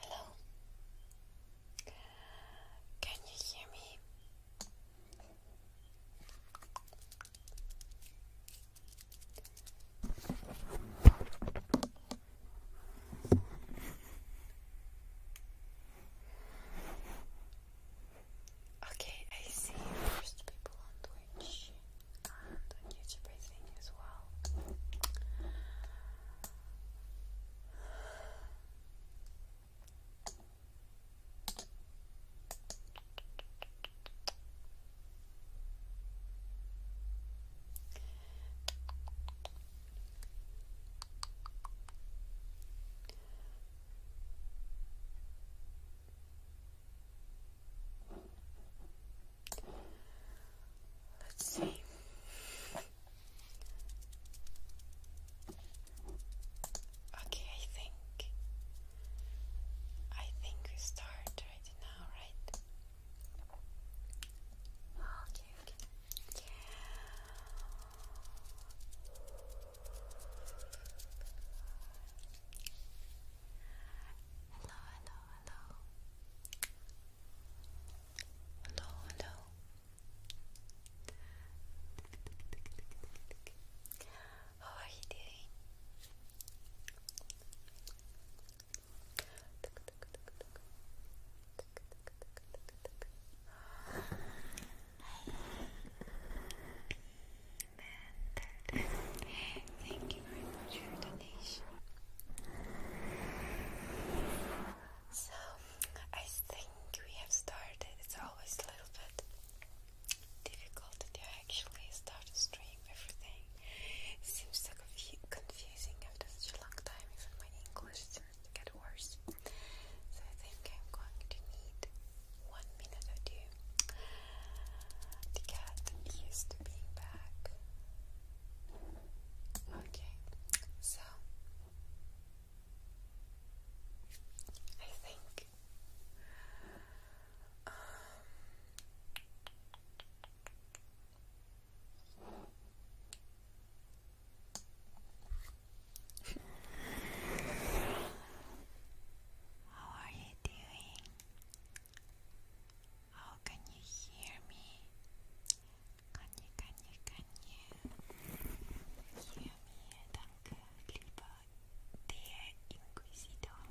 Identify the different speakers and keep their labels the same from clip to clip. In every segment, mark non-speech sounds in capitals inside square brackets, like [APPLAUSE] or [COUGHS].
Speaker 1: Hello. Can you hear me? Okay, I see first people on Twitch and on YouTube, I as well. Let's see. Okay, I think I think we start right now, right? Okay, hello,
Speaker 2: hello. Hello, hello. How are you doing? Thank you very much for your donation.
Speaker 1: So, I think we have started. It's always a little bit difficult to actually start to everything. seems so confu confusing after such a long time. Even my English starts to get worse. So I think I'm going to need one minute or two to get used to
Speaker 2: being back. Okay, so I think um, How are you doing? How can you hear me? Can you, can you, can you hear me, danke, lieber der Inquisitor?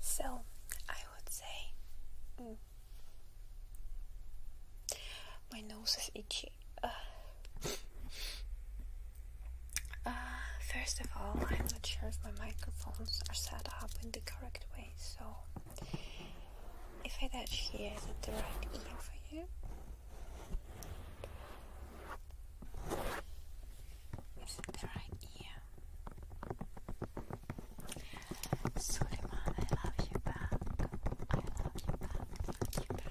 Speaker 1: So I would say mm, my nose is itchy. Uh, uh, first of all, I'm not sure if my microphones are set up in the correct way, so if I touch here, is it the right ear for you? Is it the right ear? Suleiman, I love
Speaker 2: you back. I love you back.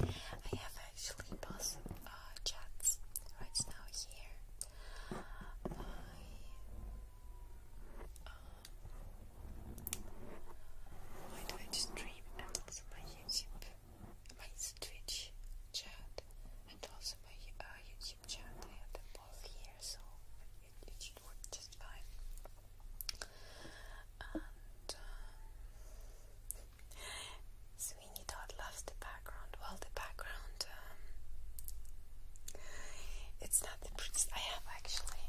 Speaker 2: I have actually both uh, chats right now here.
Speaker 1: My Twitch uh, stream and also my YouTube, my Twitch chat, and also my uh, YouTube. I have them both here, so it, should work just fine. Um, Sweeney Todd loves the background. Well, the background, um, it's not I have actually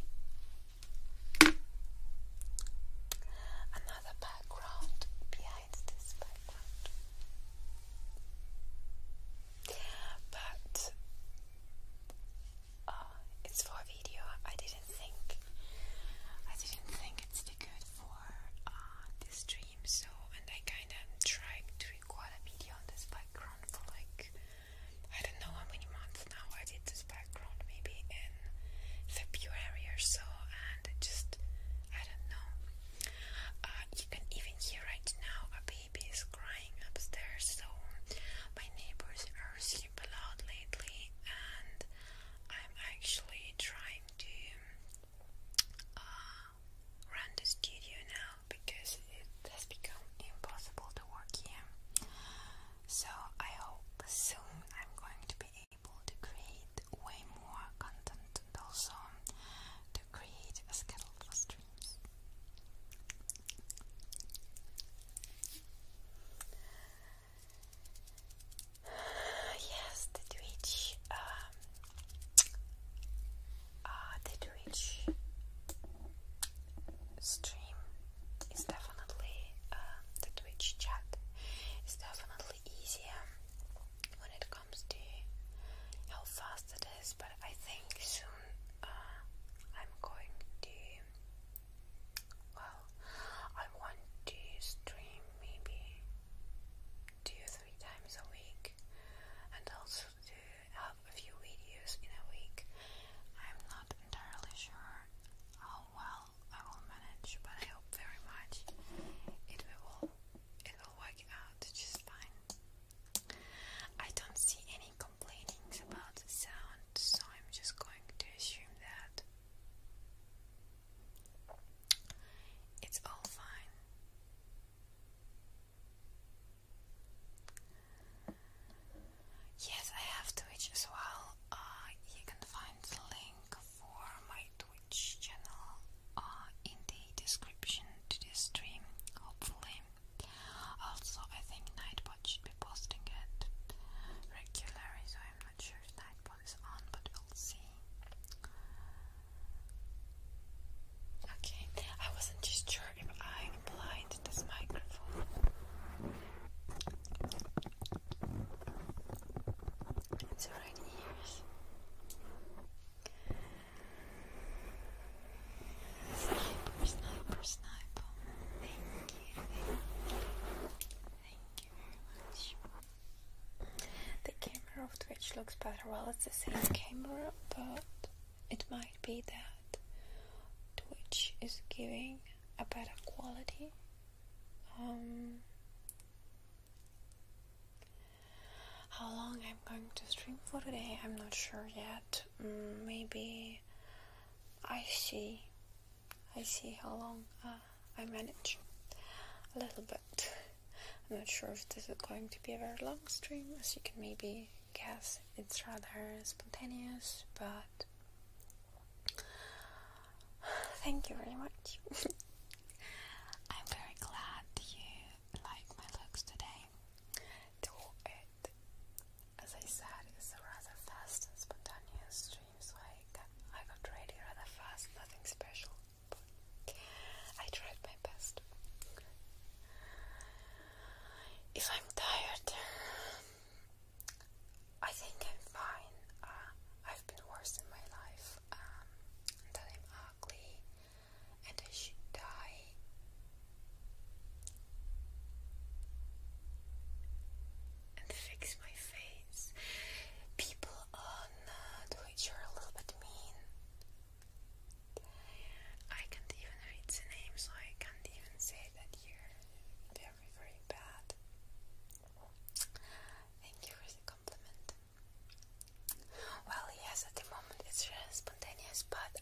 Speaker 1: another background behind this background but uh, it's for a video. I didn't think I didn't think it's too good for uh, this the stream. So and I kind of tried to record a video on this background for like I don't know how many months now. I did this background maybe in February or so, and just I don't know. Uh, you can even hear right now a bit baby is crying upstairs, so my neighbors are super loud lately, and I'm actually trying to uh, run the studio now because it has become impossible to work here. So I hope soon I'm going to be able to create way more content and also to create a schedule for stream. [SIGHS] Yes, the Twitch, um, uh, the Twitch stream is definitely, uh, the Twitch chat is definitely easier when it comes how fast it is, but I think soon uh, I'm going to well I want to stream maybe two or three times a week and also to have a few videos in a week. I'm not entirely sure how well I will manage, but I hope very much it will it will work out just fine. I don't see any complainings about the sound, so I'm just going to assume that it's all fine. Yes, I have Twitch as well. Uh, you can find the link for my Twitch channel uh, in the description to this stream, hopefully. Also, I think Nightbot should be posting it regularly, so I'm not sure if Nightbot is on, but we'll see. Okay, I wasn't just sure if I applied this microphone. It's right ears.
Speaker 2: Sniper, sniper, sniper. Thank you, thank you.
Speaker 1: Thank you very much. The camera of Twitch looks better. Well, it's the same camera, but it might be that Twitch is giving a better quality. Um, how long I'm going to stream for today, I'm not sure yet. Mm, maybe I see. I see how long uh, I manage. A little bit. I'm not sure if this is going to be a very long stream, as you can maybe guess. It's rather spontaneous, but thank you very much. [LAUGHS] I'm very glad you like my looks today though it, as I said, it's a rather fast and spontaneous stream, so I got, ready rather fast, nothing special, but I tried my best. If I'm tired, I think I'm fine. Uh, I've been worse in my life. Um, that I'm ugly, and I should die. And fix my face. People on uh, Twitch are a little bit mean. I can't even read the name, so I can't even say that you're very, very bad. Thank you for the compliment. Well, yes, at the moment it's spontaneous, but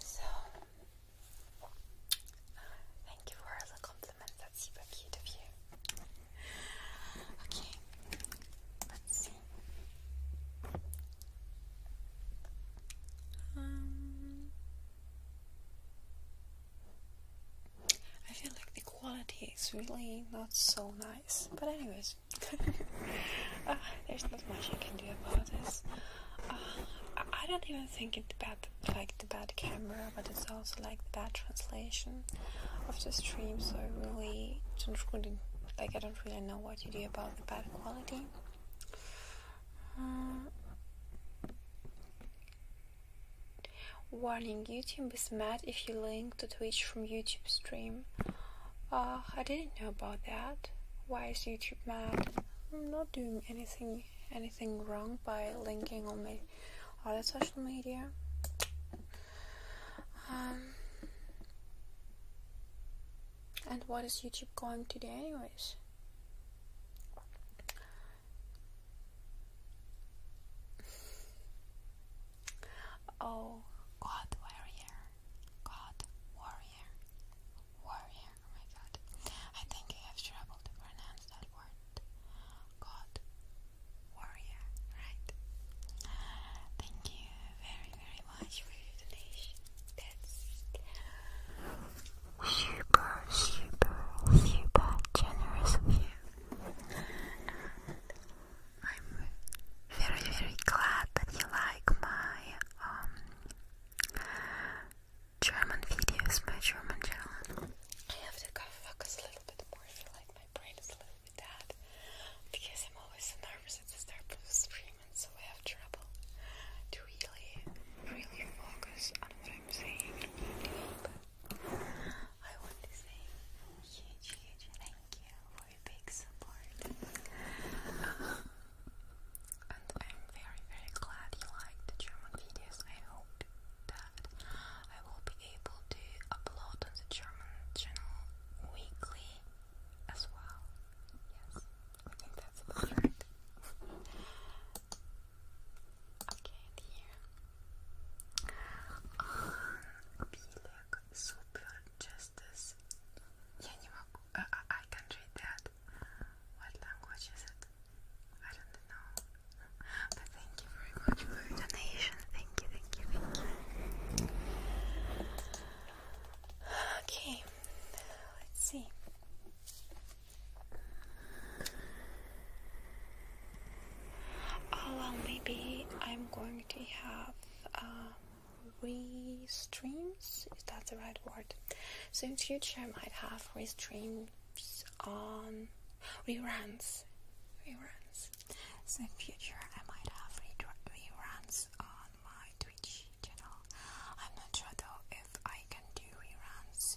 Speaker 1: So, thank you for the compliment. That's super cute of you. Okay, let's see. Um, I feel like the quality is really not so nice. But anyways, [LAUGHS] ah, there's not much I can do about this. Ah, I don't even think it's bad, like the bad camera, but it's also like the bad translation of the stream. So I really don't really like I don't really know what to do about the bad quality. Ah. Warning YouTube is mad if you link to Twitch from YouTube stream. Uh, I didn't know about that. Why is YouTube mad? I'm not doing anything anything wrong by linking on my other social media. Um, and what is YouTube going to do anyways? Oh, God warrior, God warrior, warrior. Oh my God, I think I have trouble to that word. God warrior, right? Thank you very very much for your donation. That's super, super, super generous of you. I'm very, very glad that you like my um, German videos, my German channel. I have to kind focus a little bit more. I feel like my brain is a little bit dead because I'm always so nervous at the start of the stream, and so I have trouble to really, really focus on what i want to say huge, huge thank you for your big support. and I'm very, very glad you like the German videos. I hope that I will be able to upload on the German channel weekly as well. Yes, I think that's about Okay, and here. Oh, Билек, Super Justice. Uh, I can't read that. What language is it? I don't know. But thank you very much for your donation. thank you, thank you. Okay, let's see. Oh, well, maybe I'm going to have uh, restreams. Is that the right word? So in future, I might have restreams on reruns, reruns. So in future, I might have reruns on my Twitch channel. I'm not sure though if I can do reruns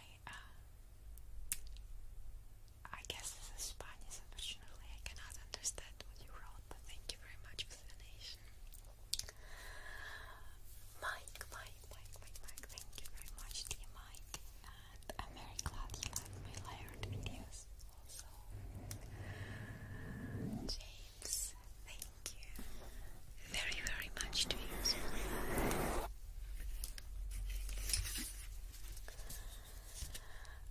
Speaker 1: uh, I, guess this is Spanish, unfortunately I cannot understand what you wrote, but thank you very much for the explanation, Mike, Mike, Mike, Mike, Mike, thank you very much dear Mike, and I'm very
Speaker 2: glad you like my layered videos also. James, thank you very, very much to you.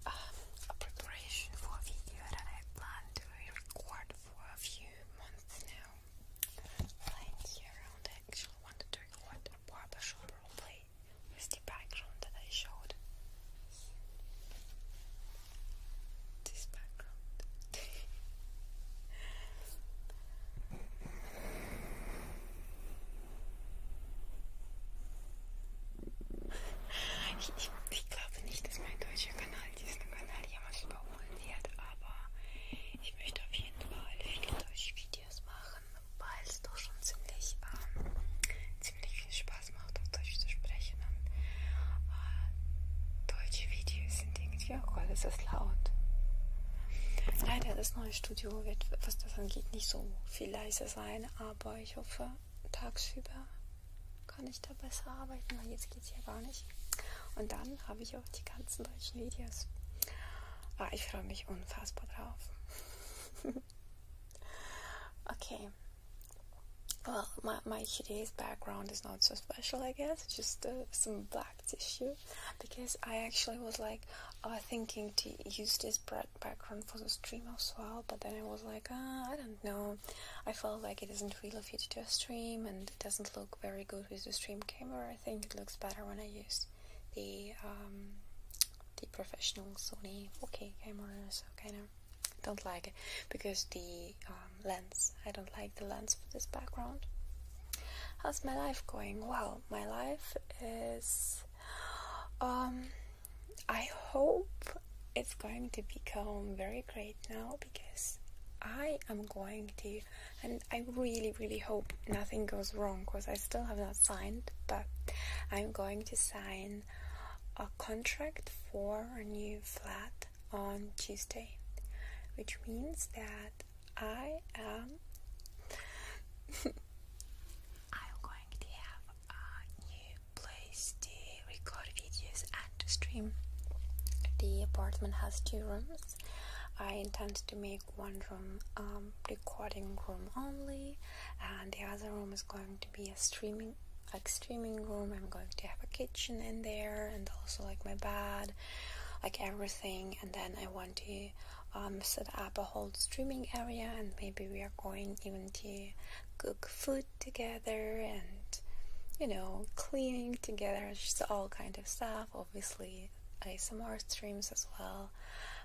Speaker 1: Um, a preparation for a video that I plan to record for a few months now. Plenty around I actually wanted to record a barbershop with the background that I showed. This background. [LAUGHS] Ich, ich, ich glaube nicht, dass mein deutscher Kanal diesen Kanal jemals überholen wird, aber ich möchte auf jeden Fall viele deutsche Videos machen, weil es doch schon ziemlich, ähm, ziemlich viel Spaß macht, auf Deutsch zu sprechen. Und, äh, deutsche Videos sind die denkt, ja oh Gott, ist das laut. Leider das neue Studio wird, was das angeht, nicht so viel leiser sein, aber ich hoffe, tagsüber kann ich da besser arbeiten, weil jetzt geht es ja gar nicht. Und dann habe ich auch die ganzen deutschen Videos. Ah, ich freue mich unfassbar drauf. [LAUGHS] okay. Well, my, my Chinese background is not so special, I guess. Just uh, some black tissue because I actually was like uh, thinking to use this background for the stream as well, but then I was like, ah, I don't know. I felt like it isn't real fit to a stream and it doesn't look very good with the stream camera. I think it looks better when I use the um, the professional Sony 4K camera, so kind of don't like it because the um, lens I don't like the lens for this background. How's my life going? Well my life is. Um, I hope it's going to become very great now because I am going to, and I really, really hope nothing goes wrong because I still have not signed, but I'm going to sign a contract for a new flat on Tuesday, which means that I am. I'm going to have a new place to record videos and to stream. The apartment has two rooms. I intend to make one room um, recording room only, and the other room is going to be a streaming like streaming room. I'm going to have a kitchen in there, and also like my bed, like everything. And then I want to set up a whole streaming area and maybe we are going even to cook food together and you know cleaning together just all kind of stuff obviously some more streams as well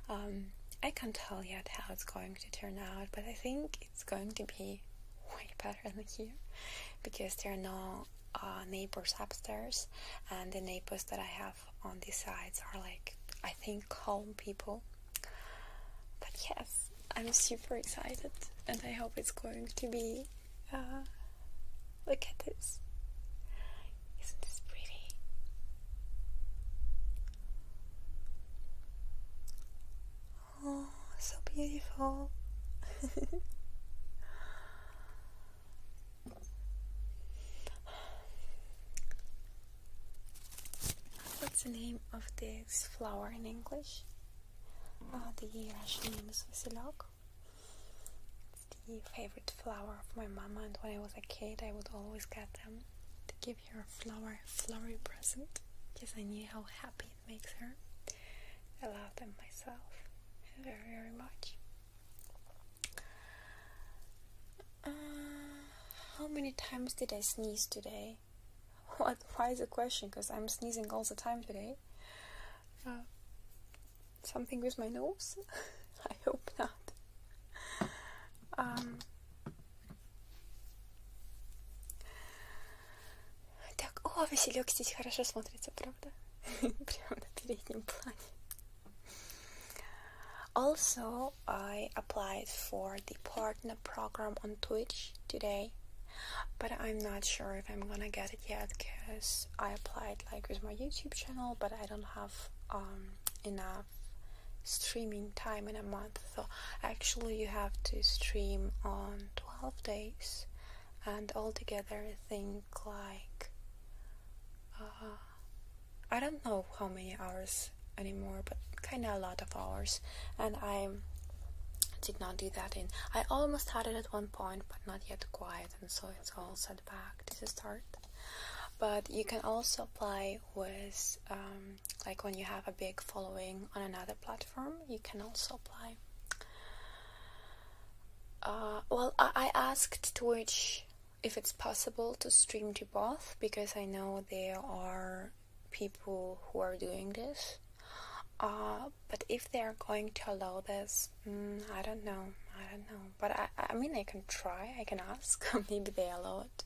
Speaker 1: um, i can't tell yet how it's going to turn out but i think it's going to be [LAUGHS] way better than here because there are no uh, neighbors upstairs and the neighbors that i have on these sides are like, I think, calm people. But yes, I'm super excited and I hope it's going to be. Uh, look at this. Isn't this pretty? Oh, so
Speaker 2: beautiful. [LAUGHS]
Speaker 1: What's the name of this flower in English? Uh, the Russian name is Vasilok. It's the favorite flower of my mama, and when I was a kid, I would always get them to give her a flower, flowery present because I knew how happy it makes her. I love them myself very, very much. Uh, how many times did I sneeze today? [LAUGHS] What? Why is the question? Because I'm sneezing all the time today. Uh. something with my nose? [LAUGHS] I hope not. Um. так, о, Василек здесь хорошо смотрится, правда? [LAUGHS] Прямо на переднем плане. Also, I applied for the partner program on Twitch today, but I'm not sure if I'm gonna get it yet because I applied like with my YouTube channel, but I don't have um, enough streaming time in a month. So, actually, you have to stream on 12 days, and altogether, I think like uh, I don't know how many hours anymore, but kind of a lot of hours. And I did not do that in. I almost had it at one point, but not yet quite, and so it's all set back to the start. But you can also apply with, um, like when you have a big following on another platform, you can also apply. Uh, well, I, I asked Twitch if it's possible to stream to both because I know there are people who are doing this. Uh, but if they are going to allow this, mm, I don't know. I don't know. But I, I mean, I can try. I can ask. Maybe [LAUGHS] they allow it.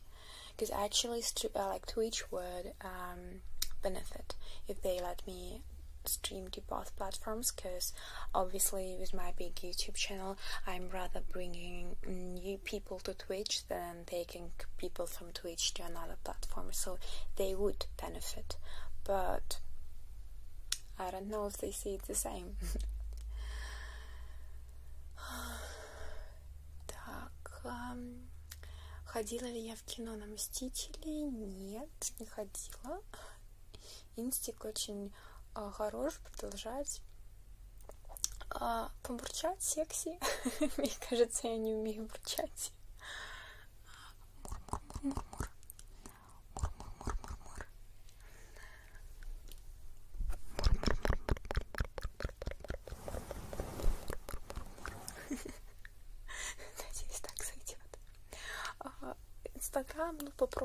Speaker 1: Because actually, uh, like Twitch would um, benefit if they let me stream to both platforms. Because obviously with my big youtube channel i'm rather bringing new people to twitch than taking people from twitch to another platform so they would benefit but i don't know if they see it the same [SIGHS] так ходила ли я в кино на мстителей нет не ходила инстик очень а, хорош, продолжать. А, побурчать секси. Мне кажется, я не умею бурчать. Мур-мур-мур-мур. Мур-мур-мур-мур. Надеюсь, так сойдет. Инстаграм, ну, попробуйте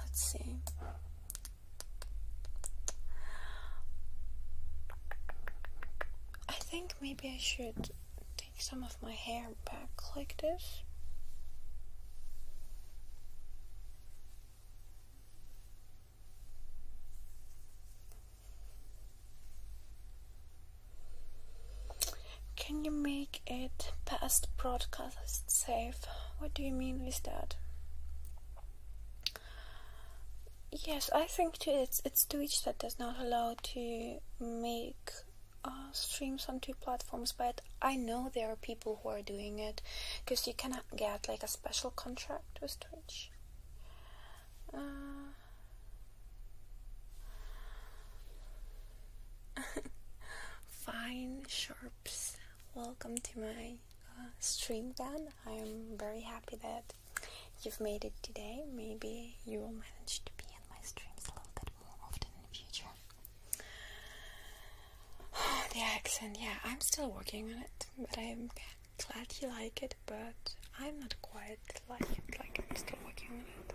Speaker 1: Let's see. I think maybe I should take some of my hair back like this. Can you make it past broadcast? safe. What do you mean with that? Yes, I think too, it's it's Twitch that does not allow to make uh, streams on two platforms, but I know there are people who are doing it because you cannot get like a special contract with Twitch. Uh, [LAUGHS] fine sharps welcome to my uh, stream then. I'm very happy that you've made it today. Maybe you will manage to be in my streams a little bit more often in the future. Oh, [SIGHS] the accent, yeah, I'm still working on it, but I'm glad you like it, but I'm not quite like it, like I'm still working on it.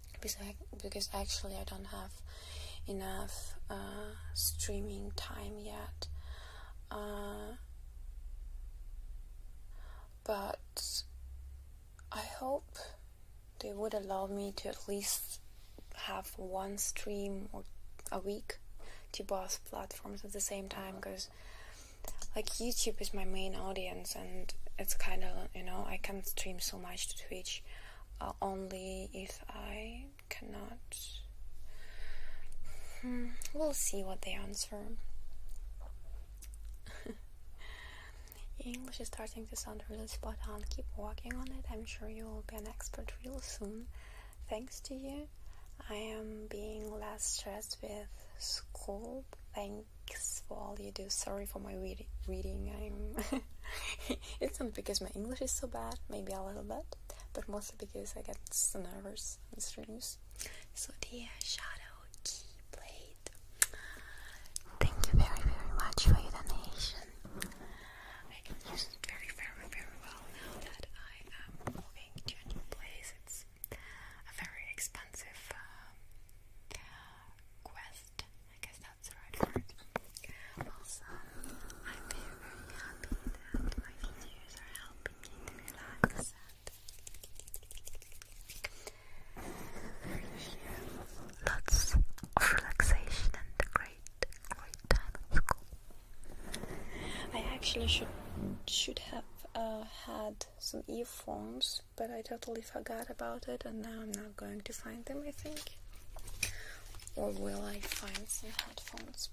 Speaker 1: because because actually I don't have enough uh, streaming time yet. Uh, but I hope they would allow me to at least have one stream or a week to both platforms at the same time because like YouTube is my main audience and it's kind of you know I can't stream so much to Twitch uh, only if I cannot. Hmm, we'll see what they answer. [LAUGHS] English is starting to sound really spot on. Keep working on it. I'm sure you will be an expert real soon. Thanks to you, I am being less stressed with school. Thank for all you do. Sorry for my reading. I'm. [LAUGHS] it's not because my English is so bad. Maybe a little bit, but mostly because I get so nervous and streams. So dear Shadow Keyblade, thank you very very much for your donation. I can use it very very very well now I am moving to a new place. It's a very expensive uh, quest I guess that's the right word. Also, I'm very, happy
Speaker 2: that my videos are helping me relax lots of relaxation and great, great time
Speaker 1: I actually should should have uh, had some earphones but I totally forgot about it and now I'm not going to find them, I think. Or will I find some headphones?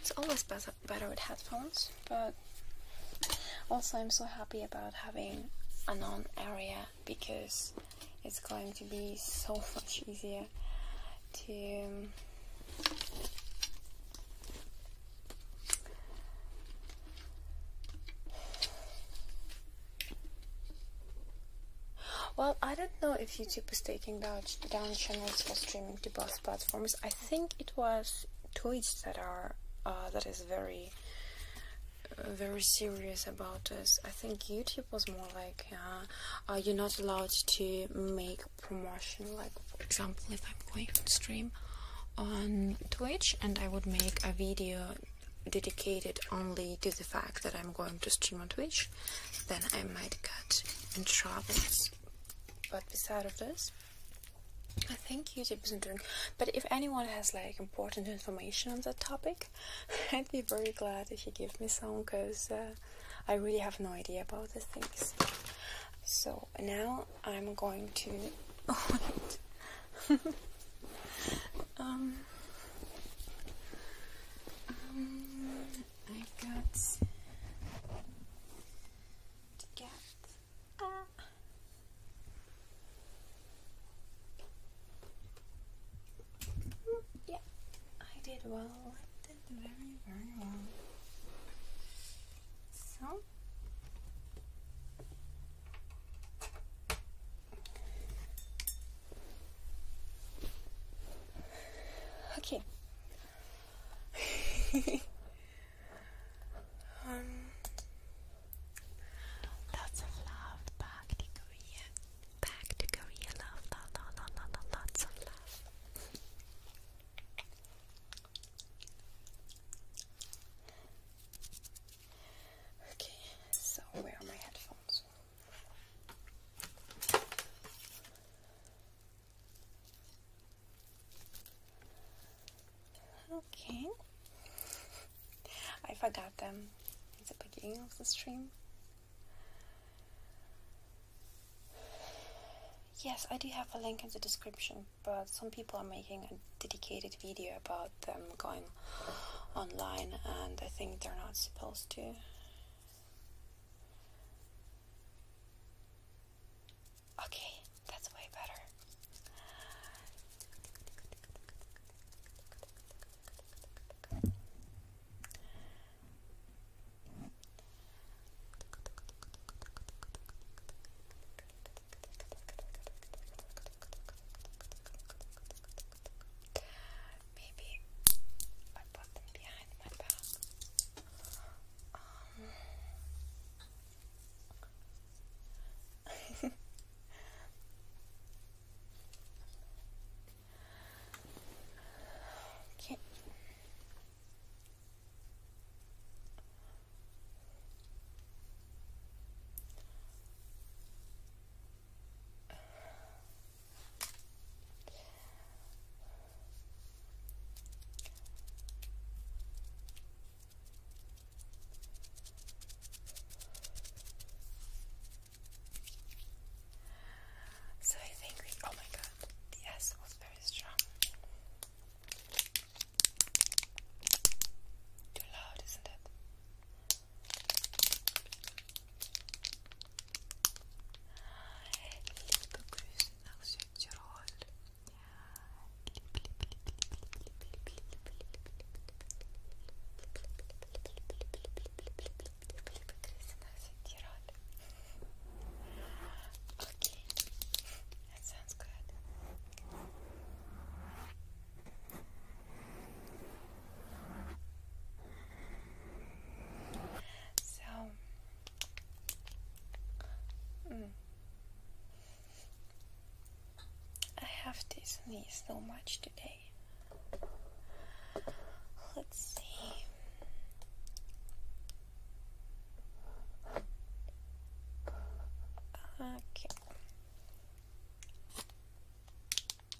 Speaker 1: It's always better, with headphones, but also I'm so happy about having a non area because it's going to be so much easier to um, well, I don't know if YouTube is taking down, channels for streaming to both platforms. I think it was Twitch that are uh, that is very uh, very serious about this. I think YouTube was more like uh, you're not allowed to make promotion. Like for example, if I'm going to stream on Twitch and I would make a video dedicated only to the fact that I'm going to stream on Twitch, then I might get in trouble. But besides of this, I think YouTube isn't doing. But if anyone has like important information on that topic, [LAUGHS] I'd be very glad if you give me some, cause uh, I really have no idea about these things. So now I'm going to. [LAUGHS] Oh, [LAUGHS] Um,
Speaker 2: um, I got to get. Uh,
Speaker 1: yeah, I did well. I did very, very well. So.
Speaker 2: Okay. [LAUGHS] Um, lots of
Speaker 1: love back to Korea. Back to Korea, love, love, love, love, love lots of love. Okay, so where are my headphones? Okay. I forgot them It's the beginning of the stream. Yes, I do have a link in the description, but some people are making a dedicated video about them going online, and I think they're not supposed to. Okay, that's way better
Speaker 2: maybe I put them behind my back. Um. [LAUGHS] Okay. So I think oh my god, the S was very strong. Too
Speaker 1: loud, isn't it? Liebe Grüße Okay, that so, mm, I have this knee so much today. Let's see. Okay.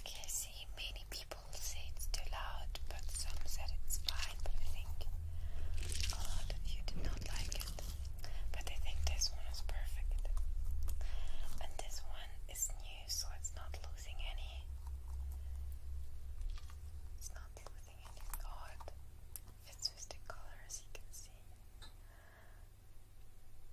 Speaker 1: Okay, I see many people say it's too loud, but some said it's fine, but I think a lot of you did not like it. But I think this one is perfect. And this one is new, so it's not losing any. It's not losing any. Oh, it with the colors you can see.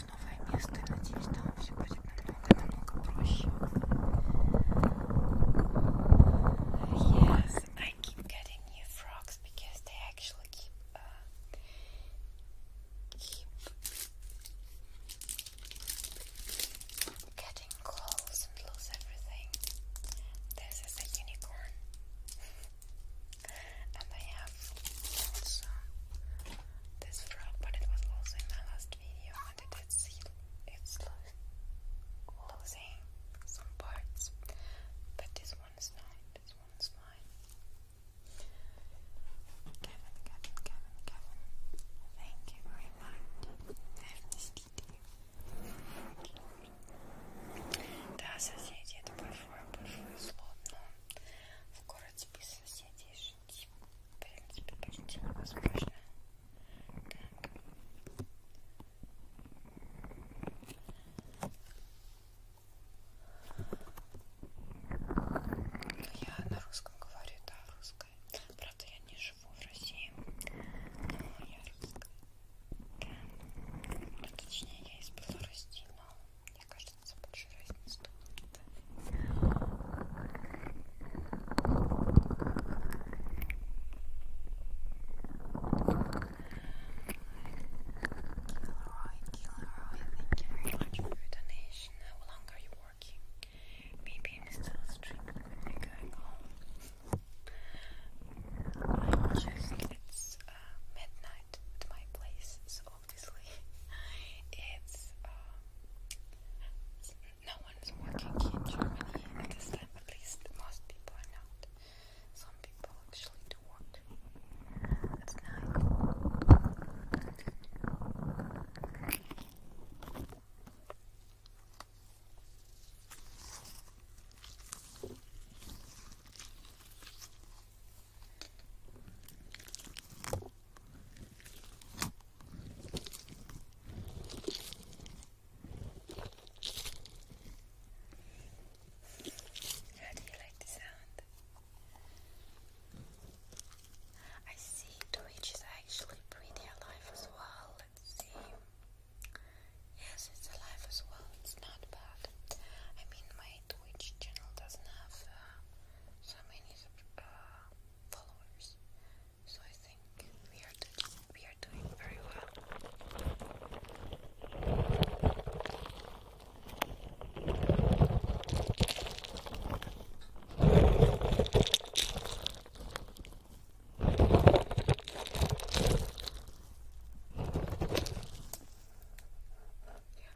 Speaker 1: в новое место, и надеюсь, там все будет намного-намного проще. Yes, I keep getting new frogs because they actually keep uh, keep getting close and lose everything. This is a unicorn. and I have also this frog, but it was also in my last video it's, it's losing some parts, but this one is not, this one is fine. Kevin, Kevin, Kevin, Kevin, thank you very much. Да, соседи, это большое-большое зло, в город список соседей объяснить в принципе почти невозможно так я на русском говорю, да, русская. Правда, я не живу в России, но я русская. Да. Ну, точнее, я из Беларуси, но мне кажется, больше разницы тут. Kilroy, Kilroy, thank you very much for your donation. How long are you working? Maybe I'm still streaming when I going home. I'm just, it's uh, midnight at my place, so obviously it's, uh, no one is working in Germany at this time, at least most people are not. Some people actually do work. That's how do you like the sound? I see Twitch is actually pretty alive as well. Let's see. Yes, it's alive as well. It's not bad. I mean, my Twitch channel doesn't have uh, so many uh, followers, so I think we are we are doing very well. Yeah.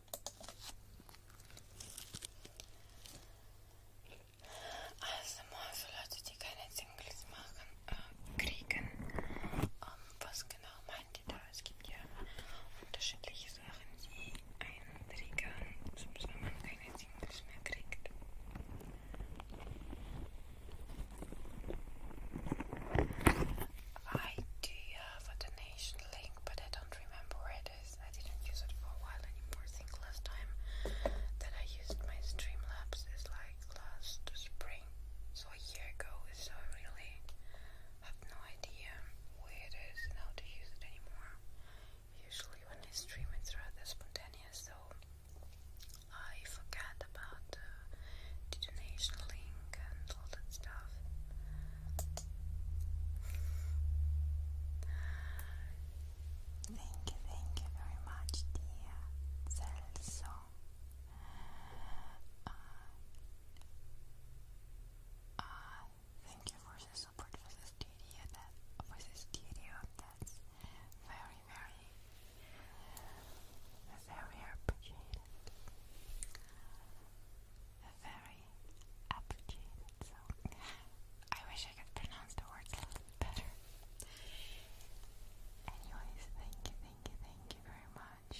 Speaker 1: Also Leute, die keine Singles machen, äh, kriegen. Ähm, was genau meint ihr da? Es gibt ja unterschiedliche Sachen, die einen triggern, sonst wenn man keine Singles mehr I do have uh, a donation link, but I don't remember where it is. I didn't use it for a while anymore. I think last time that I used my Streamlabs is like last spring, so a year ago. So I really have no idea where it is and how to use it anymore. Usually, when I stream, it's rather spontaneous, so I forget about the donation link and all that stuff. Thank you, thank you very much, dear Celso. Uh, thank you for the support for the studio. That for the studio, that's very, very, very appreciated. Very very So I wish I could pronounce the words a little bit better. Anyways, thank you, thank you, thank you very much.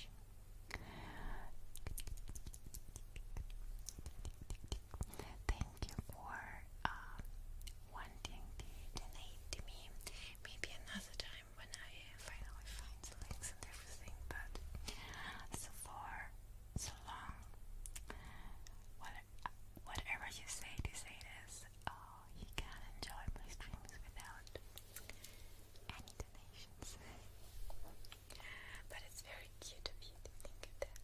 Speaker 1: Thank you for uh, wanting to donate to me. Maybe another time when I finally find the links and everything, but so far so long. What, whatever you say to say this, oh, you can enjoy my streams without any donations. but it's very cute of you to think of that.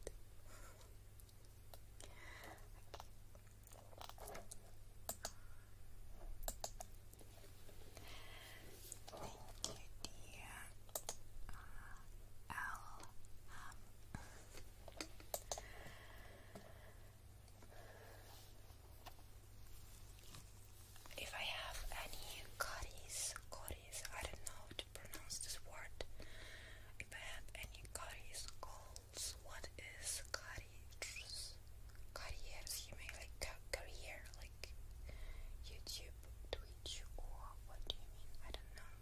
Speaker 1: Thank you, dear. L If I have any caries, caries, I don't know how to pronounce this word. If I have any caries, what is caries? Caries, you mean like career, like YouTube, Twitch, or what do you mean? I don't know.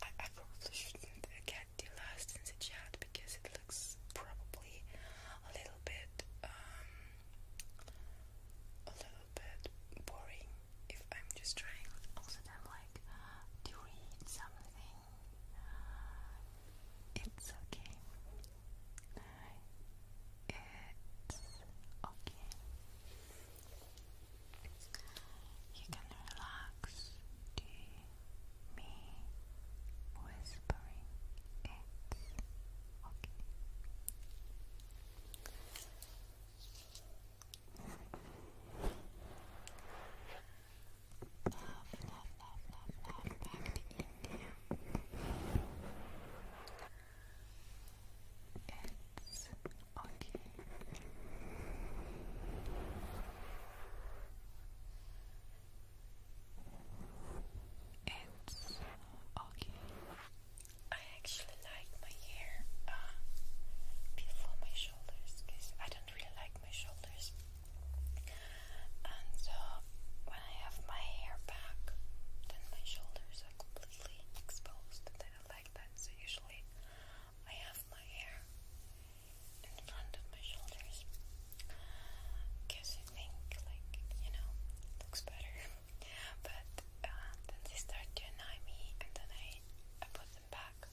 Speaker 1: I, probably shouldn't get the last in the chat because it looks probably a little bit um, a little bit boring if I'm just trying also then like to read something it's okay. It's okay. You can relax to me whispering. It's okay. Love, love, love, love, love back to India. It's okay. It's okay. I actually like my hair uh, my shoulders because I don't really like my shoulders and so uh, when I have my hair back, then my shoulders are completely exposed. I like that. So usually I have my hair in front of my shoulders because I think, like, you know, it looks better. [LAUGHS] but uh, then they start to annoy me, and then I, I put them back.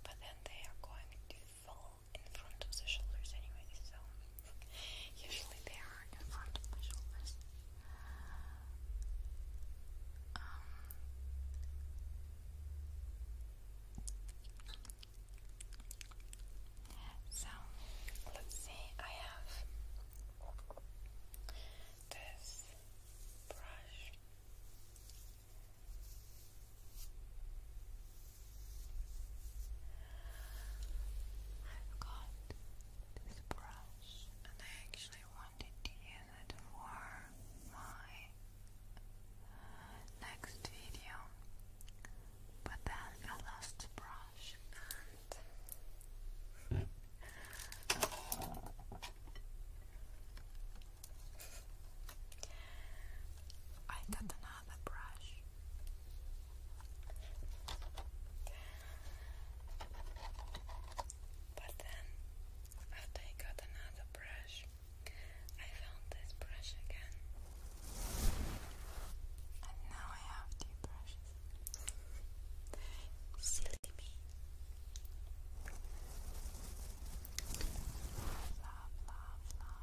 Speaker 1: But then they are going to fall in front of the shoulders anyway, so usually they are in front of my shoulders.
Speaker 2: Um, so, let's see, I have this brush I've got this brush, and I actually wanted to use it for my
Speaker 1: next video, but then I lost the brush and. [LAUGHS] I don't another brush.
Speaker 2: But then, after I got another brush, I found this brush again. And now I
Speaker 1: have two brushes. Silly me. Love,
Speaker 2: love, love.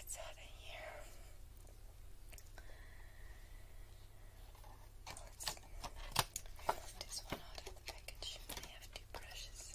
Speaker 2: it's hot in here. Let's this one out of the package. I have brushes.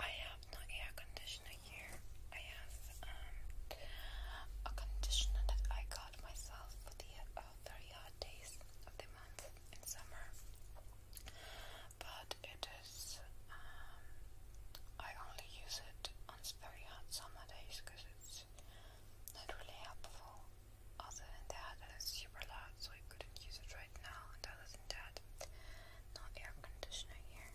Speaker 1: I have no air conditioner here. I have um, a conditioner that I got myself for the uh, very hot days of the month in summer. But it is, um, I only use it on very hot summer days because it's was not really helpful. Other than that, it is super loud, so I couldn't use it right now. And other than that, no air conditioner here.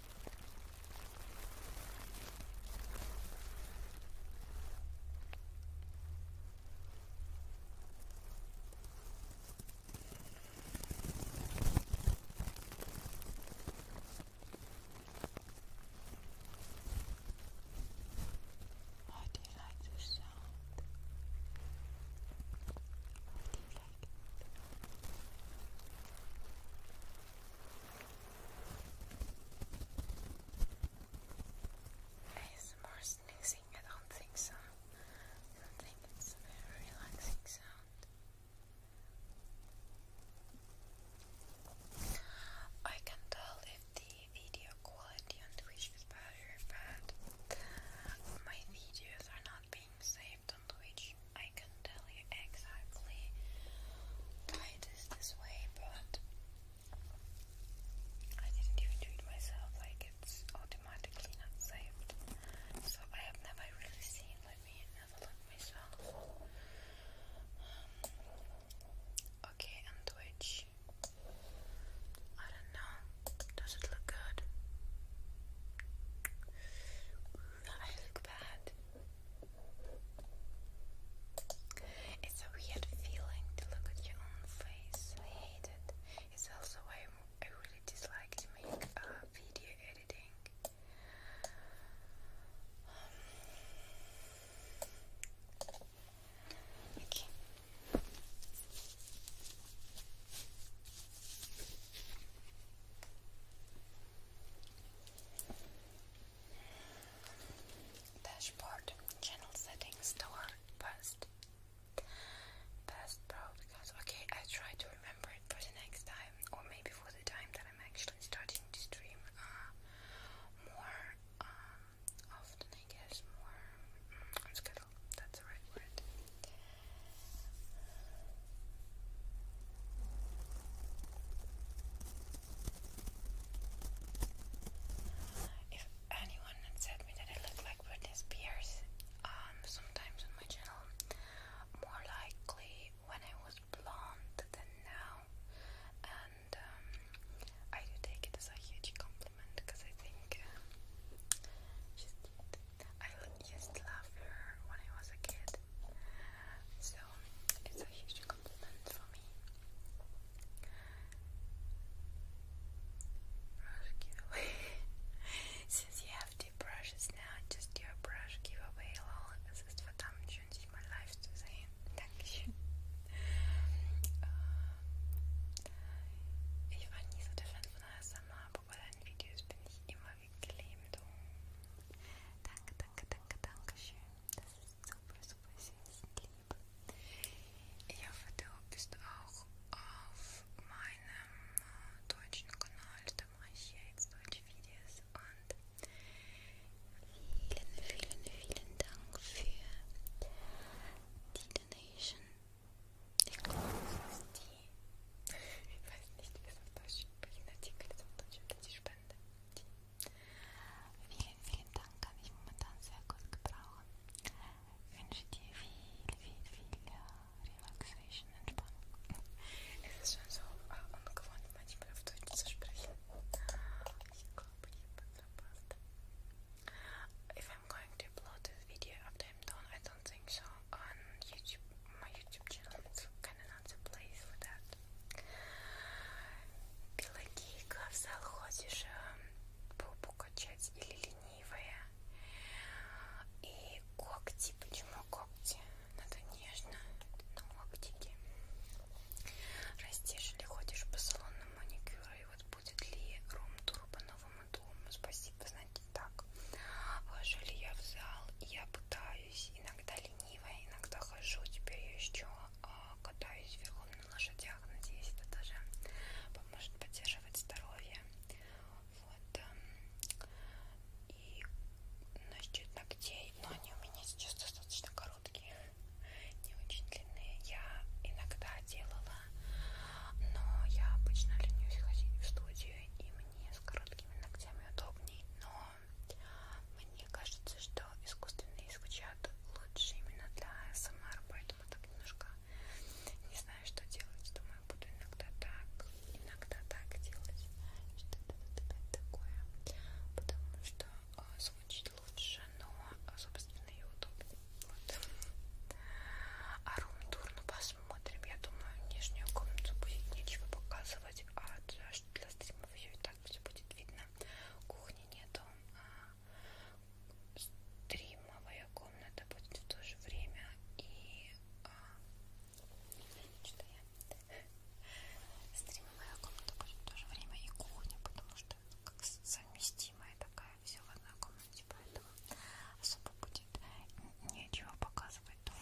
Speaker 2: I do you like this sound? I do you ASMR sneezing, I don't think so. I don't think it's a
Speaker 1: relaxing sound. I can tell if the video quality on Twitch is better, but my videos are not being saved on which I can tell you exactly why it is this way, but I didn't even do it myself, like it's automatically saved. So I have never really seen, let me have a myself. Um, okay, and which I don't know. Does it look good? I look bad. It's a weird feeling to look at your own face. I hate it. It's also why I really dislike to make uh, video editing. okay. Dashboard channel settings store past past broadcast. Okay, I try to remember it for the next time, or maybe for the time that I'm actually starting to stream uh, more um, often. I guess more mm, on schedule. That's the right word. If anyone had said me that I look like Britney Spears, um, sometimes on my channel, more likely when I was blonde than now, and um, I do take it as a huge compliment because I think uh, I look used to love her when I was a kid. So it's a huge compliment for me. Brush giveaway. [LAUGHS] Since you have two brushes now, just do brush giveaway. Lol, es ist verdammt schön, sich mal live zu sehen. Dankeschön. Ich war nie so der Fan von ASMR, aber bei deinen Videos bin ich immer geklebt. Oh. Danke, danke, danke, danke schön. Das ist super, super süß und lieb. Ich hoffe, du bist auch auf meinem äh, deutschen Kanal. Da mache ich jetzt deutsche Videos und vielen, vielen, vielen Dank für die Donation. Ich glaube, es ist die ich weiß nicht, wie es auf Deutsch spricht. Artikel ist auf Deutsch über die Spende. Vielen, vielen Dank, kann ich momentan sehr gut gebrauchen. Ich wünsche dir viel, viel, viel äh, Relaxation, Entspannung. Es ist schon so äh, ungewohnt, manchmal auf Deutsch zu sprechen. Ich glaube, ich habe es verpasst. If I'm going to upload this video after I'm done, I don't think so, on YouTube, my YouTube channel, so keine another place for that. Пелагейка в зал ходишь эм, попу качать или ленивая. И когти, почему когти? Надо нежно на когтики. Растишь или ходишь по салонному маникюру, и вот будет ли рум-тур по новому дому? Спасибо, знаете, так. Хожу ли я в зал? Я пытаюсь иногда ленивая ленивая, иногда хожу, теперь я еще а, катаюсь верхом на лошадях, надеюсь, это тоже поможет поддерживать здоровье. Вот. Эм, и насчет ногтей, но они у меня сейчас достаточно короткие, не очень длинные. Я иногда делала, но я обычно ленюсь ходить в студию, и мне с короткими ногтями удобней. Но мне кажется, что искусственные звучат лучше именно для СМР, поэтому так немножко не знаю, что делать. Думаю, буду иногда так, иногда так делать. Что-то такое. Потому что а, звучит лучше, но, а, собственно, и удобнее. Вот. А рум-тур, ну посмотрим. Я думаю, нижнюю комнату будет нечего показывать, а что для стримов ее и так все будет видно. Кухни нету, а стримовая комната будет в то же время и а, что я [LAUGHS] стримовая комната будет в то же время и кухня, потому что как совместимая такая все в одной комнате, поэтому особо будет нечего показывать. потом.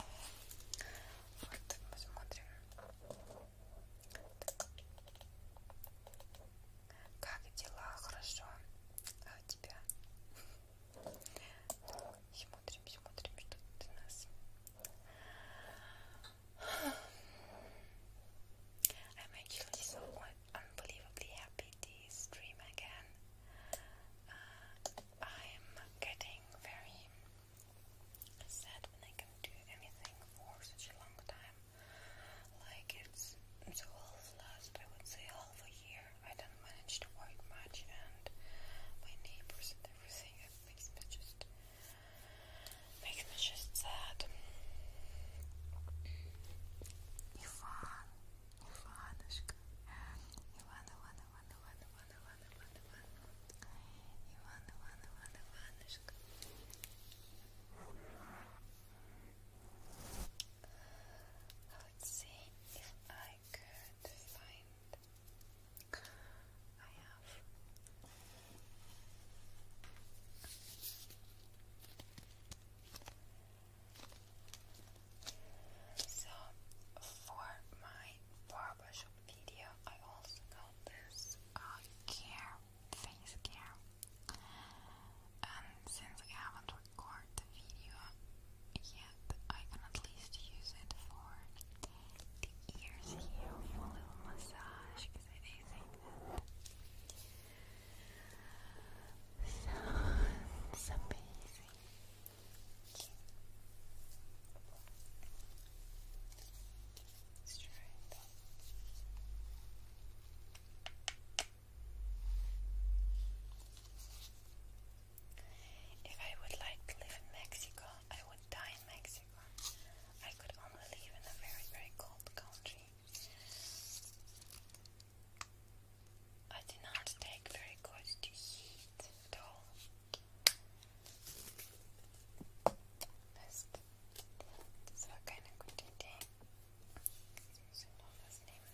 Speaker 1: Вот так посмотрим. Так. Как дела? Хорошо. А у тебя? Так, смотрим, смотрим, что тут у нас. I'm actually so unbelievably happy to stream again. Uh, I'm getting very sad when I can do anything for such a long time. Like it's so whole last I would say half a year I don't manage to work much and my neighbors and everything it makes me just makes me just sad. Ivan, Ivanushka, Ivana, Ivana, Ivana, Ivana, Ивана, Ивана, I would see if I could find. I have so for my barbershop video I also on this eye uh, care, face care. And since I haven't recorded the video yet, I can at least use
Speaker 2: it for the ears here for a little massage because I think that. Sounds [LAUGHS] amazing. Okay. If
Speaker 1: I would like to live in Mexico, I would die in Mexico. I could only live in a very, very cold country. I do not take very good to heat at all. Mist. Das war keine gute Idee. Jetzt muss ich noch was nehmen.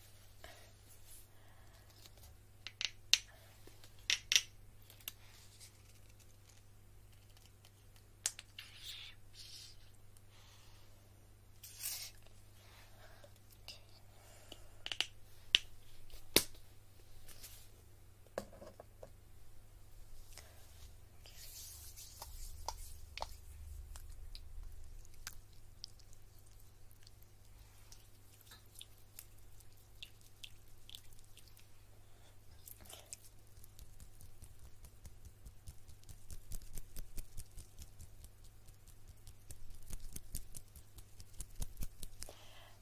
Speaker 1: Okay.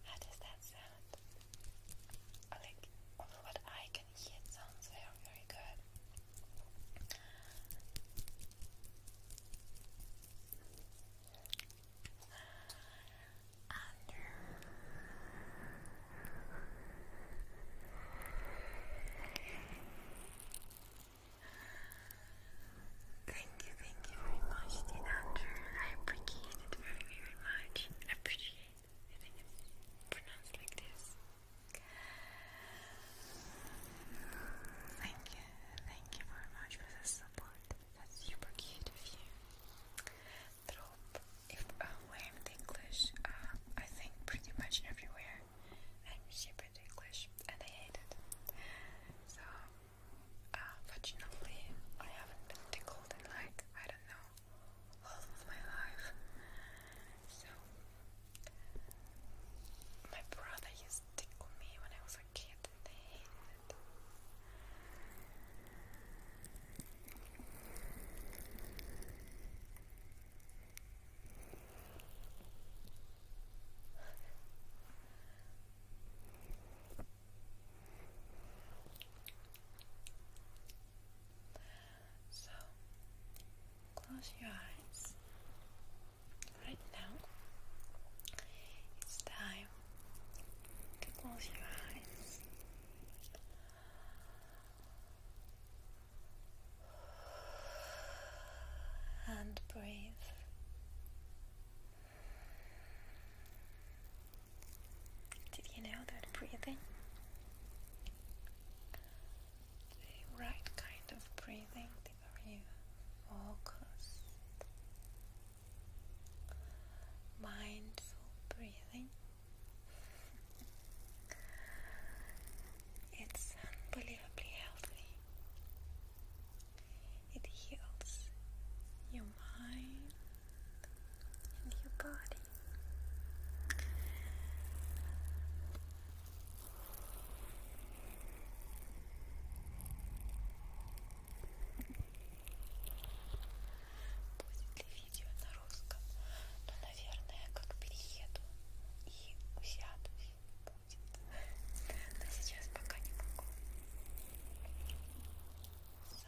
Speaker 1: How does that sound? like what I can hear, sounds very, very good. And thank you, thank you very much, Dean Andrew. I appreciate it very, very much. Appreciate Thank you, thank you very much for the support. That's super cute of you. Trop, if uh, I'm the English, uh, I think pretty much everywhere I'm super the English and I hate it. So, uh, I haven't been tickled in like, I don't know, all of my life. So my brother used to tickle me when I was a kid so, close your eyes. Right now, it's time to close your eyes. And breathe. Did you know that breathing? The right kind of breathing, the very focused, mindful breathing. [LAUGHS] it's unbelievably healthy. It heals your mind. in your body. Будет ли видео на русском? Ну, наверное, как перееду и усядусь будет. Но сейчас пока не могу. So,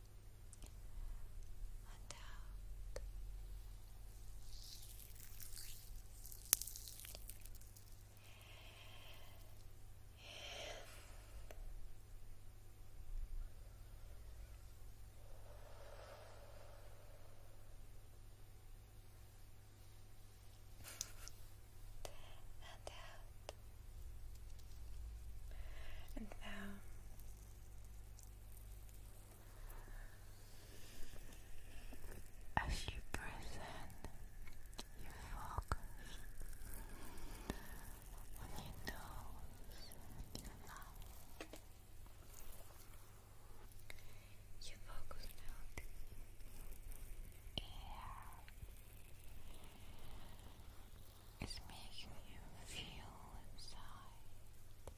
Speaker 1: and out. and out. And now
Speaker 2: as you breathe in, you focus on your nose your mouth. You focus on air. It's making you feel inside.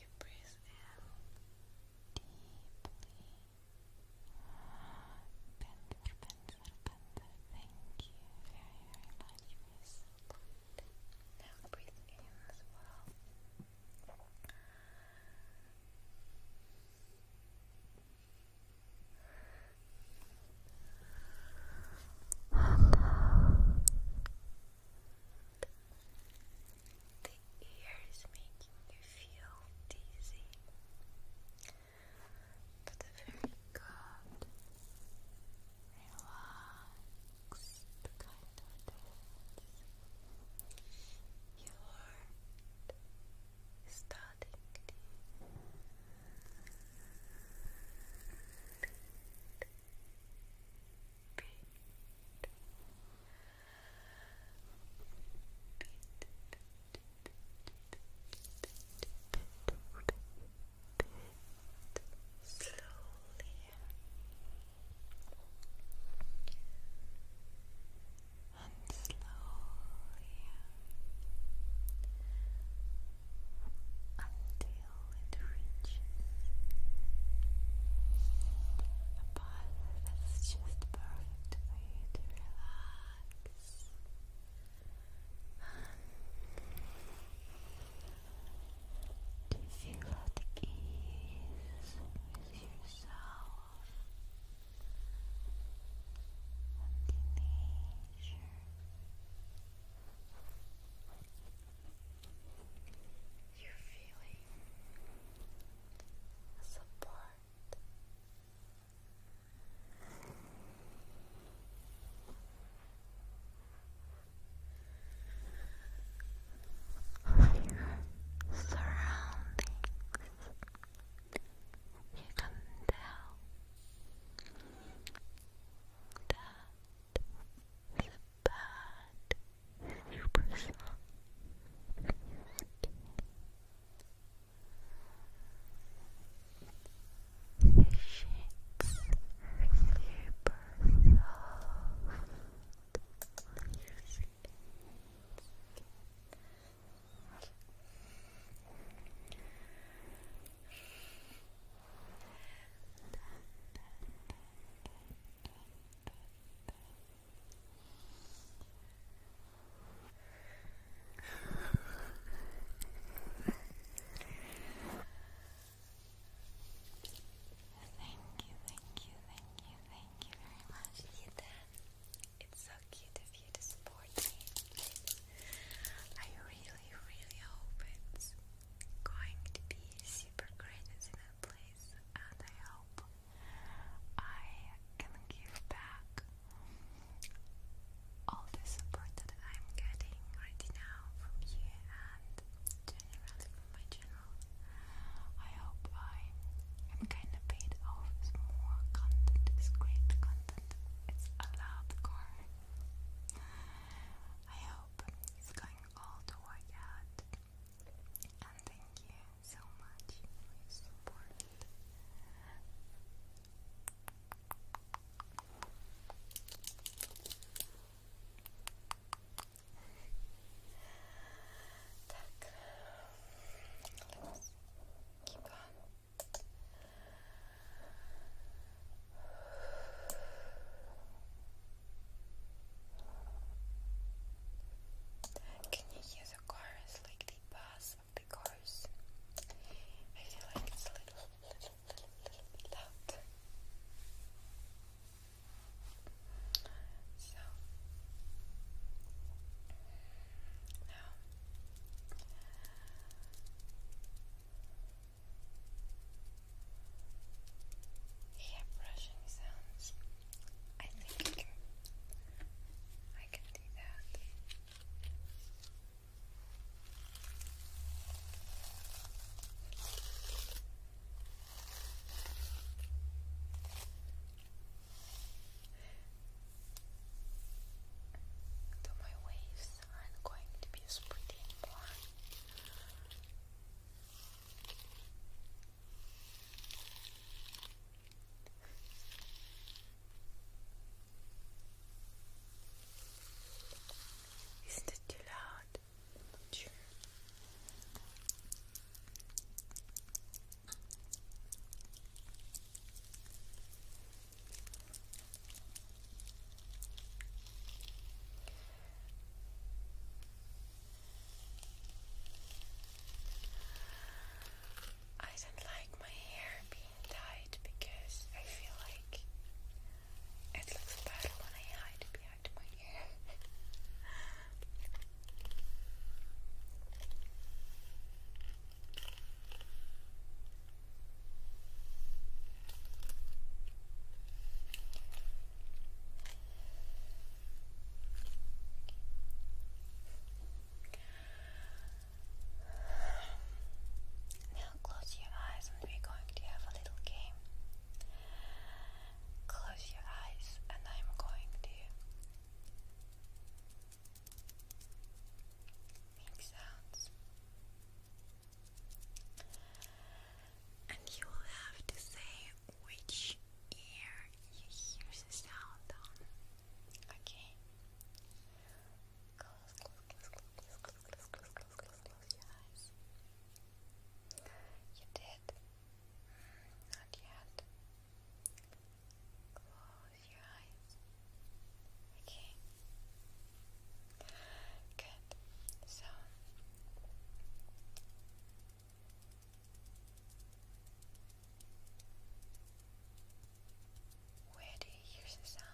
Speaker 2: You breathe in deeply. Bender, bender, bender. Thank you very, very much. breathe in as well. The ear is you feel dizzy. But very good, relaxed kind of dance. Your heart starting to feet. Slowly and slowly until it that's just perfect for you to relax. To feel at ease with yourself and nature.
Speaker 1: You're feeling support. your surroundings, you can tell that it's a super song. Okay. Shakes super soft. Then, then, Thank you, thank you, thank you, thank you very much, It's so cute of you to support me. I really, really hope it's going to be super great as soon as place, and I hope I can give back all the support that I'm getting right now from you and generally from my channel. I hope I am kind of paid off more content, it's great content, it's a loud car. I hope it's going all to work out. And thank you so much for your support. Can you hear the chorus, like the bass of the chorus? I feel like it's a little, little, little, little bit loud. So now hair brushing sounds. I think I can, do that. Though my waves are going to be as pretty and isn't it too loud? sure. I don't like my hair being tied because I feel like it looks better when I hide behind my hair. Now close your eyes and we're going to have a little game. Close your eyes and I'm going to make sounds. And you will have to say which ear you hear the sound Okay. Close, close,
Speaker 2: close, close, close, close, close, close, close, close your eyes. You did? Not yet. Close your
Speaker 1: eyes. Okay. Good. So where do you hear the sound?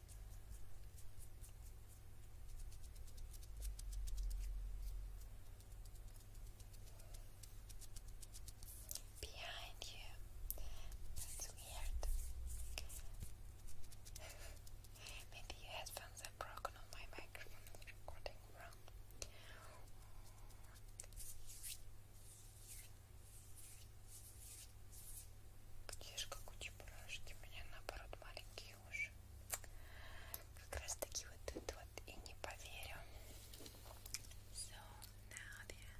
Speaker 1: Behind you. That's weird. [LAUGHS] Maybe your headphones are broken on my microphone recording wrong. Видишь, как у чебурашки, у меня наоборот маленькие Илюша. Как раз таки вот тут вот и не поверю. So now there.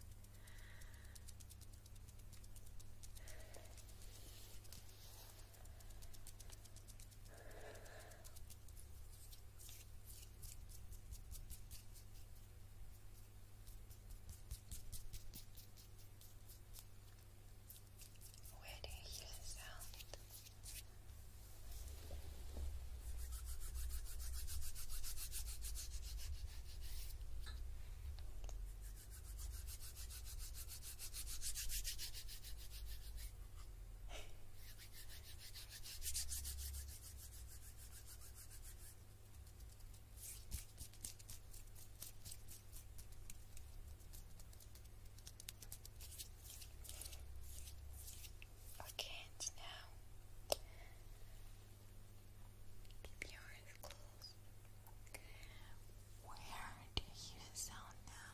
Speaker 1: Where do you hear the sound?
Speaker 2: Okay, and now keep
Speaker 1: your eyes Where do you sound now?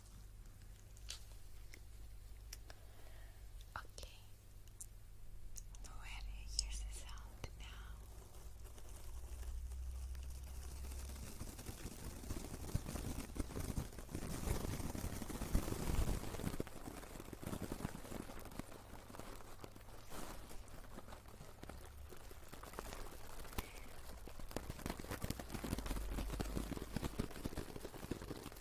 Speaker 1: Okay. Nobody hears the sound now.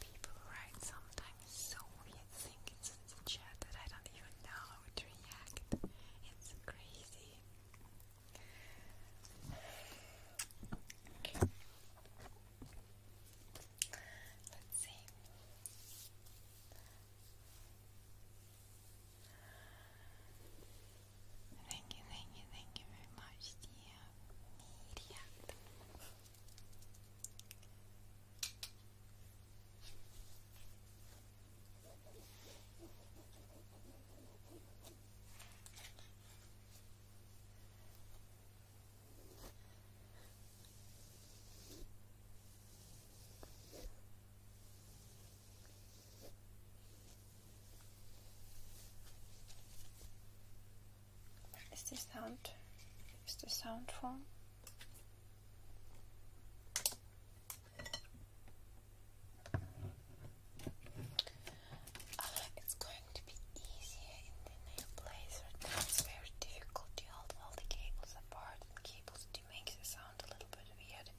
Speaker 1: People write sometimes so weird things in the that I don't even know how to react. It's crazy. Let's see. Thank you, thank you, thank you very much, dear media. Thank is this sound? Is the sound form? it's going to be easier in the new place. Right now it's very difficult to hold all the cables apart and cables to make the sound a little bit weird.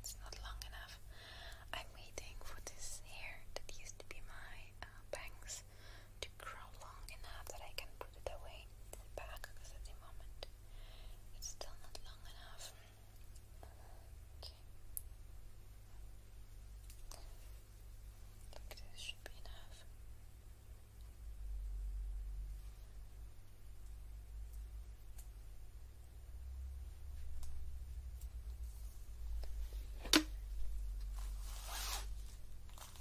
Speaker 1: It's not long enough. I'm waiting for this hair that used to be my uh, bangs to grow long enough that I can put it away in the back because at the moment it's still not long enough. Okay. Like this should be enough. Okay.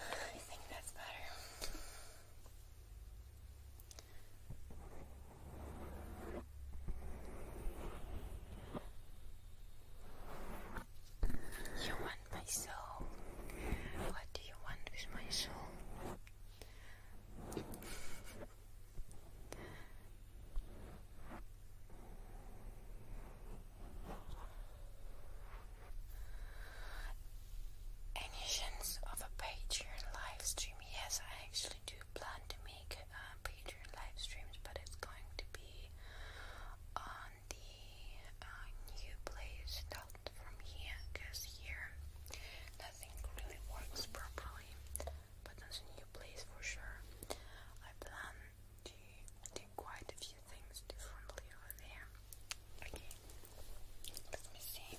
Speaker 1: I think that's better. You want my soul. What do you want with my soul? Any of a Patreon live Yes, I actually do plan to make uh, Patreon live streams, but it's going to be on the uh, new place not from here, because here nothing really works properly. But it's a new place for sure. I plan to do quite a few things differently over there. Okay, let me see.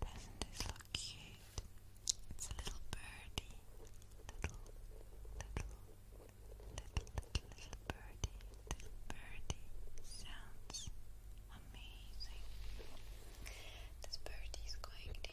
Speaker 1: Doesn't this look cute? It's a little birdie. Little, little, little, little, little birdie. Little Sounds amazing. This birdie is going to.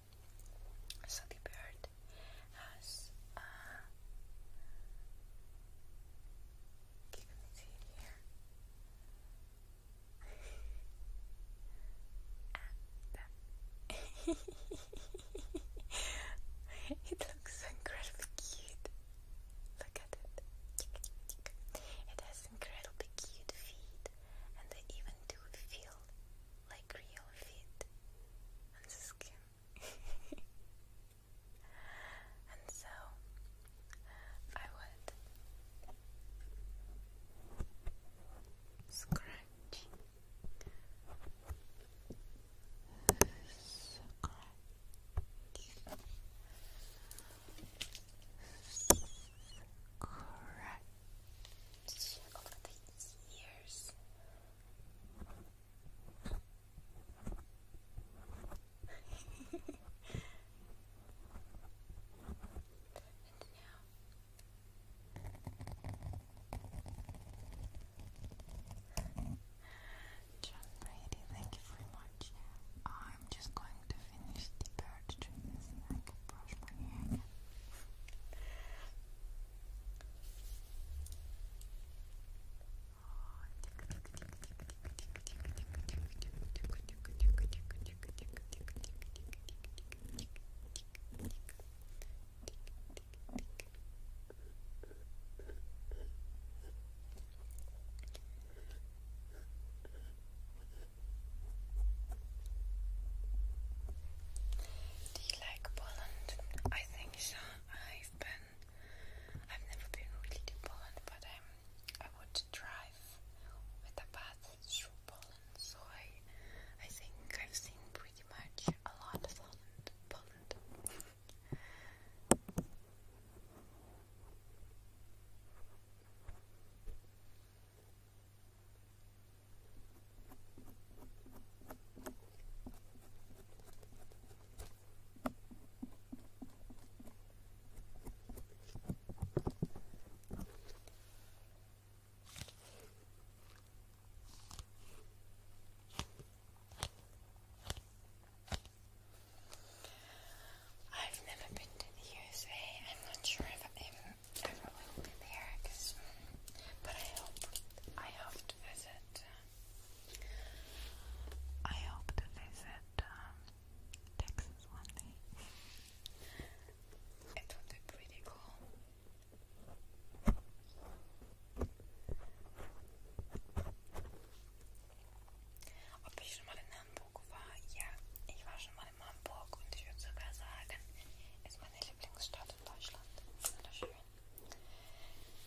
Speaker 2: So bird has uh, it [LAUGHS] it looks incredibly cute. Look at
Speaker 1: it. It has incredibly cute feet, and they even do feel like real feet and the skin. [LAUGHS] and so I would scratch, scratch. Scratch, John Brady, thank you very much. I'm just going to finish the hard to trim this and I can brush my hair again. Do you like Poland? I think so. I've been, I've never been really to Poland, but um, I would drive with a bus through Poland, so I, I think I've seen pretty much a lot of Poland. I've never been to the USA. I'm not sure if I've ever I probably will be there, but I hope, I hope to visit, uh, I hope to visit um, Texas one day. It would be pretty cool. Opíš mal Hamburg war, ja, ich war schon mal in Hamburg und ich würde sogar sagen, ist meine Lieblingsstadt in Deutschland. Wunderschön.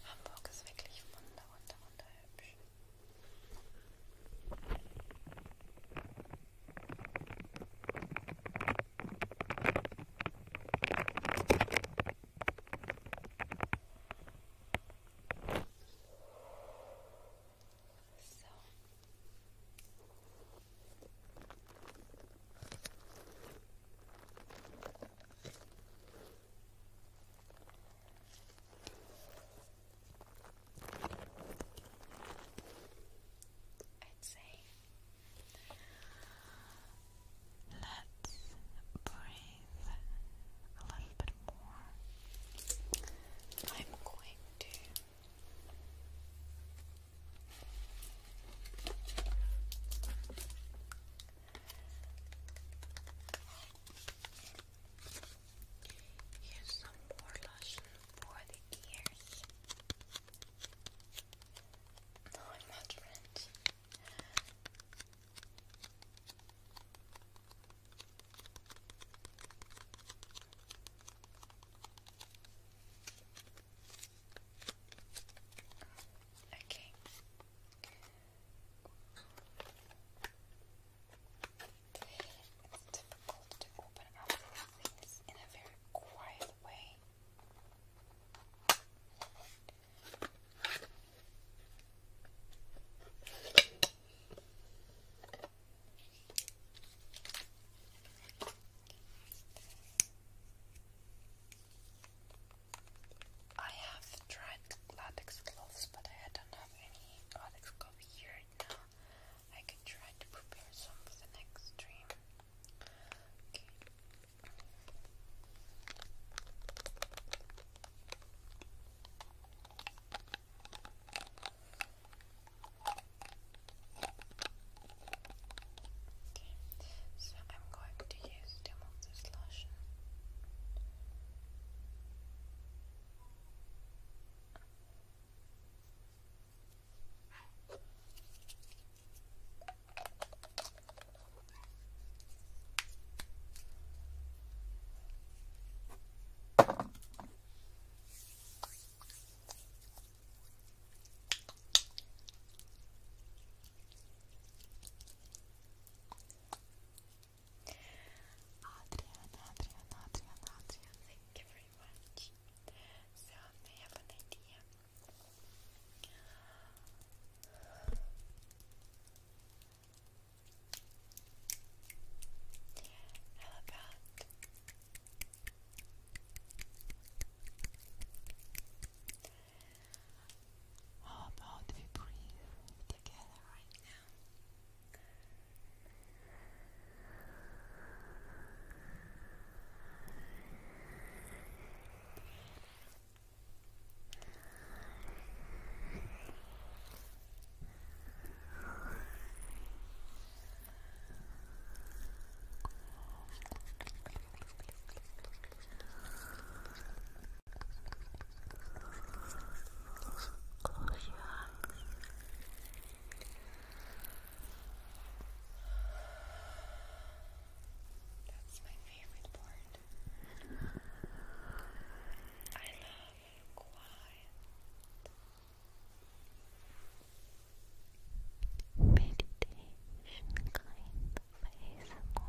Speaker 1: Hamburg ist wirklich wunder, wunder, wunderhübsch.
Speaker 2: So, I'd say let's breathe a little bit more. I'm going to Here's some more lotion for the ears. No, I'm not French. Okay.
Speaker 1: It's difficult to open up these in a very quiet way. I have tried latex gloves, but I don't have any latex glove here now. I can try to prepare some for the next stream. Okay, so I'm going to use them on
Speaker 2: Adrian, Adrian, Adrian, Adrian, thank you very much. So they have an idea. How how about we breathe together right now? Close your That's my favorite part. I love quiet meditation kind of ASMR.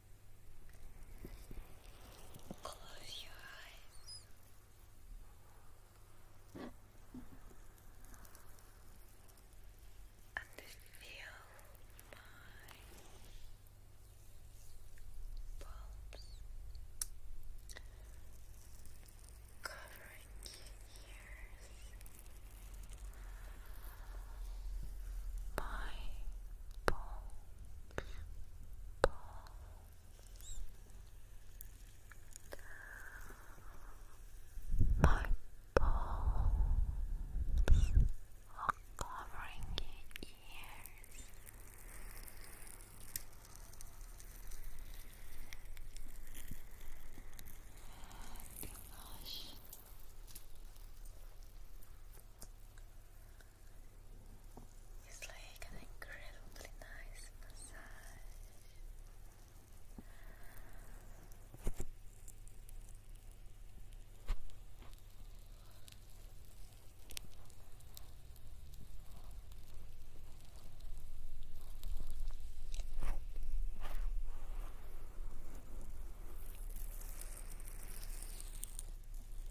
Speaker 2: Close your eyes and feel my palms covering your ears. My palms balls are covering your ears. And it's like an incredibly nice massage.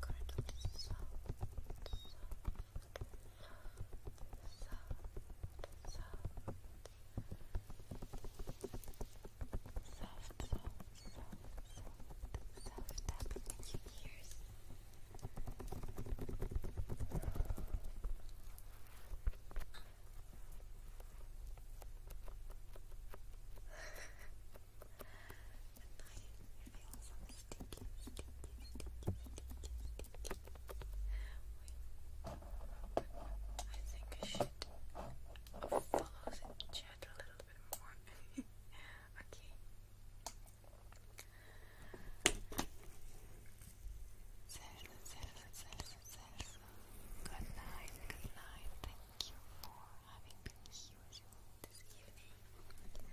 Speaker 2: kind of soft, soft, soft, soft. Soft, soft, soft, soft, soft tapping I think I should follow
Speaker 1: the chat a little bit more. okay. Salsa, salsa, salsa, salsa. Good night, good night. Thank you for having been here this evening.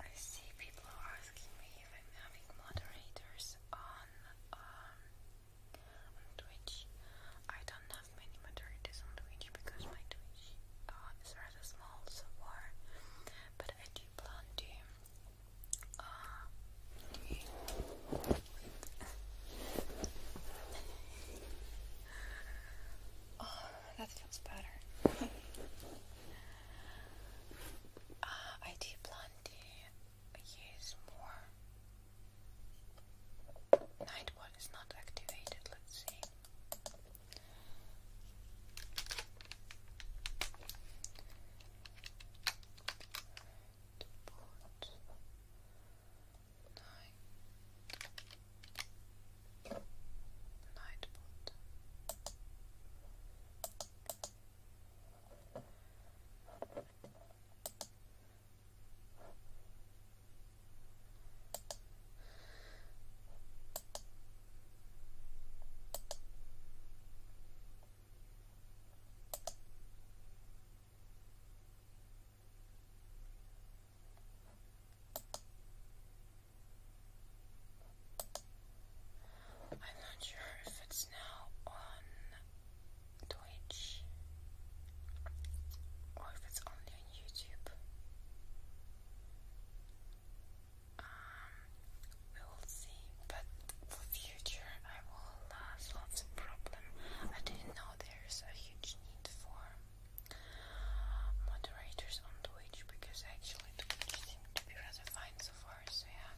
Speaker 1: I see people asking me if I'm having moderators on um on Twitch. I don't know many moderates on Twitch because my Twitch uh, is rather small so far, but I do plan to uh, [LAUGHS] oh, that feels better. [LAUGHS] Uh, I do plan to use more Nightball is not activated, let's see. Deport. Night. I'm not sure if it's now on Twitch or if it's only YouTube.
Speaker 2: Um, we
Speaker 1: will see, but for future I will solve the problem. I didn't know there's a huge need for moderators on Twitch because actually Twitch seems to be rather fine so far, so yeah.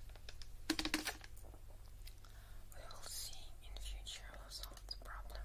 Speaker 1: We will see in future who solves the problem.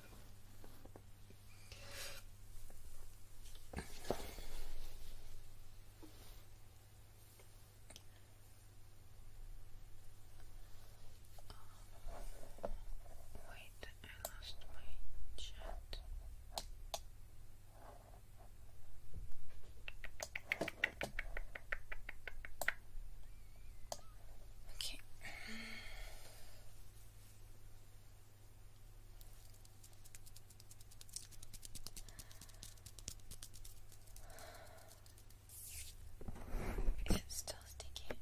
Speaker 2: Um, wait, I lost my chat. Okay. It's still sticky.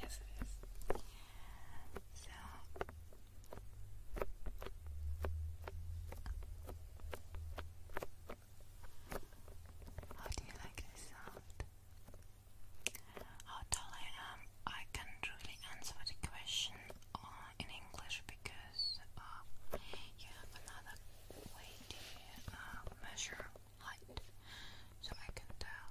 Speaker 2: Yes, it is. So
Speaker 1: how do you like this sound? How tall I am, I can't really answer the question uh, in English because uh, you have another way to uh, measure height, so I can tell.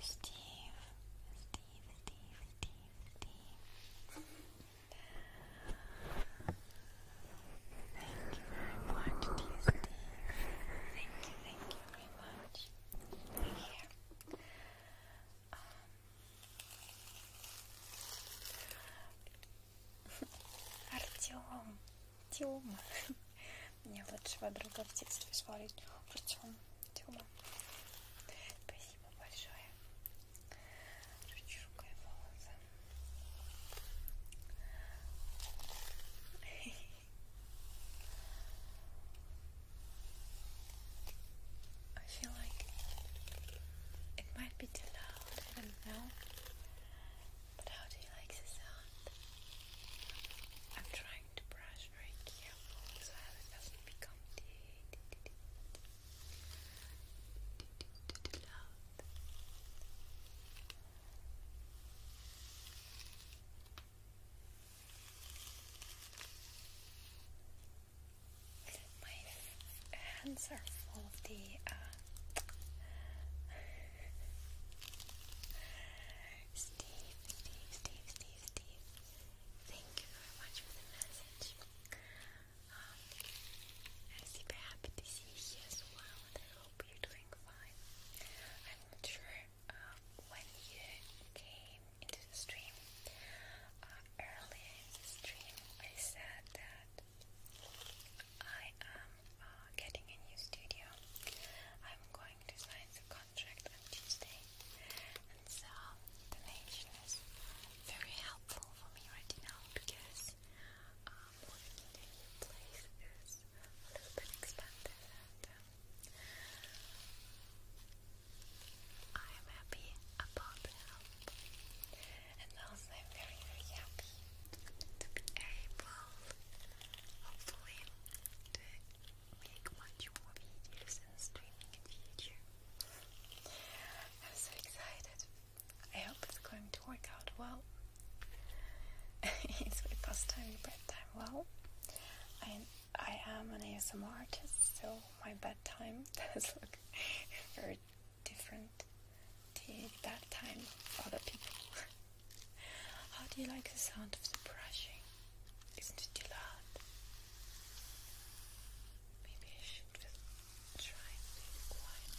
Speaker 1: Steve, Steve, Steve, Steve, Steve. Thank you very much, dear Steve. Thank you, thank you very much. Here. Um, [LAUGHS] Артем, Тёма. [LAUGHS] Мне лучшего друга в детстве звали Артем, Тёма. Спасибо большое. Ручка волосы. [LAUGHS] I feel like it might be too loud, I don't know. But how do you like the sound? I'm trying to brush very carefully so it doesn't become too loud. My hands are full of the uh, [LAUGHS] Steve, Steve, Steve, Steve, Steve. Thank you very much for the message. Um, I'm super happy to see you as well, I hope you're doing fine. I'm not sure um, when you came into the stream. Uh, earlier stream, I said that I am uh, getting a new studio. I'm going to sign the contract on Tuesday, and so the nation is very helpful for me right now because um, working a new place is a little bit expensive, and um, I am happy about the help and I'm very very happy to be able hopefully to make much more videos and streaming in future. I'm so excited. I hope it's going to work out well. [LAUGHS] it's my pastime and bedtime well. I I am an ASMR artist, so my bedtime [LAUGHS] does look very different the that time other people. [LAUGHS] How do you like the sound of the brushing? Isn't it loud? Maybe I should try and be quiet.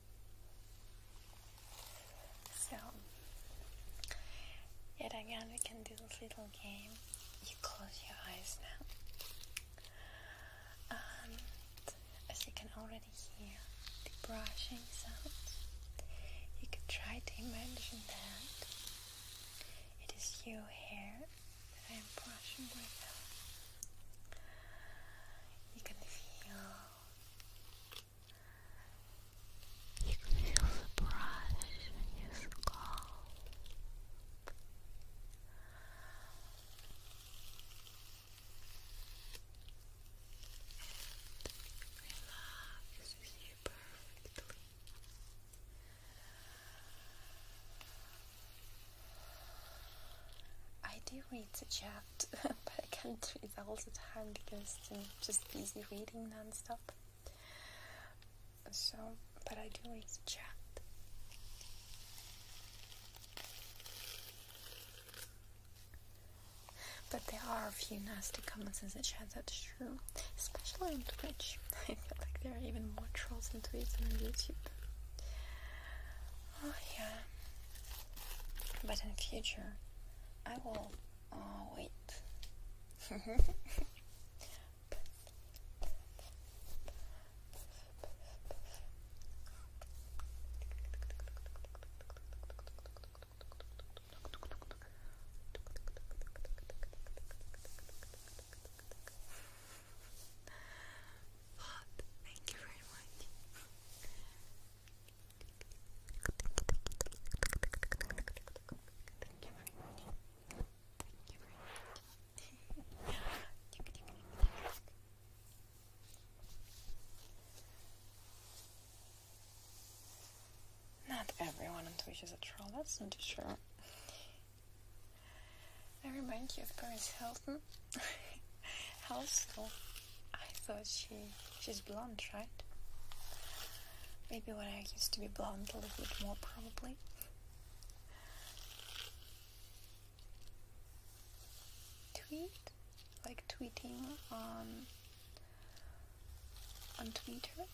Speaker 1: So, yet again, we can do this little game. You close your eyes now. as you can already hear the brushing sounds, you could try to imagine that it is your hair that I am brushing right now. You can feel you feel the brush in your skull.
Speaker 2: It relaxes you perfectly.
Speaker 1: I do read that you have [LAUGHS] but, I can't read all the time because I'm just busy reading non-stop. So, but I do read chat. But there are a few nasty comments in the chat, that's true. Especially on Twitch. [LAUGHS] I feel like there are even more trolls on Twitch than on YouTube. Oh yeah. But in the future, I will Oh, wait. [LAUGHS] But thank you very much. Not everyone on Twitch is a troll, that's not sure. I remind you of Paris Hilton. How's that? I thought she she's blonde, right? Maybe when I used to be blonde a little bit more probably. Tweet? Like tweeting on on Twitter?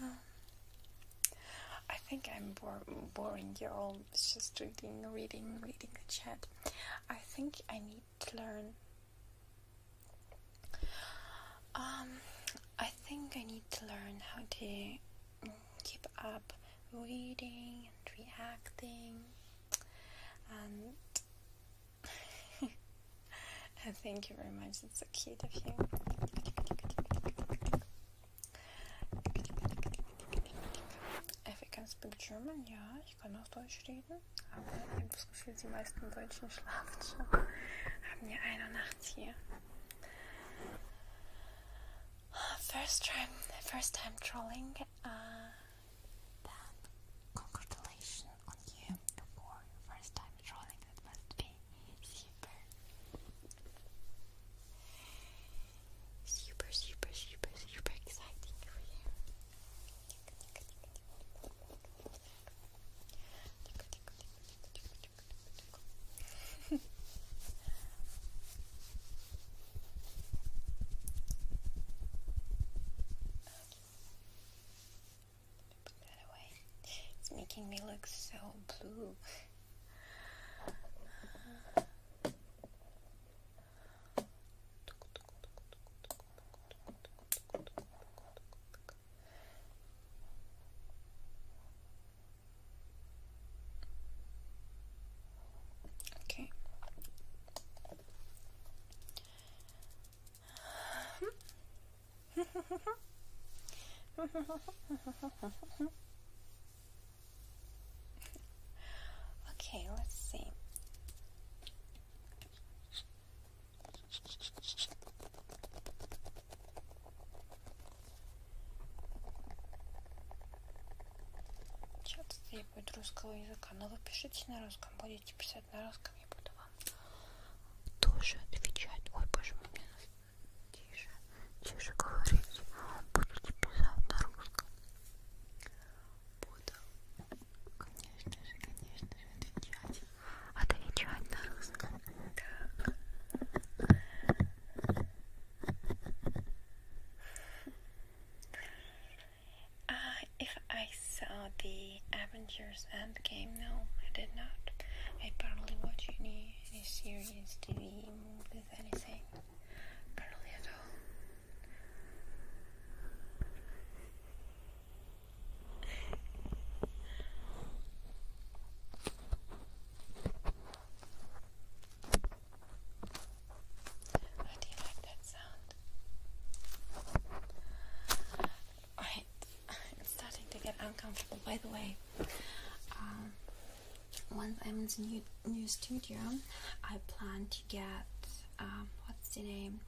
Speaker 1: Um, I think I'm boring you all. just reading, reading, reading the chat. I think I need to learn. Um, I think I need to learn how to keep up reading and reacting, and [LAUGHS] thank you very much. It's so cute of you. If you can speak German, yeah, ich kann auch Deutsch reden, aber ich habe das Gefühl, die meisten Deutschen schlafen schon. Haben ja eine Nacht hier. First time, first time trolling. Uh, congratulations on you for first time trolling.
Speaker 2: That must be super, super, super, super, super exciting for you.
Speaker 1: It's making me look so blue. Okay. [LAUGHS] okay, let's see. Чат требует русского языка, но ну, вы пишите на русском, будете писать на русском, я буду вам тоже отвечать. Ой, боже мой, мне тише, тише говорить, будете писать на русском. Uh, if I saw the Avengers Endgame, no, I did not. I barely watch any, any series, TV, with anything. Barely at all. How do you like that sound? I'm starting to get uncomfortable. By the way, um, once I'm in the new, new studio, I plan to get um, what's the name?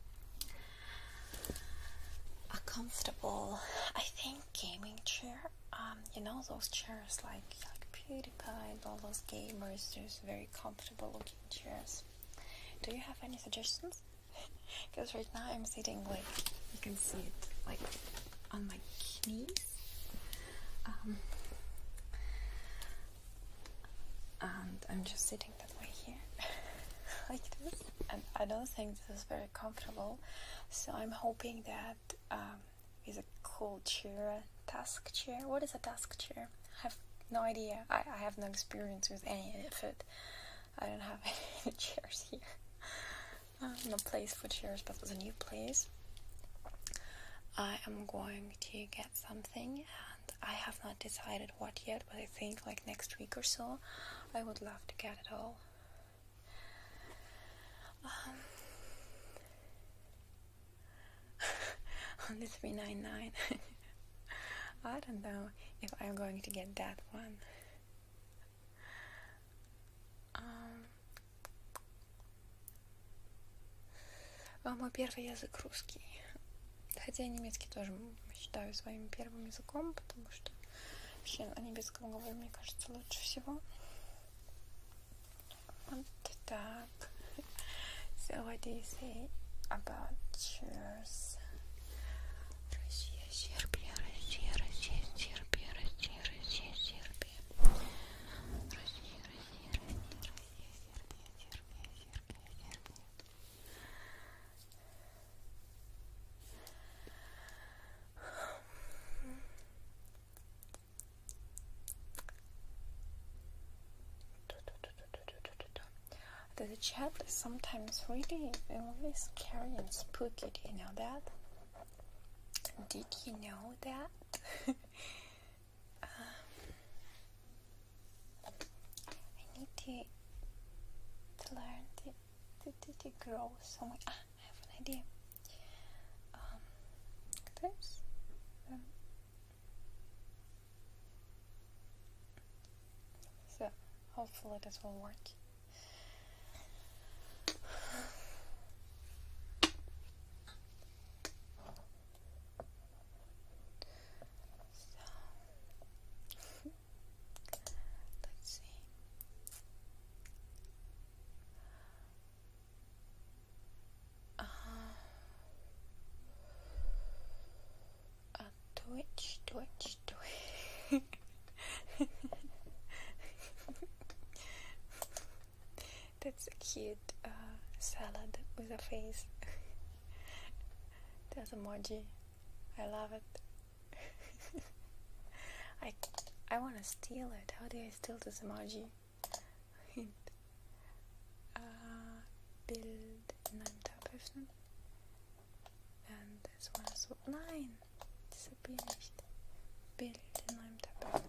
Speaker 1: a comfortable, I think, gaming chair. Um, you know those chairs like like PewDiePie and all those gamers, those very comfortable looking chairs. Do you have any suggestions? Because [LAUGHS] right now I'm sitting like you can see it like on my knees. Um, and I'm just sitting that way here, [LAUGHS] like this. And I don't think this is very comfortable, so I'm hoping that um, a cool chair, task chair. What is a task chair? I have no idea. I, have no experience with any of it. I don't have [LAUGHS] any chairs here. [LAUGHS] Uh, no place for chairs, but it's a new place. I am going to get something I have not decided what yet, but I think like next week or so I would love to get it all. Um, [LAUGHS] on the 399, [LAUGHS] I don't know if I'm going to get that one. Um, мой первый язык русский. Хотя я немецкий тоже считаю своим первым языком, потому что вообще о немецком говорю, мне кажется, лучше всего. Вот так. So what do you say about cheers? Россия, Сербия, Россия, Россия, Сербия, Россия, Россия, Сербия. Россия, Россия, Россия, Россия, Сербия, Сербия, Сербия, Сербия. The chap is sometimes really, really scary and spooky. Do you know that? Did you know that? [LAUGHS] Um, I need to, to learn to, to, to, to grow So ah, I have an idea. Um, there's um, so hopefully this will work. Let's see. Uh, uh, Twitch, Twitch, Twitch. [LAUGHS] That's a cute uh, salad with a face. [LAUGHS] That's emoji. I love it. [LAUGHS] I I wanna steal it. How do I steal this emoji? uh, Bild in einem Tab öffnen. And this one is so. Nein! Das hab ich nicht. Bild in einem Tab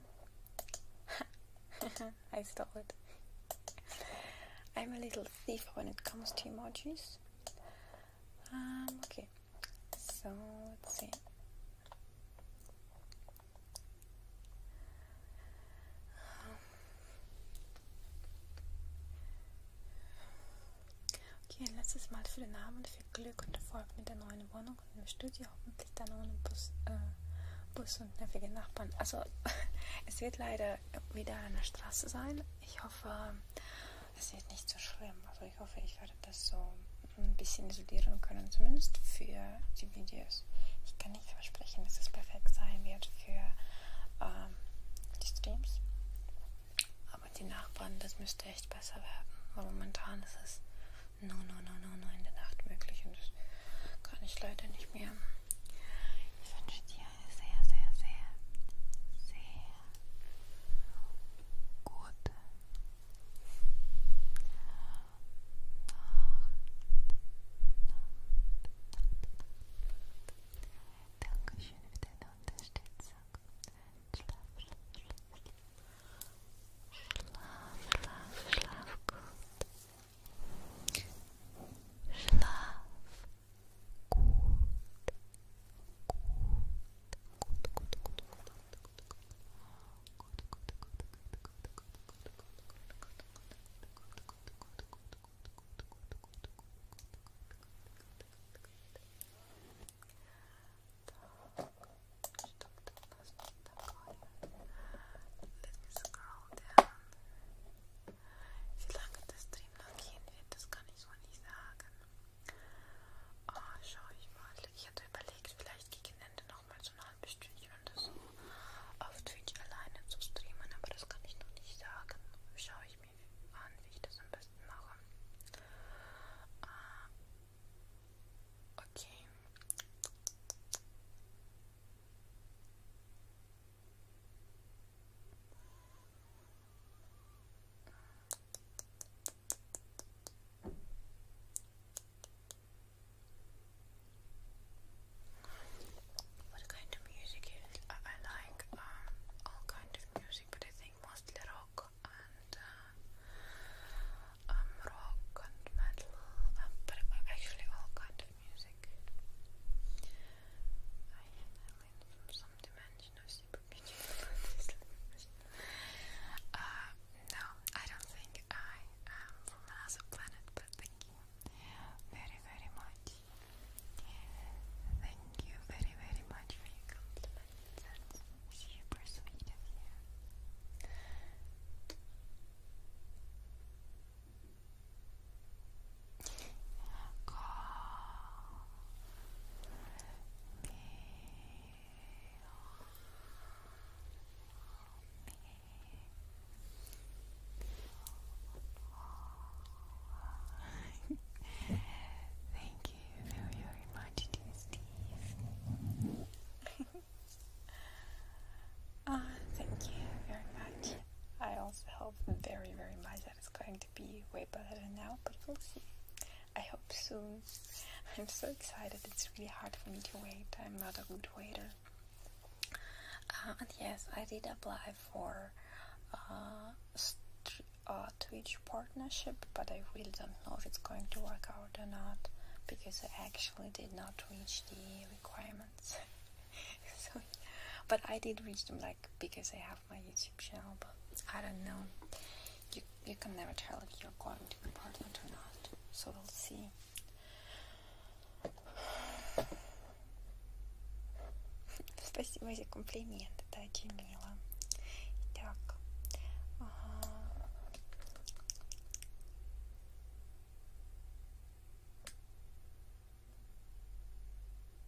Speaker 1: I stole it. [LAUGHS] I'm a little thief when it comes to emojis. Ähm, okay. So, 10. Okay, ein letztes Mal für den Abend, viel Glück und Erfolg mit der neuen Wohnung und im Studio, hoffentlich dann ohne Bus, äh, Bus und nervige Nachbarn. Also, [LAUGHS] es wird leider wieder an der Straße sein. Ich hoffe, es wird nicht so schlimm. Also ich hoffe, ich werde das so ein bisschen isolieren können, zumindest für die Videos. Ich kann nicht versprechen, dass es perfekt sein wird für ähm, die Streams. Aber die Nachbarn, das müsste echt besser werden. Weil momentan ist es no, no, no, no, no in der Nacht möglich und das kann ich leider nicht mehr. Ich wünsche dir sehr, sehr, sehr, sehr gut. Dankeschön für deine Unterstützung. Schlaf, schlaf, schlaf, schlaf, schlaf gut. Good. Good. Let me scroll down. Wie lange das Stream noch gehen wird, das kann ich wohl nicht Oh, schau ich mal. Ich hatte überlegt, vielleicht gegen Ende nochmal so ein halbes Stündchen oder so auf Twitch alleine zu streamen, aber das kann ich noch nicht sagen. Schaue ich mir an, wie ich das am besten mache. Uh, okay. What kind of music is I, like? Um, all kind of music, but I think mostly rock and uh, um, rock and metal. Um, but actually, all kind of music. I, I lean from some dimension uh, no, I don't think I am from another planet, but thank you very, very much. Thank you very, very much for your compliment. That's super sweet of you. Thank you very, very much Steve. Ah, thank you very much. I also hope very, very much that it's going to be way better now, but we'll see. I hope soon. I'm so excited. It's really hard for me to wait. I'm not a good waiter. Uh, and yes, I did apply for uh, uh, Twitch partnership, but I really don't know if it's going to work out or not because I actually did not reach the requirements. [LAUGHS] so, but I did reach them, like because I have my YouTube channel, but I don't know. You you can never tell if you're going to be part of it or not. So we'll see. [SIGHS] Спасибо за комплимент, это очень мило. Так.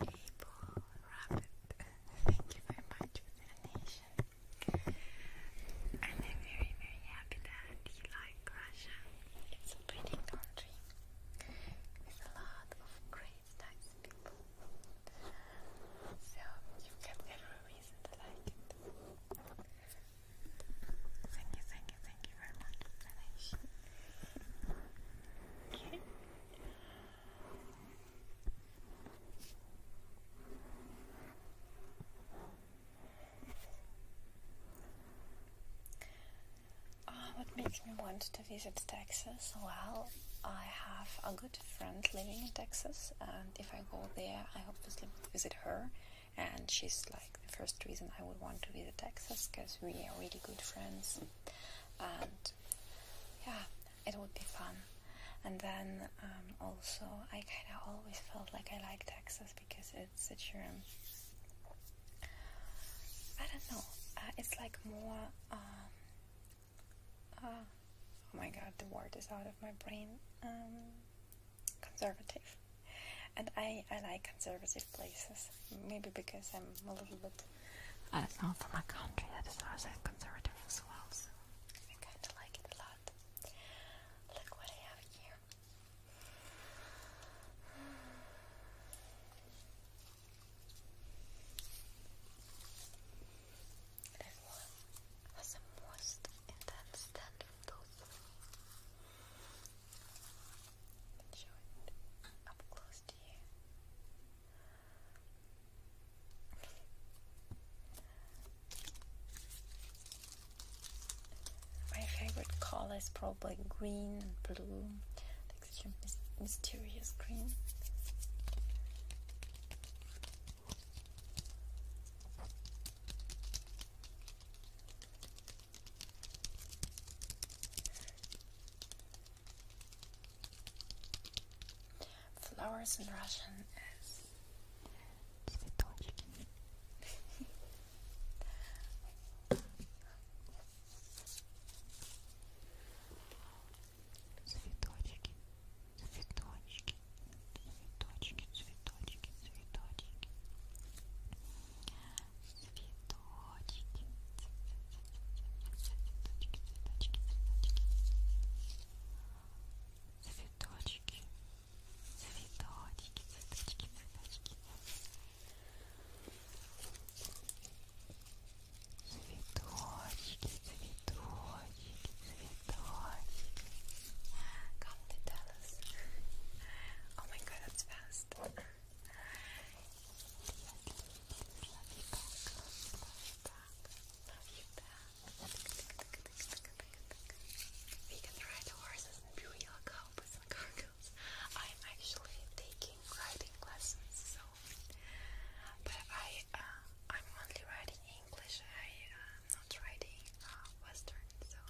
Speaker 1: April Rabbit. Thank you very much for the donation. I'm very, very happy that you like Russia. It's a pretty country with a lot of great, nice people. So you've every reason to like it. Thank you, thank you, thank you very much for the donation. Okay what um, makes me want to visit Texas? Well, I have a good friend living in Texas, and if I go there, I obviously would visit her. And she's like the first reason I would want to visit Texas because we are really good friends. And yeah, it would be fun. And then um, also, I kind of always felt like I like Texas because it's such a. Um, I don't know. Uh, it's like more. Um, uh, oh my god, the word is out of my brain. conservative. And I, I like conservative places. Maybe because I'm a little bit.
Speaker 2: Uh, it's not from my
Speaker 1: country that is also conservative as well. I kinda like it a lot.
Speaker 2: Look what I have here. This one the most intense stand from those three. Show it up close to you.
Speaker 1: My favorite color is probably green and blue. Like such mysterious green. Flowers in Russian is Цветочки,
Speaker 2: цветочки, цветочки, цветочки, цветочки, цветочки, цветочки, цветочки, цветочки, цветочки цветочки, ah,
Speaker 1: Oh my god, that's fast. you we can ride horses in real cowboys and cargoes. I'm actually taking riding lessons, so but I uh, I'm only riding English. I am uh, not riding uh, Western, so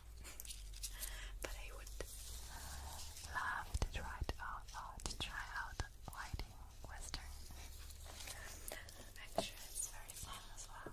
Speaker 1: [LAUGHS] but I would love to try
Speaker 2: to try out riding. Western. i it's very fun as well.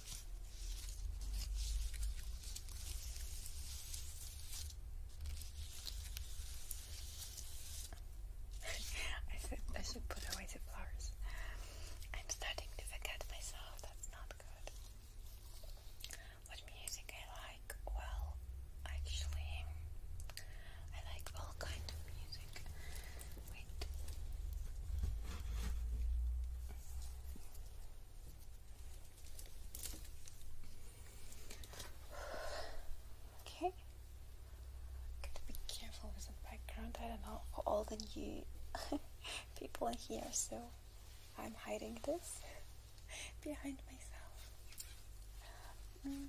Speaker 1: [LAUGHS] I should put away the flowers. I'm starting to forget myself, that's not good. What music I like? Well, actually, I like all kinds of music. Wait. Okay. Gotta be careful with the background. I don't know all the new [LAUGHS] people in here, so I'm hiding this [LAUGHS] behind myself. Mm.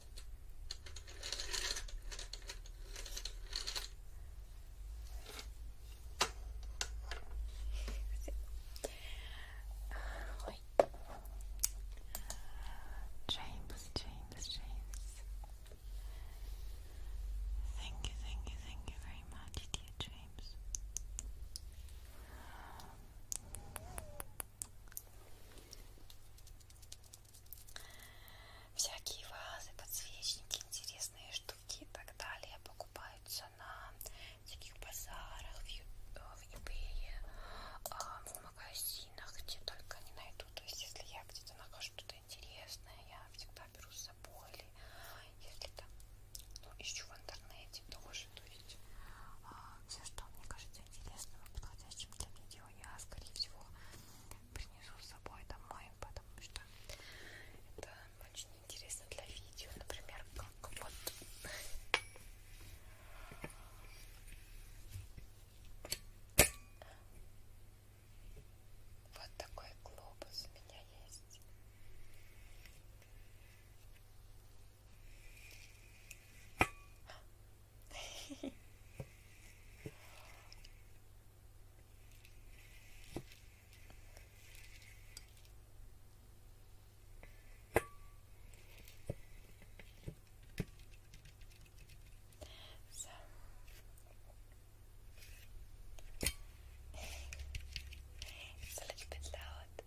Speaker 1: James, James, James. Thank you, thank you, thank you very much, dear James. Всякие вазы, подсвечники, интересные штуки и так далее покупаются на всяких базарах, в э, eBay, а, в магазинах, где только не найду. То есть, если я где-то нахожу что-то интересное, я всегда беру с собой. Или если там, ну, ищу в интернете тоже. То есть, а, все, что мне кажется интересным и подходящим для видео, я, скорее всего, принесу с собой домой, потому что это очень интересно для видео, например, как вот вот такой глобус у меня есть. So it's a little bit loud.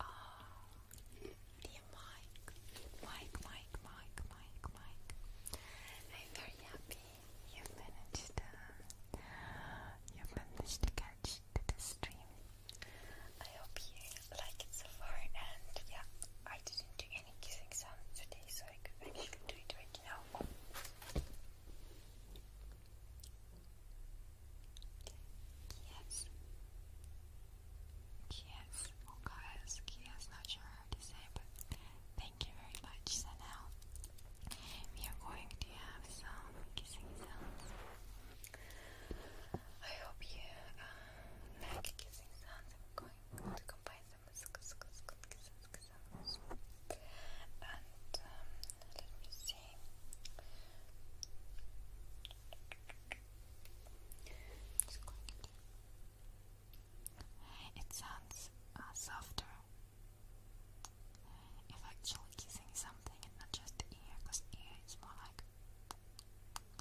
Speaker 1: Oh, dear Mike, Mike, Mike, Mike, Mike, I'm very happy you managed. Uh, you managed to catch the stream. I hope you like it so far. And yeah, I didn't do any kissing sounds today, so I could actually do it right now. Yes. Yes, guys, yes, not sure how to say, but thank you very much. So now we are going to have some kissing sounds. I hope you uh, kissing sounds. I'm going to combine them with kissing sounds. And let me see it. sounds uh, softer if actually kissing something and not just the ear, because ear is more like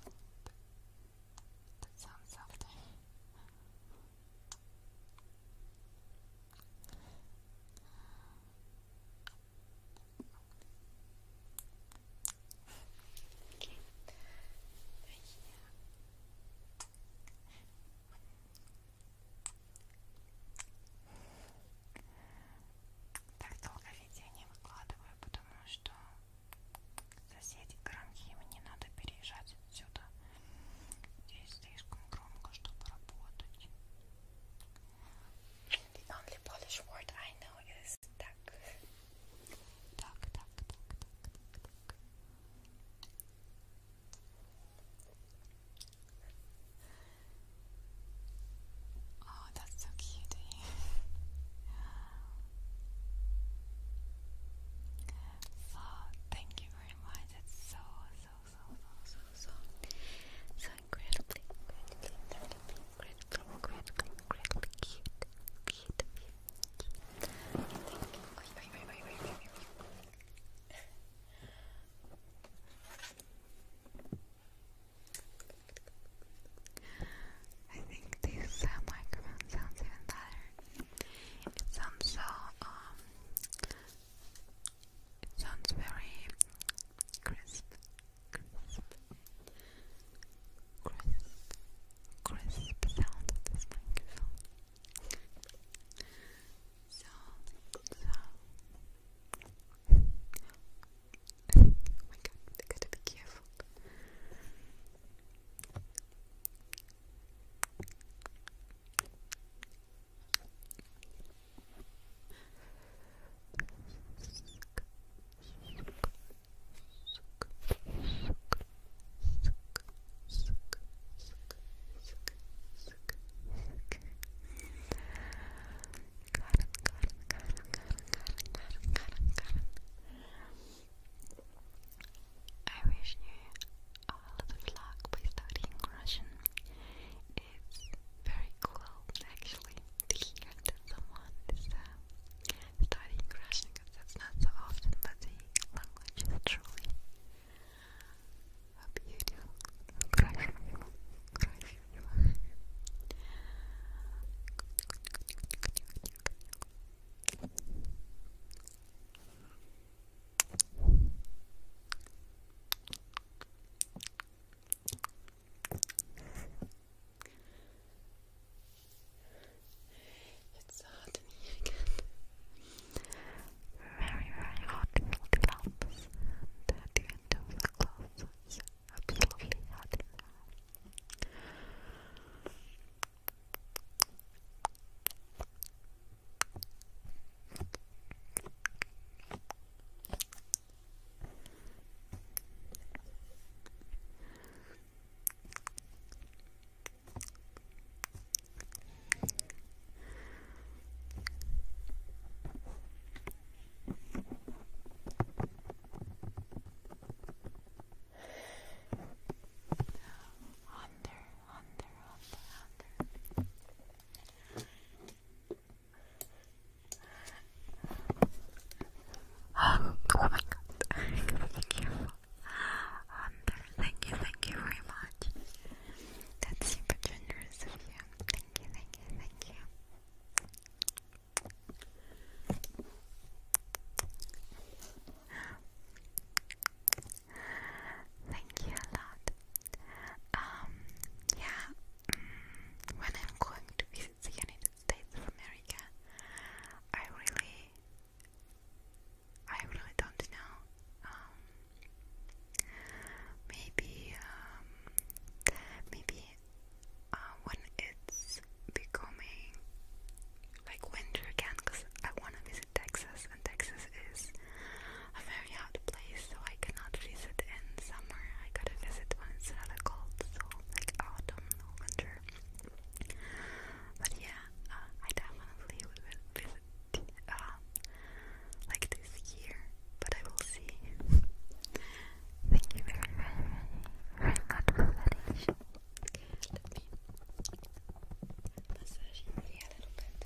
Speaker 1: that sounds softer. Окей, дорогие. Так долго видео не выкладываю, потому что соседи громки, мне надо переезжать отсюда. Здесь слишком громко, чтобы работать. The only Polish word I know is duck. Tak, tak, tak, Oh, that's so cutie. [LAUGHS] so, thank you very much. That's so, so, so, so, so, so, Thank you. I think these microphone sounds even better. It sounds so, um, it sounds very crisp crisp, crisp, crisp sound So, so. oh my god, I gotta be careful. I wish you all good luck with studying Russian. It's very cool, actually to hear someone is studying Russian because that's not so often, but the language truly a it's hot again. Very, very hot with gloves the end of the gloves it's absolutely hot under, under, under, under oh my god, be careful. Um, thank you, thank you very much. That's super generous of you. Thank you, thank you, thank you. Thank you a lot. Um, yeah, mm, when I'm going to be the United States of America. I really, I really don't know. Um, maybe, um, maybe uh, when it's becoming like winter again, because I want to visit Texas, and Texas is a very hot place, so I cannot visit in summer. I gotta visit when it's rather cold, so like autumn winter. But yeah, uh, I definitely will visit uh, like this year, but I will see. Thank you very, very, very, much for that. Issue. Okay, let me massage your a little bit.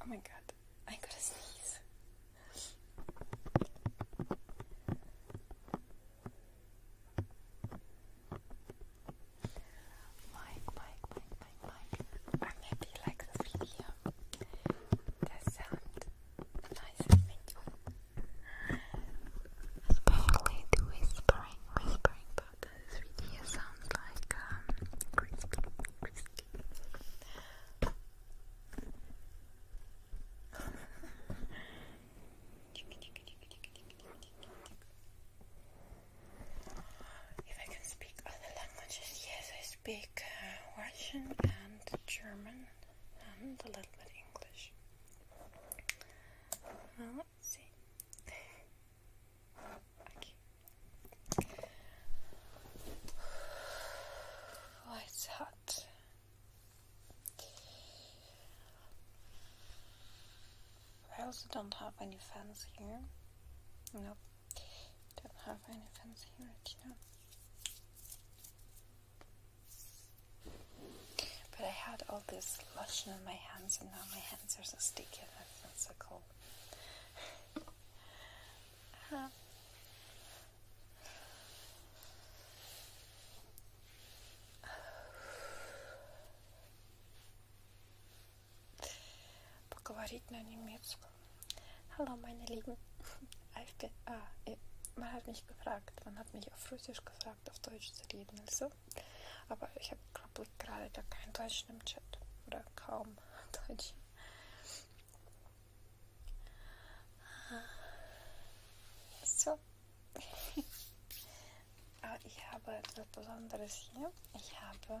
Speaker 1: Oh my god, I gotta sneeze. Mike, Mike, Mike, Mike, Mike. I'm happy like this video. The sound nice and you Especially whispering, whispering part this video sounds like um, If I can speak other languages, yes, I speak uh, Russian and German and a little bit English. Now see. okay. Oh, it's hot. I also don't have any fans here. No, Don't have any fans here at you. But I had all this lotion on my hands, and now my hands are so sticky and that's so cold. um, Поговорить на немецком. Hallo meine Lieben. I've been, ah, eh, man hat mich gefragt, man ich auf Russisch gesagt, auf Deutsch zu reden. Also, aber ich habe, glaube ich, gerade da kein Deutsch im Chat oder kaum [LAUGHS] Deutsch. So. aber [LAUGHS] ah, ich habe etwas Besonderes hier. Ich habe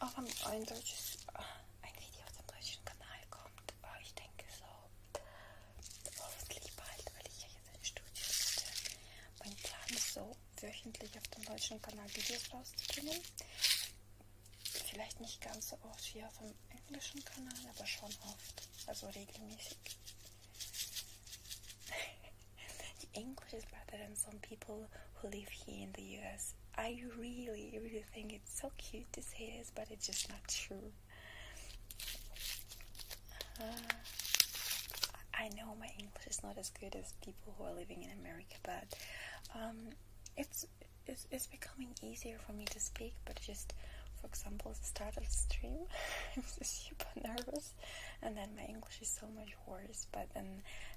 Speaker 1: Ob ein deutsches äh, ein Video auf dem deutschen Kanal kommt, aber äh, ich denke so hoffentlich bald, weil ich ja jetzt ein Studio hatte. Mein Plan ist so, wöchentlich auf dem deutschen Kanal Videos rauszubringen. Vielleicht nicht ganz so oft wie auf dem englischen Kanal, aber schon oft. Also regelmäßig. [LAUGHS] English is better than some people who live here in the US I really, really think it's so cute to say this, but it's just not true. Uh, I know my English is not as good as people who are living in America, but um, it's, it's it's becoming easier for me to speak. But just for example, the start of the stream, I was [LAUGHS] super nervous, and then my English is so much worse horse but then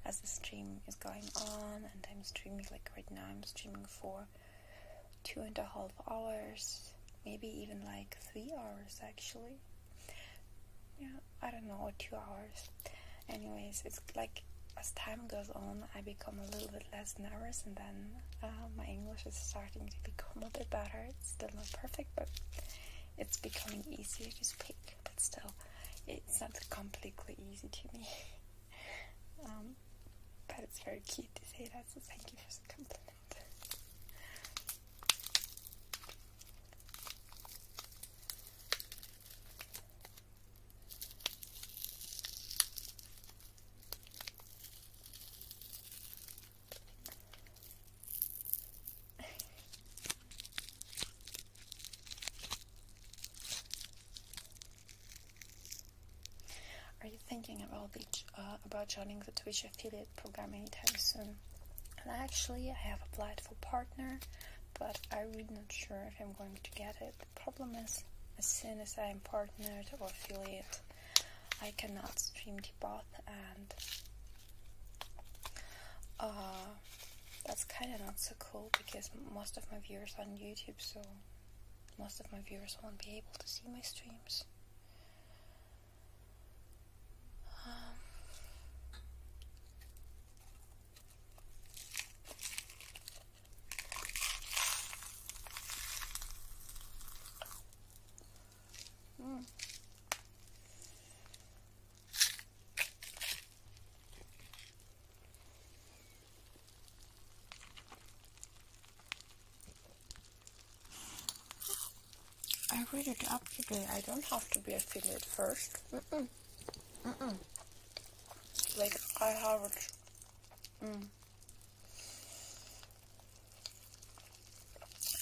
Speaker 1: as the stream is going on and i'm streaming like right now i'm streaming for two and a half hours maybe even like three hours actually yeah i don't know two hours anyways it's like as time goes on i become a little bit less nervous and then uh, my english is starting to become a bit better it's still not perfect but it's becoming easier to speak but still it's not completely easy to me [LAUGHS] Um, but it's very cute to say that, so thank you for the compliment. [LAUGHS] Are you thinking about uh, about joining the Twitch affiliate program anytime soon? actually, I have applied for partner, but I'm really not sure if I'm going to get it. The problem is, as soon as I'm partnered or affiliate, I cannot stream the Depot and uh, that's kind of not so cool because most of my viewers are on YouTube, so most of my viewers won't be able to see my streams. Um, hmm. I read it up today. I don't have to be affiliate first. like, I have it. Mm.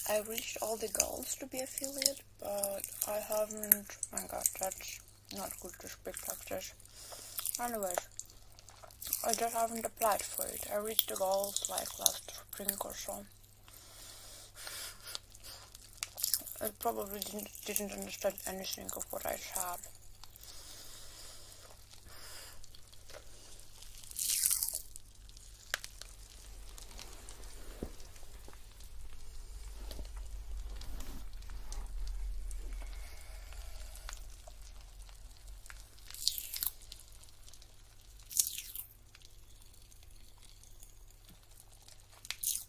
Speaker 1: I reached all the goals to be affiliate, but I haven't. Oh my god, that's not good to speak like this. Anyways, I just haven't applied for it. I reached the goals like last spring or so. I probably didn't, didn't understand anything of what I said.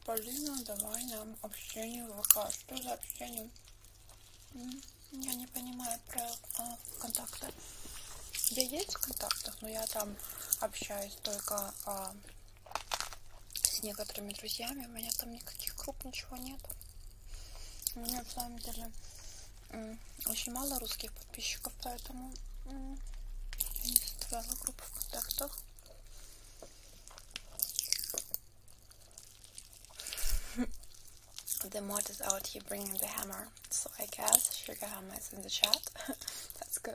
Speaker 1: Полина, давай нам общение в ВК. Что за общение? Я не понимаю про а, контакты. Я есть в контактах, но ну, я там общаюсь только а, с некоторыми друзьями. У меня там никаких групп, ничего нет. У меня, в самом деле, очень мало русских подписчиков, поэтому я не создавала группу в контактах. [LAUGHS] The mod is out here bringing the hammer, so I guess Sugar Hammer is in the chat. [LAUGHS] That's good.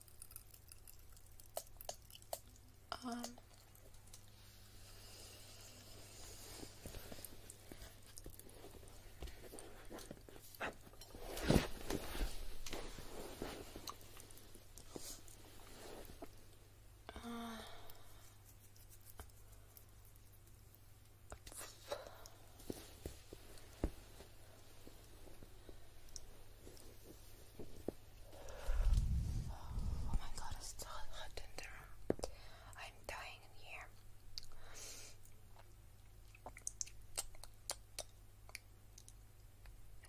Speaker 1: Um, uh, Oh my god, it's so hot in I'm dying here.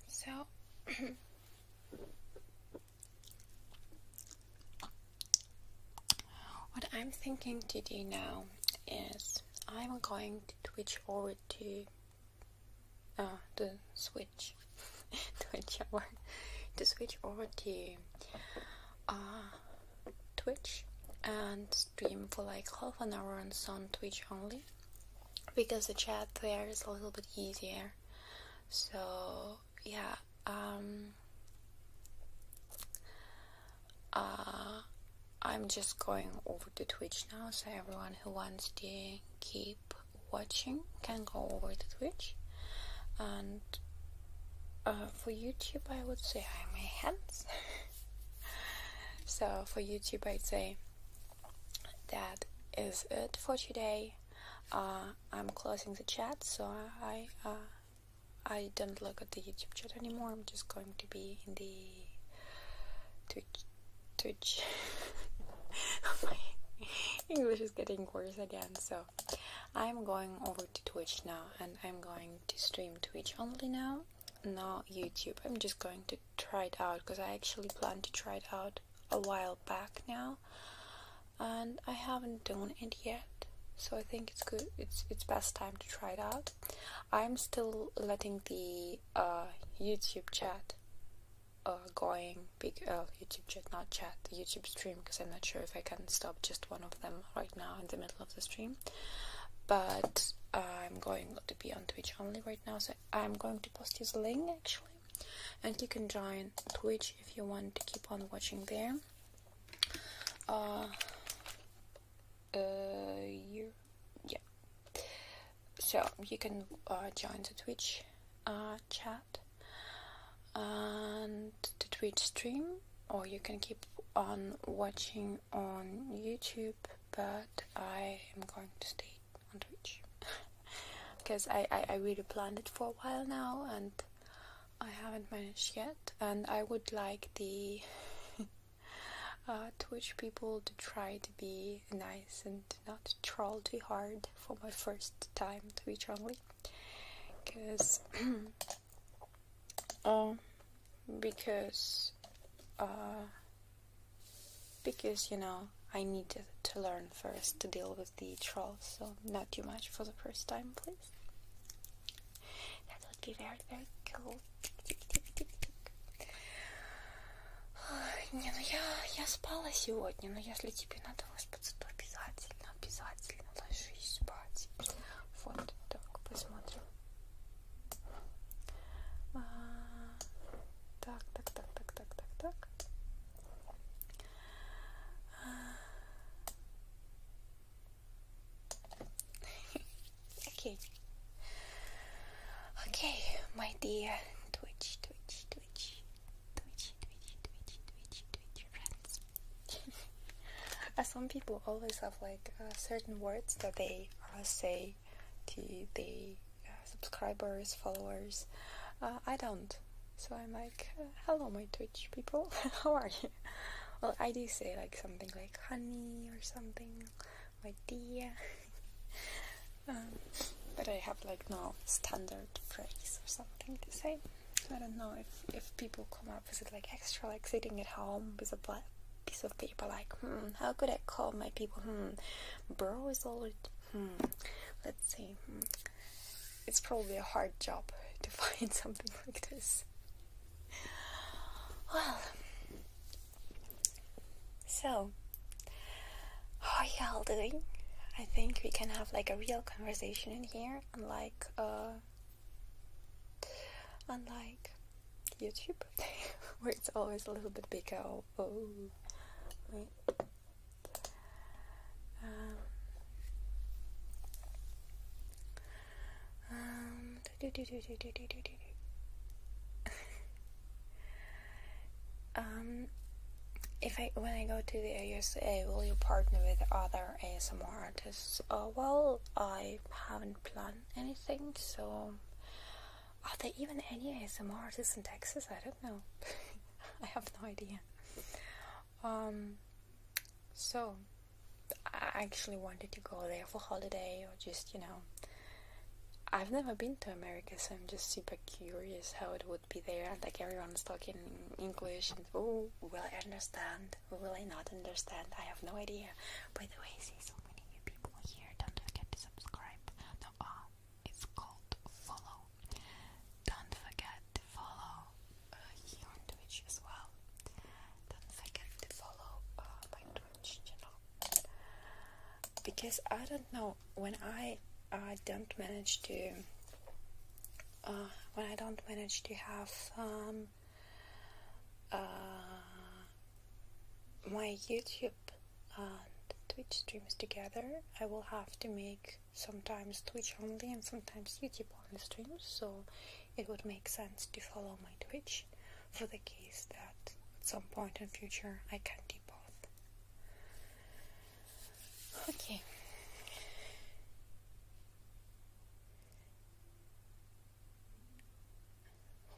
Speaker 1: So [CLEARS THROAT] what I'm thinking to do now is I'm going to switch over to uh, the switch [LAUGHS] twitch over to switch over to uh, twitch and stream for like half an hour on on twitch only because the chat there is a little bit easier so yeah um uh, I'm just going over to Twitch now, so everyone who wants to keep watching can go over to Twitch. And uh, for YouTube, I would say I my hands. [LAUGHS] so for YouTube, I'd say that is it for today. Uh, I'm closing the chat, so I uh, I don't look at the YouTube chat anymore. I'm just going to be in the Twitch Twitch. [LAUGHS] English is getting worse again, so I'm going over to Twitch now and I'm going to stream Twitch only now, not YouTube. I'm just going to try it out because I actually planned to try it out a while back now and I haven't done it yet. So I think it's good it's it's best time to try it out. I'm still letting the the uh, YouTube chat uh, going big uh, YouTube chat, not chat, the YouTube stream because I'm not sure if I can stop just one of them right now in the middle of the stream. But I'm going to be on Twitch only right now, so I'm going to post this link actually, and you can join Twitch if you want to keep on watching there. Uh, uh, you, yeah, so you can uh, join the Twitch uh, chat and the Twitch stream, or you can keep on watching on YouTube. But I am going to stay on Twitch because [LAUGHS] I, I really planned it for a while now and I haven't managed yet. And I would like the [LAUGHS] Uh, to Twitch people to try to be nice and not troll too hard for my first time to Twitch only, because um, because uh, because you know I need to learn first to deal with the trolls, so not too much for the first time, please. That would be very very cool. Не, ну я, я спала сегодня, но если тебе надо выспаться, то обязательно, обязательно ложись спать. Вот, так, посмотрим. А, так, так, так, так, так, так, так. А. [LAUGHS] Окей. Okay, my dear Twitch, Twitch, Twitch, Twitch, Twitch, Twitch, Twitch, Twitch friends. uh, [LAUGHS] some people always have like uh, certain words that they uh, say to the uh, subscribers, followers. Uh, I don't, so I'm like, uh, hello, my Twitch people, [LAUGHS] how are you? Well, I do say like something like honey or something Idea, [LAUGHS] um, but I have like no standard phrase or something to say. I don't know if, if people come up with it like extra, like sitting at home with a black piece of paper, like, hmm, how could I call my people? Hmm, bro is already, hmm, let's see. Hmm. It's probably a hard job [LAUGHS] to find [LAUGHS] something like this. Well, so, how are y'all doing? I think we can have like a real conversation in here, unlike uh, unlike YouTube, [LAUGHS] where it's always a little bit bigger. Oh, oh. wait. Um, if I when I go to the USA, will you partner with other ASMR artists? Uh, well, I haven't planned anything, so are there even any ASMR artists in Texas? I don't know. [LAUGHS] I have no idea. Um, so I actually wanted to go there for holiday or just you know I've never been to America, so I'm just super curious how it would be there. And like everyone's talking English, and oh, will I understand? Will I not understand? I have no idea. By the way, see so many new people here. Don't forget to subscribe. No, ah, it's called follow. Don't forget to follow uh, here on Twitch as well. Don't forget to follow uh, my Twitch channel because I don't know when I I don't manage to uh, when I don't manage to have uh, my YouTube and Twitch streams together, I will have to make sometimes Twitch only and sometimes YouTube only streams. So it would make sense to follow my Twitch for the case that at some point in future I can do both. Okay.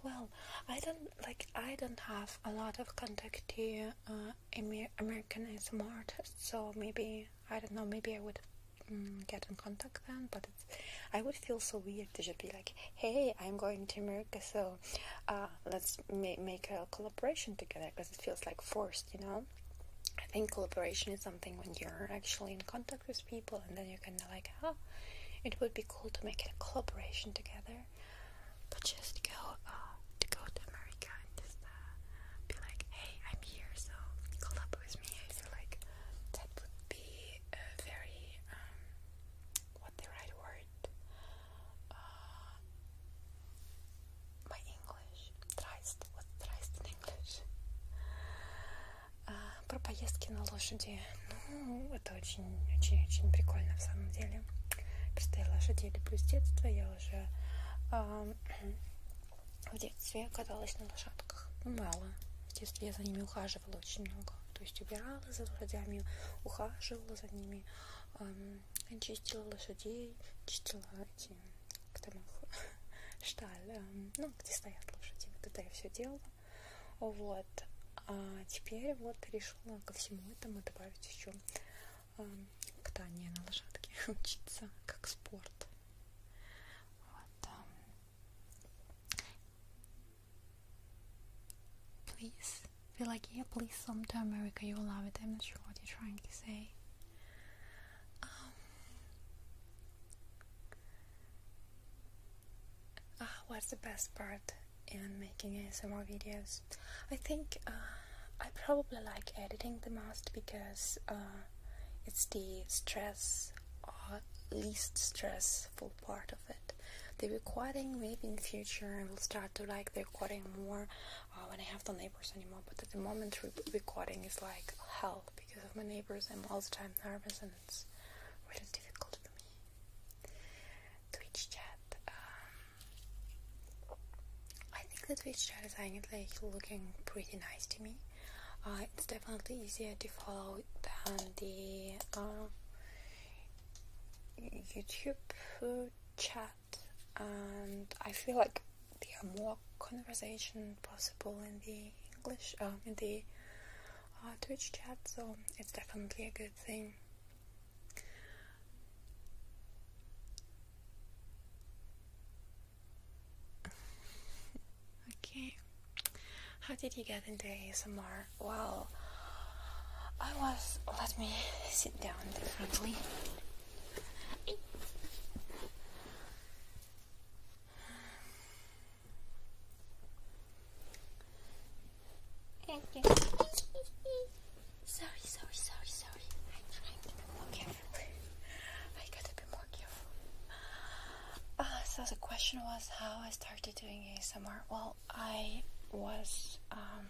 Speaker 1: Well, I don't like. I don't have a lot of contact here. uh, American ASMR artists, so maybe I don't know. Maybe I would mm, get in contact then, but I would feel so weird to just be like, "Hey, I'm going to." Mer so uh, let's make a collaboration together because it feels like forced you know i think collaboration is something when you're actually in contact with people and then you are kind of like ah, it would be cool to make a collaboration together but just go uh, to go to america and just uh, be like hey i'm here so collab with me i feel like that would be a very um, what the right word uh, my English. Tryst. What tryst in English? Uh, про поездки на лошади. Ну, это очень-очень-очень прикольно в самом деле. Просто я лошади люблю с детства. Я уже uh, [CLEARS THROAT] в детстве каталась на лошадках. Ну, мало. В детстве я за ними ухаживала очень много. То есть убирала за лошадями, ухаживала за ними, чистила лошадей, чистила эти, как там их, шталь, эм, ну, где стоят лошади, вот это я все делала, вот, а теперь вот решила ко всему этому добавить еще эм, катание на лошадке, [LAUGHS] учиться как спорт, вот, эм. Please Feel like, yeah, please, sometime America, you will love it. I'm not sure what you're trying to say. Um, uh, what's the best part in making ASMR videos? I think uh, I probably like editing the most because uh, it's the stress or least stressful part of it. The recording maybe in the future I will start to like the recording more uh, when I have the neighbors anymore. But at the moment, re recording is like hell because of my neighbors. I'm all the time nervous and it's really difficult for me. Twitch chat. Um, I think the Twitch chat is actually looking pretty nice to me. Uh, it's definitely easier to follow than the uh, YouTube chat and I feel like there are more conversation possible in the English um, in the uh, Twitch chat, so it's definitely a good thing. [LAUGHS] okay, how did you get into ASMR? Well, I was. Let me sit down differently. Okay. sorry, sorry, sorry, sorry. I'm trying to be more careful. I gotta be more careful. Uh, so the question was how I started doing ASMR. Well, I was um,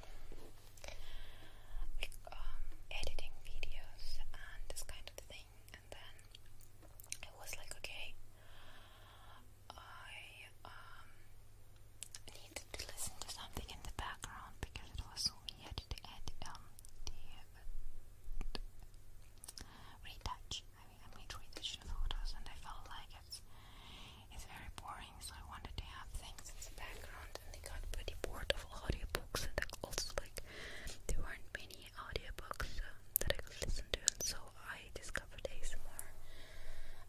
Speaker 1: um, editing videos and this kind of thing, and then I was like, okay, I um, needed to listen to something in the background because it was so weird to edit um, uh, retouch. I mean, I made retouch photos, and I felt like it's it's very boring, so I wanted to have things in background, and I got pretty bored of audiobooks, and also like there weren't many audiobooks uh, that I could listen to, so I discovered ASMR.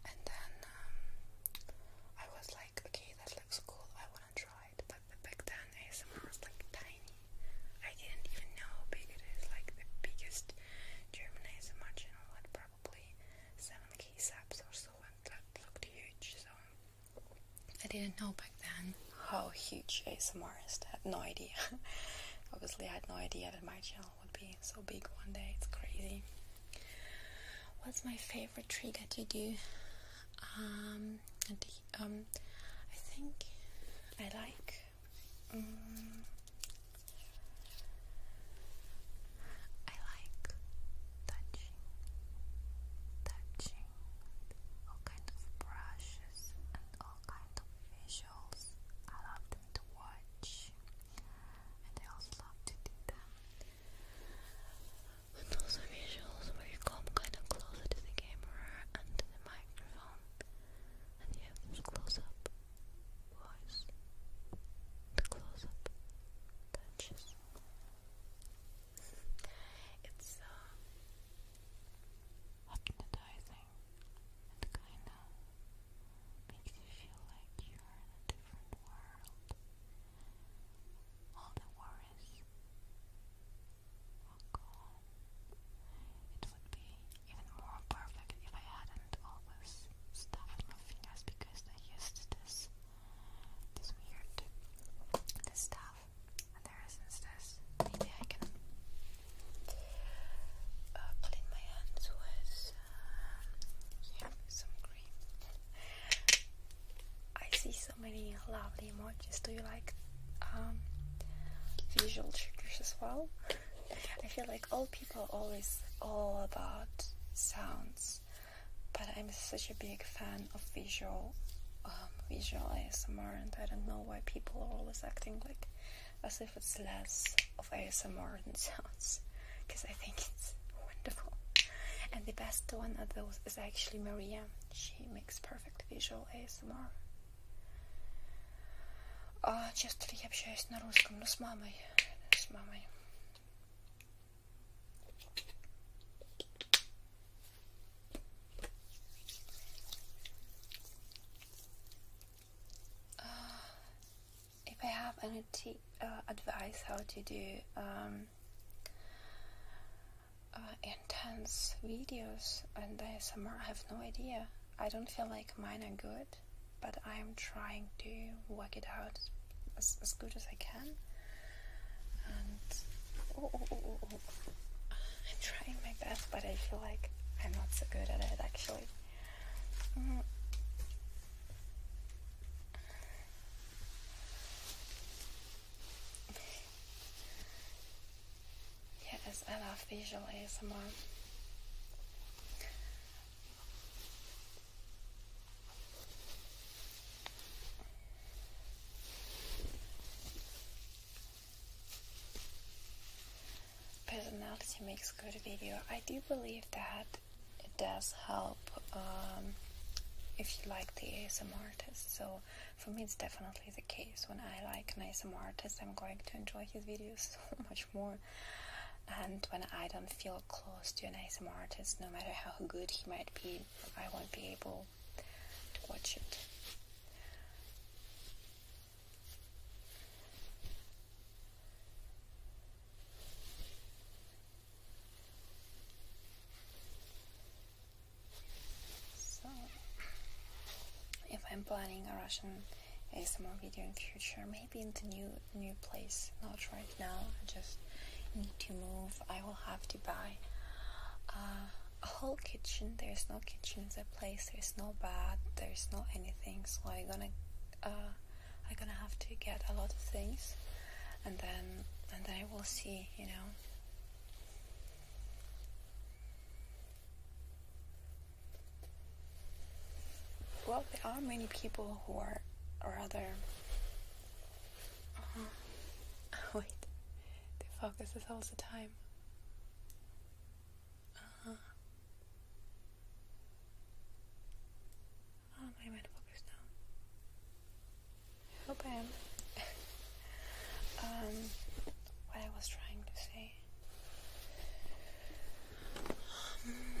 Speaker 1: And then um, I was like, okay, that looks cool. I wanna try it. But back then, ASMR was like tiny. I didn't even know how big it is. Like the biggest German ASMR channel had probably 7k subs or so, and that looked huge. So I didn't know back then how huge ASMR is. I had no idea. [LAUGHS] Obviously, I had no idea that my channel would be so big one day. It's crazy. What's my favorite trigger to do? Um, um, I think I like. Um, I like touching, touching all kind of brushes and all kind of visuals. I love to watch, and I also love to do them. And also visuals where you come kind of closer to the camera and to the microphone, and you have this close-up voice, the close-up touches. It's uh, hypnotizing and kind of makes you feel like you're in a different world. All the worries are gone. It would be even more perfect if I hadn't always stuffed my fingers because I used this it's weird. This stuff. there isn't this. Maybe I can clean uh, my hands with uh, yeah, some cream. I see so many lovely emojis. Do you like um, visual triggers as well? I feel like all people always all about sounds but I'm such a big fan of visual, um, visual ASMR, and I don't know why people are always acting like as if it's less of ASMR than sounds, because I think it's wonderful. And the best one of those is actually Maria. She makes perfect visual ASMR. А часто ли я общаюсь на русском? Ну, с мамой. С мамой. Uh, if I have any uh, advice how to do um, uh, intense videos and ASMR, I have no idea. I don't feel like mine are good, but I'm trying to work it out as, as good as I can. And oh, oh, oh, I'm trying my best, but I feel like I'm not so good at it actually. Mm. Yes, I love visual ASMR. Personality makes good video. I do believe that it does help um, if you like the ASM artist. So for me, it's definitely the case. When I like an ASM artist, I'm going to enjoy his videos [LAUGHS] so much more. And when I don't feel close to an ASM artist, no matter how good he might be, I won't be able to watch it. So, if I'm planning a Russian ASMR video in future, maybe in the new new place, not right now, just need to move, I will have to buy uh, a whole kitchen. There's no kitchen in the place. There's no bed. There's no anything. So I'm gonna, uh, I'm gonna have to get a lot of things, and then and then I will see. You know. Well, there are many people who are other. Um, [LAUGHS] wait, the focus is all the time. Uh, oh, am I meant focus now? Hope I am. [LAUGHS] um, what I was trying to say. Um,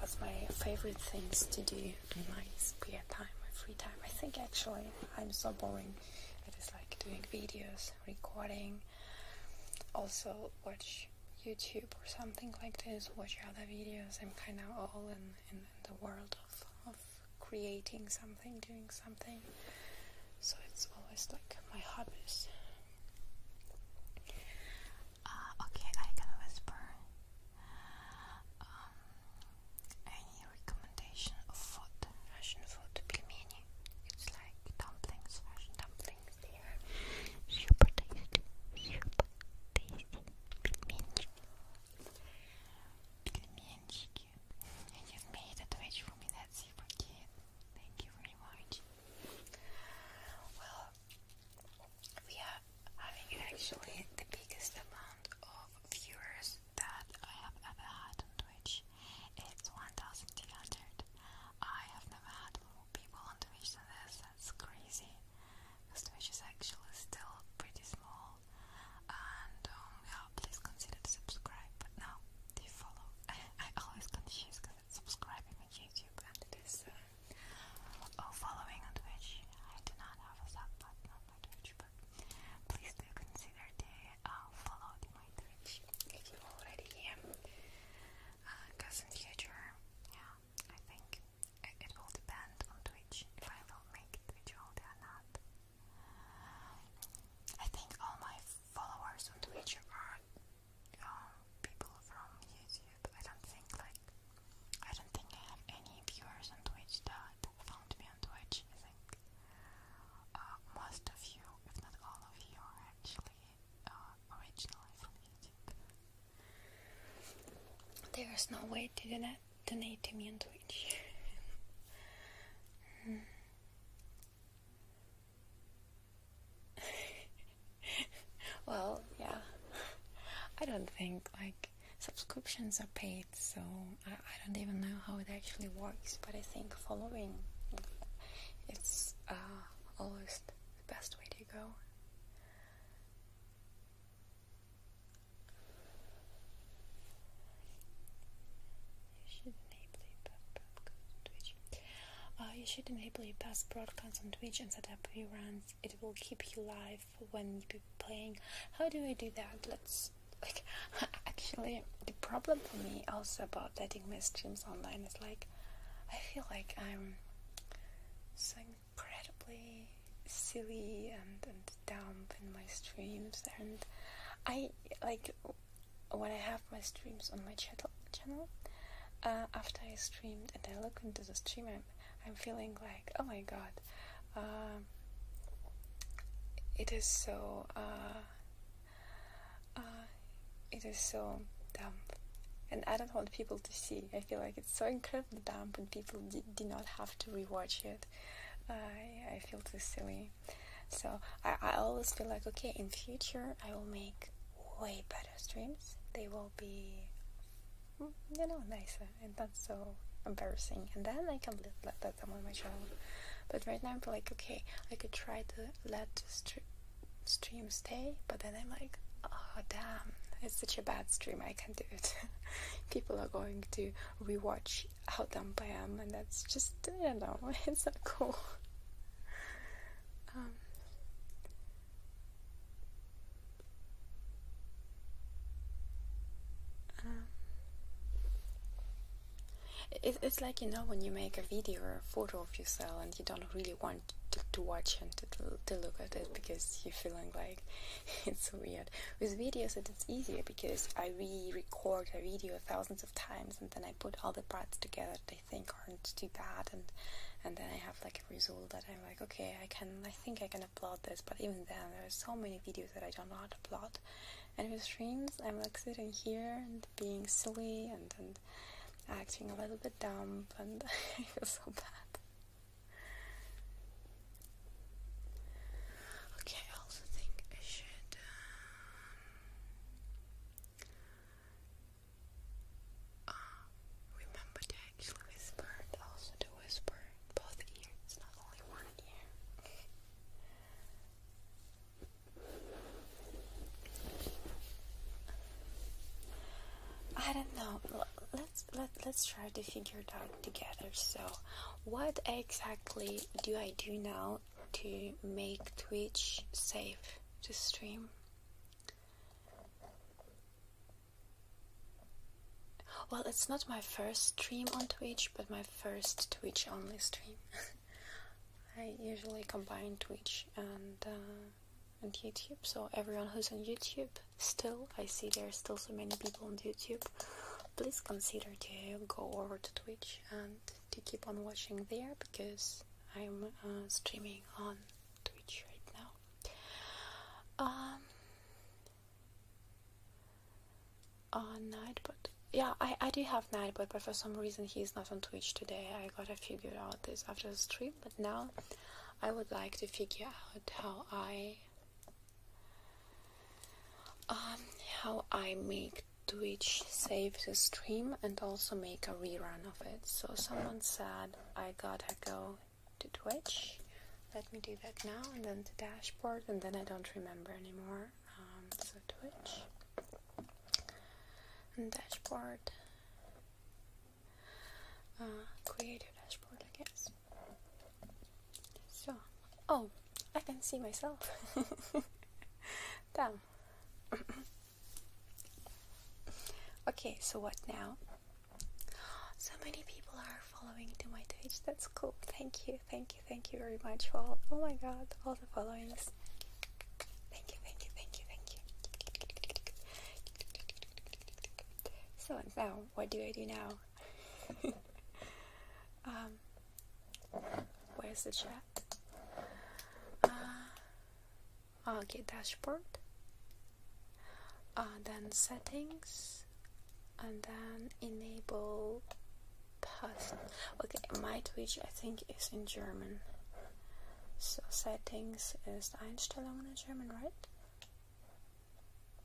Speaker 1: was my favorite things to do in my spare time, my free time. I think actually I'm so boring. It is like doing videos, recording, also watch YouTube or something like this, watch other videos. I'm kind of all in, in, the world of, of creating something, doing something. So it's always like my hobbies. Uh, okay, I can whisper. Um, any recommendation of food? Russian food, pilmeni. It's like dumplings, Russian dumplings. super tasty, super tasty. Pilmenchiki. Pilmenchiki. And you've made a Twitch for me, that's it Thank you very much. Well, we are having actually the biggest amount of viewers that I have ever had on Twitch. It's 1,200. I have never had more people on Twitch than this. That's crazy. Because Twitch is actually still pretty small. And um, yeah, please consider to subscribe. But now, do you follow? [LAUGHS] I always confuse subscribing on YouTube and it is uh, following on Twitch. I do not have a sub on my but please do consider to uh, follow my Twitch if you already Because uh, in future, I think it, will depend on Twitch if I will make Twitch only or not. I think all my followers on Twitch are um, people from YouTube. I don't think like I don't think I have any viewers on Twitch that found me on Twitch. I uh, most of you, if not all of you, are actually uh, originally from YouTube. There is no way to do that. Donate to me on Twitch. [LAUGHS] Hmm. [LAUGHS] well, yeah. I don't think like subscriptions are paid, so I, don't even know how it actually works. But I think following it's uh, always the best way to go. Uh, you should enable your pass broadcasts on Twitch and set up your runs. It will keep you live when you be playing. How do I do that? Let's [LAUGHS] actually the problem for me also about letting my streams online is like I feel like I'm so incredibly silly and, and dumb in my streams and I like when I have my streams on my channel channel uh, after I streamed and I look into the stream I'm, feeling like oh my god um, it is so uh, uh, it is so dumb and I don't want people to see I feel like it's so incredibly dumb and people do not have to rewatch it I, I feel too silly so I, I always feel like okay in future I will make way better streams. They will be, you know, nicer and that's so embarrassing. And then I can let that them on my channel. But right now I'm like, okay, I could try to let the stream stay, but then I'm like, oh damn, it's such a bad stream, I can't do it. [LAUGHS] People are going to rewatch how dumb I am, and that's just, you know, [LAUGHS] it's not cool. Um, um, it's like you know when you make a video or a photo of yourself and you don't really want to, watch and to, to look at it because you're feeling like [LAUGHS] it's so weird. With videos, it's easier because I re-record a video thousands of times and then I put all the parts together think aren't too bad, and and then I have like a result that I'm like, okay, I can, I think I can upload this, but even then, there's so many videos that I don't know how to upload, and with streams, I'm like sitting here and being silly and and acting a little bit dumb, and [LAUGHS] I feel so bad. Okay, I also think I should. Um, um, remember to actually whisper also to whisper both ears, not only one ear. I don't know. Let's let let's try to figure it out together. So, what exactly do I do now to make Twitch safe to stream? Well, it's not my first stream on Twitch, but my first Twitch only stream. [LAUGHS] I usually combine Twitch and uh, and YouTube, so everyone who's on YouTube, still, I see there are still so many people on YouTube. Please consider to go over to Twitch and to keep on watching there because I'm uh, streaming on Twitch right now. Um, uh, Nightbot. Yeah, I, I do have Nightbot, but for some reason he's not on Twitch today. I gotta figure out this after the stream, but now I would like to figure out how I um how I make Twitch save the stream and also make a rerun of it. So someone said I gotta go to Twitch. Let me do that now, and then to dashboard, and then I don't remember anymore. Um, so Twitch and dashboard, uh, create a dashboard, I guess. So, oh, I can see myself. [LAUGHS] Damn. [COUGHS] okay, so what now? So many people are following to my page. That's cool. Thank you, thank you, thank you very much for all. Oh my god, all the followings. Thank you, thank you, thank you, thank you. So now, what do I do now? [LAUGHS] um, where's the chat? Uh, okay dashboard uh, then settings and then enable pass okay my twitch i think is in german so settings is einstellungen in german right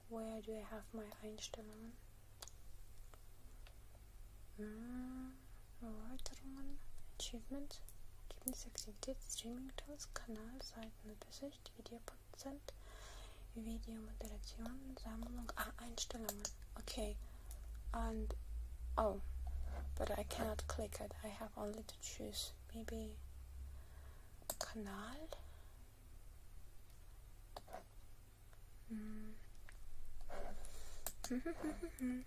Speaker 1: where do i have my einstellungen mm, erweiterungen achievement Ergebnisaktivität, Streaming-Tools, Kanal, Seiten, Übersicht, Videoprozent, Videomoderation, Sammlung, ah, Einstellungen, okay, and, oh, but I cannot click it, I have only to choose, maybe, Kanal, mm. [LAUGHS]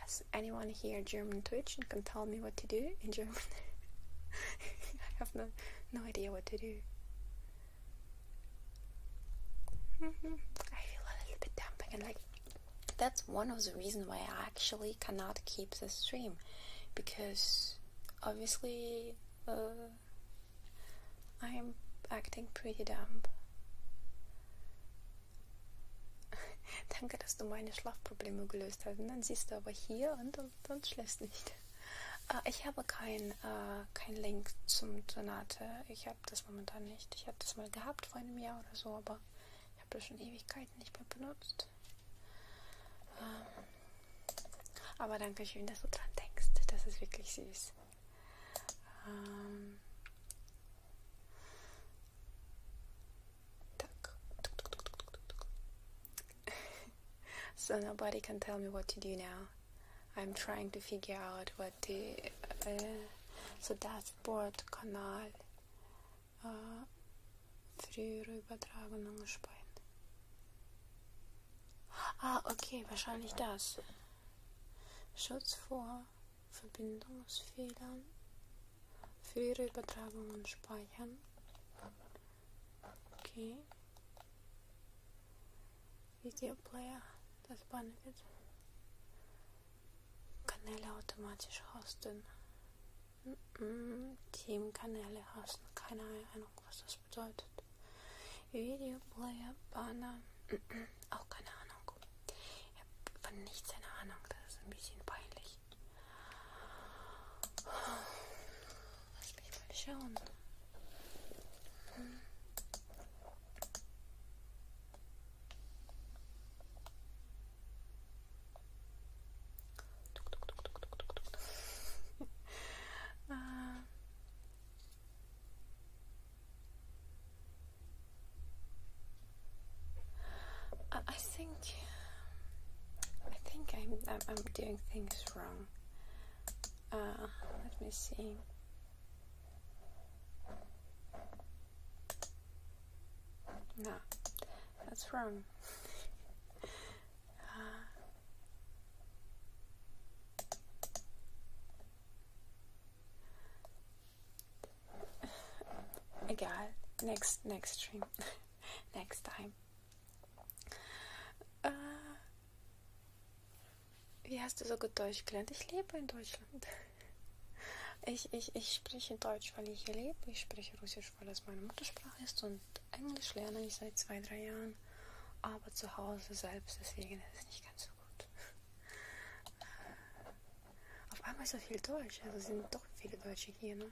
Speaker 1: Has anyone here German Twitch and can tell me what to do in German? [LAUGHS] [LAUGHS] I have no no idea what to do. I feel a little bit damp and like that's one of the reasons why I actually cannot keep the stream because obviously uh, I'm acting pretty damp. Danke, dass du meine Schlafprobleme gelöst hast. dann siehst du aber hier und sonst schläfst nicht. Äh, ich habe keinen äh, kein Link zum Sonate. Ich habe das momentan nicht. Ich habe das mal gehabt vor einem Jahr oder so, aber ich habe das schon Ewigkeiten nicht mehr benutzt. Ähm, aber danke schön, dass du dran denkst. Das ist wirklich süß. Ähm, Так. [LAUGHS] so nobody can tell me what to do now. I'm trying to figure out what the uh, so Dashboard-Kanal uh, frühere Übertragung speichern. Ah, okay, wahrscheinlich das. Schutz vor Verbindungsfehlern, frühere Übertragungen speichern. Okay. Videoplayer, das Banner wird Kanäle automatisch hosten. Mm -mm, Teamkanäle hosten, keine Ahnung, was das bedeutet. Videoplayer, Banner, mm [CLEARS THROAT] auch keine Ahnung. Ich habe von nichts eine Ahnung, das ist ein bisschen peinlich. Lass mich mal schauen. I think I think I'm, I'm, doing things wrong. Uh, let me see. No, that's wrong. [LAUGHS] uh, [SIGHS] I got next next stream [LAUGHS] next time. Äh, wie hast du so gut Deutsch gelernt? Ich lebe in Deutschland. [LAUGHS] Ich, ich, ich spreche Deutsch, weil ich hier lebe. Ich spreche Russisch, weil es meine Muttersprache ist. Und Englisch lerne ich seit zwei, drei Jahren. Aber zu Hause selbst, deswegen ist es nicht ganz so gut. [LAUGHS] Auf einmal so viel Deutsch. Also sind doch viele Deutsche hier, ne?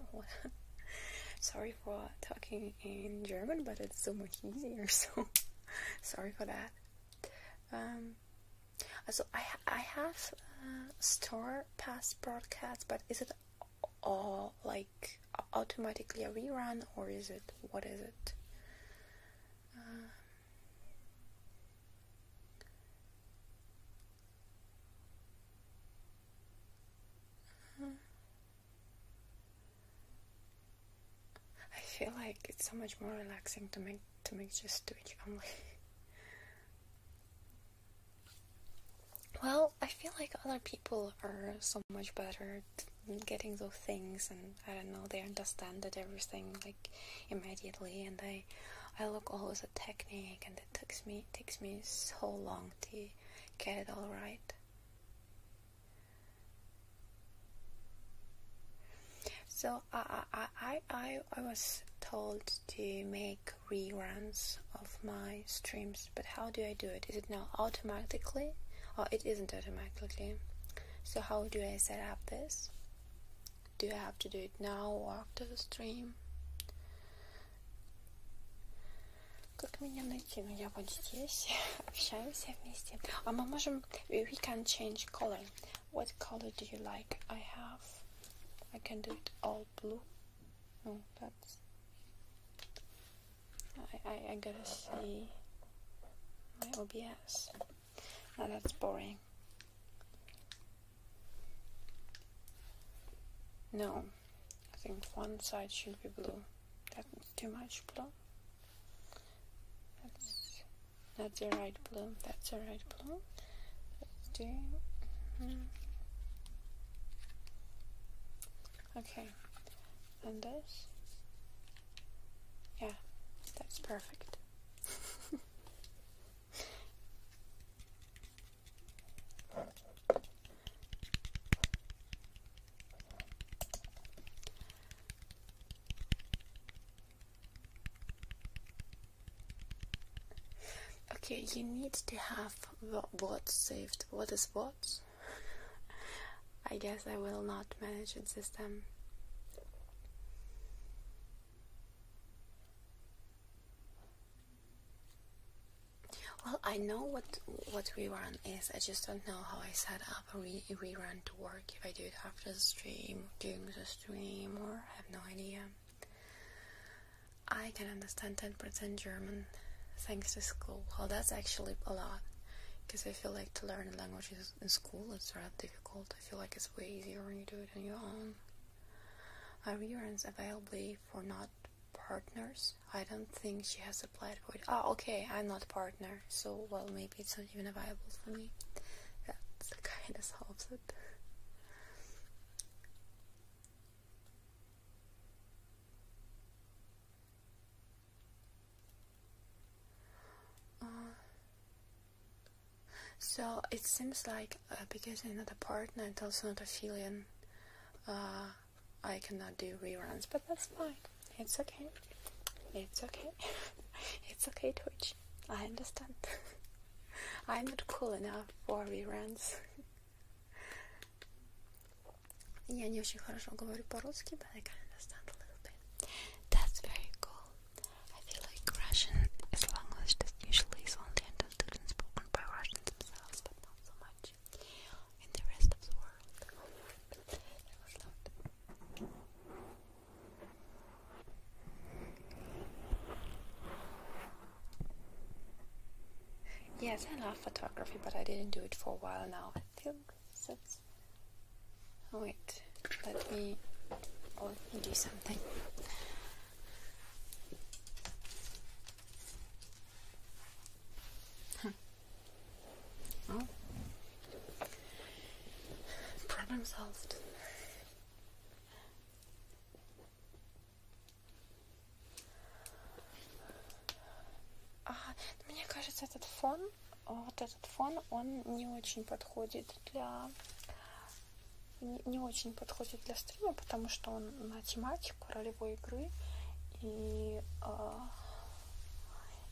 Speaker 1: [LAUGHS] Sorry for talking in German, but it's so much easier, [LAUGHS] so sorry for that. Um, also, I, I have uh, store past broadcasts, but is it all like automatically a rerun, or is it what is it? Uh, I feel like it's so much more relaxing to make to make just Twitch only. well, I feel like other people are so much better getting those things, and I don't know, they understand that everything like immediately, and I I look always at technique and it takes me takes me so long to get it all right. So I I I I, I was told to make reruns of my streams, but how do I do it? Is it now automatically? Or oh, it isn't automatically. So how do I set up this? Do I have to do it now after the stream? Как меня найти? Ну, я вот здесь. [LAUGHS] Общаемся вместе. А мы можем... Э, we can change color. What color do you like? I have... I can do it all blue. No, that's... I, I, gotta see my OBS. Now that's boring. No, I think one side should be blue. That's too much blue. That's not the right blue. That's the right blue. Let's do. Mm-hmm. Okay, and this. Yeah, that's perfect. [LAUGHS] Okay, you need to have what saved. What is what? [LAUGHS] I guess I will not manage it system. Well, I know what what rerun is. I just don't know how I set up a re rerun to work. If I do it after the stream, during the stream, or I have no idea. I can understand ten percent German thanks to school. Well, that's actually a lot because I feel like to learn languages in school it's rather difficult. I feel like it's way easier when you do it on your own. My reruns available for not partners. I don't think she has applied for it. Ah, okay, I'm not partner, so well, maybe it's not even available for me. That kind of solves it. Uh, so it seems like uh, because I'm not a partner, it's also not a filian uh, I cannot do reruns, but that's fine. It's okay. It's okay. [LAUGHS] it's okay, Twitch. I understand. [LAUGHS] I'm not cool enough for reruns. [LAUGHS] Я should очень хорошо говорю the русски but I can understand a little bit. That's very cool. I feel like Russian as a language that usually is only understood and spoken by Russians themselves, not so much in the rest of the world. Yes, I love photography, but I didn't do it for a while now. I think that's. Oh, wait, let me. Oh, do something. Well, problem solved. А, мне кажется, этот фон, вот этот фон, он не очень подходит для не, не очень подходит для стрима, потому что он на тематике типа ролевой игры. И, э,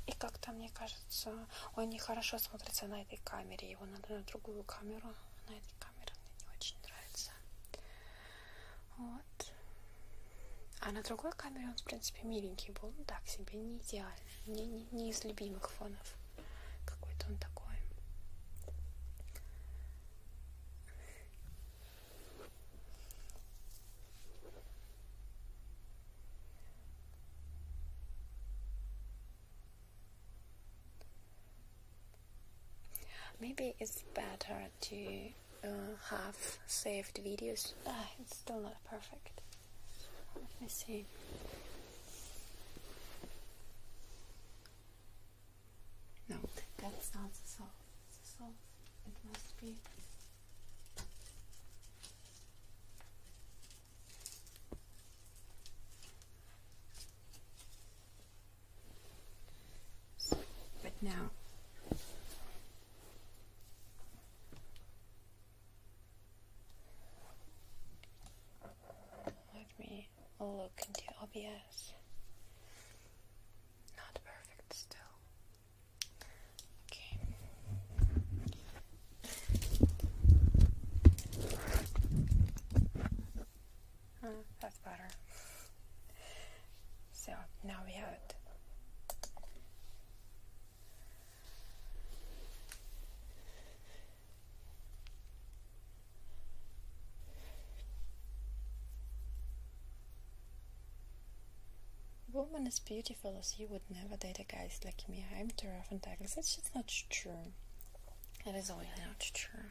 Speaker 1: и как-то, мне кажется, он нехорошо смотрится на этой камере. Его надо на другую камеру. На этой камере мне не очень нравится. Вот. А на другой камере он, в принципе, миленький был. Ну так себе, не идеальный. Не, не, не из любимых фонов. Какой-то он такой. Maybe it's better to uh, have saved videos. Ah, it's still not perfect. Let me see. No, that's not the soul. The salt. It must be. but now. Let me look into OBS. Not perfect still. Okay. Uh, that's better. So now we have it. A Woman as beautiful as you would never date a guy like me. I'm too rough and tactless. That's just not true. It is always not true.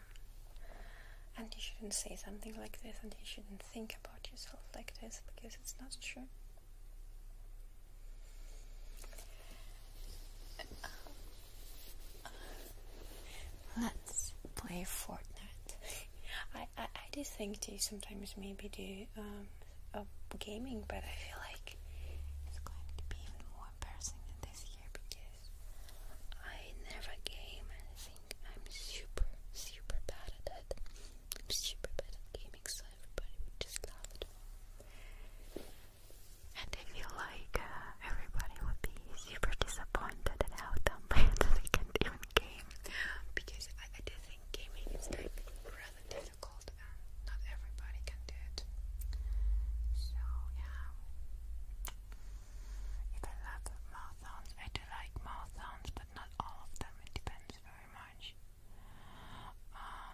Speaker 1: And you shouldn't say something like this, and you shouldn't think about yourself like this because it's not true. Let's play Fortnite. I, I, I do think they sometimes maybe do um, gaming, but I feel like it's going to be even more embarrassing than this year because I never game and I think I'm super, super bad at it. I'm super bad at gaming, so everybody would just love it. And I feel like uh, everybody would be super disappointed at how dumb I am that I can't even because I, do think gaming is like rather difficult and not everybody can do it. So yeah. If I love mouth I do like mouth but not all of them. It depends very much. Um,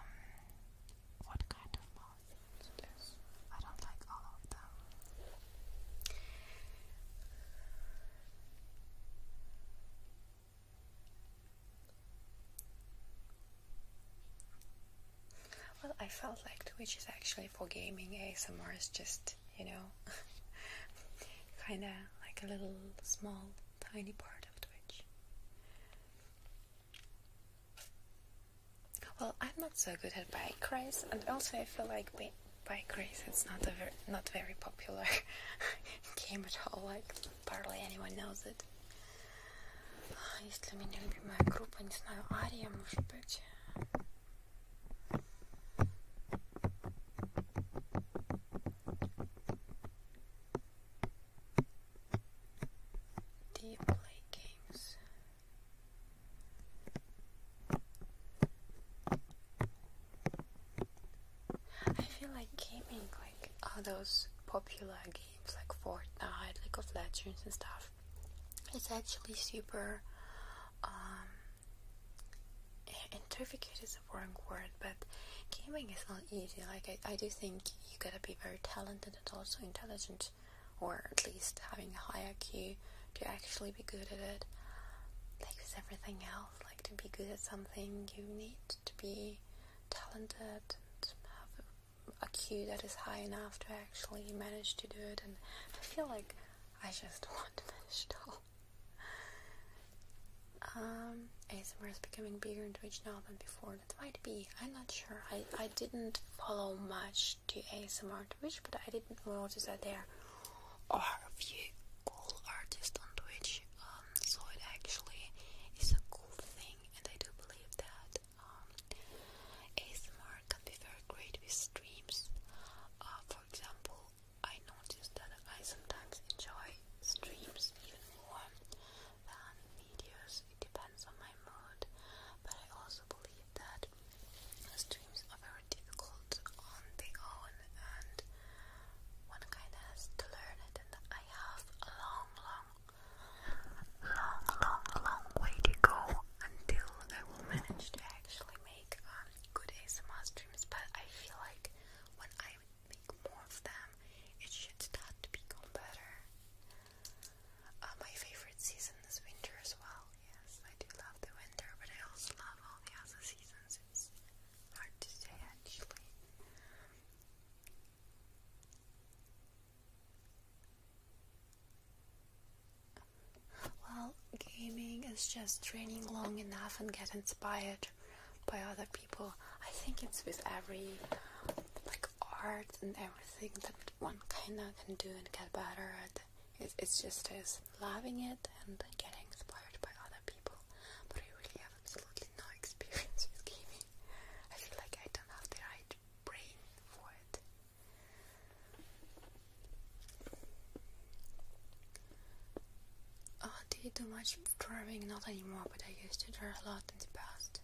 Speaker 1: what kind of mouth I don't like all of them. Well, I felt like Twitch is actually for gaming ASMR is just, you know, [LAUGHS] kind of like a little small, tiny part of Twitch. Well, I'm not so good at bike race, and also I feel like by grace, It's not a ver not very popular [LAUGHS] game at all. Like barely anyone knows it. Есть ли у меня любимая группа? Не знаю, Ария, может быть. I feel like gaming, like all those popular games like Fortnite, League of Legends, and stuff, it's actually super. Um, intricate is the wrong word, but gaming is not easy. Like, I, I do think you gotta be very talented and also intelligent, or at least having a high IQ to actually be good at it. Like with everything else. Like to be good at something, you need to be talented and have a IQ that is high enough to actually manage to do it. And I feel like I just [LAUGHS] want to finish it all. Um, ASMR is becoming bigger and Twitch now than before. That might be. I'm not sure. I, I didn't follow much to ASMR Twitch, but I didn't notice that there or if you call artists on Twitch. Um, so it actually is a cool thing, and I do believe that um, ASMR can be very great with streams. Uh, for example, I noticed that I sometimes enjoy streams even more than videos. It depends on my mood, but I also believe that streams are very difficult on their own, and one kind has to learn it. And I have a long, long, long, long, long way to go until I will manage to actually make um, good ASMR streams. But I feel like when I make more of them, it should start to become better. Uh, my favorite season is winter as well. Yes, I do love the winter, but I also love all the other seasons. Hard to say actually. Well, gaming is just training long enough and get inspired by other people. I think it's with every like art and everything that one kinda can do and get better at. It, it's just a loving it and getting inspired by other people, but I really have absolutely no [LAUGHS] experience with gaming. I feel like I don't have the right brain for it. Oh, do you do much drawing? Not anymore, but I used to draw a lot in the past.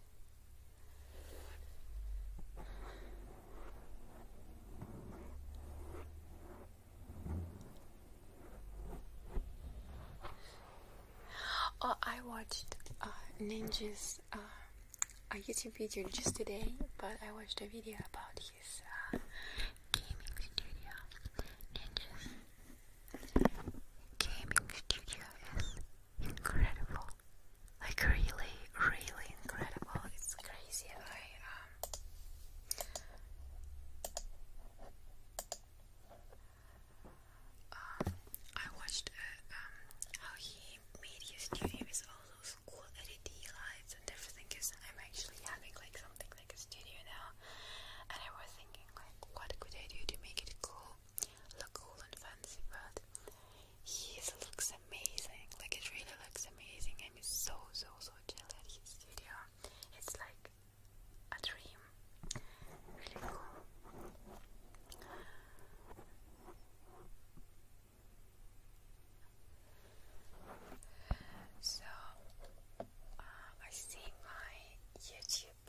Speaker 1: Oh, I watched uh, Ninja's uh, a YouTube video just today, but I watched a video about his uh, gaming studio. Ninja's gaming studio is incredible, like really, really incredible. It's crazy. I uh, um, I watched uh, um, how he made his studio with all cool LED lights and everything. Cause I'm actually having like something like a studio now, and I was thinking like, what could I do to make it cool, look cool and fancy? But his looks amazing. Like it really looks amazing. I'm so so so jealous. His studio, it's like a dream. Really cool. So uh, I see my YouTube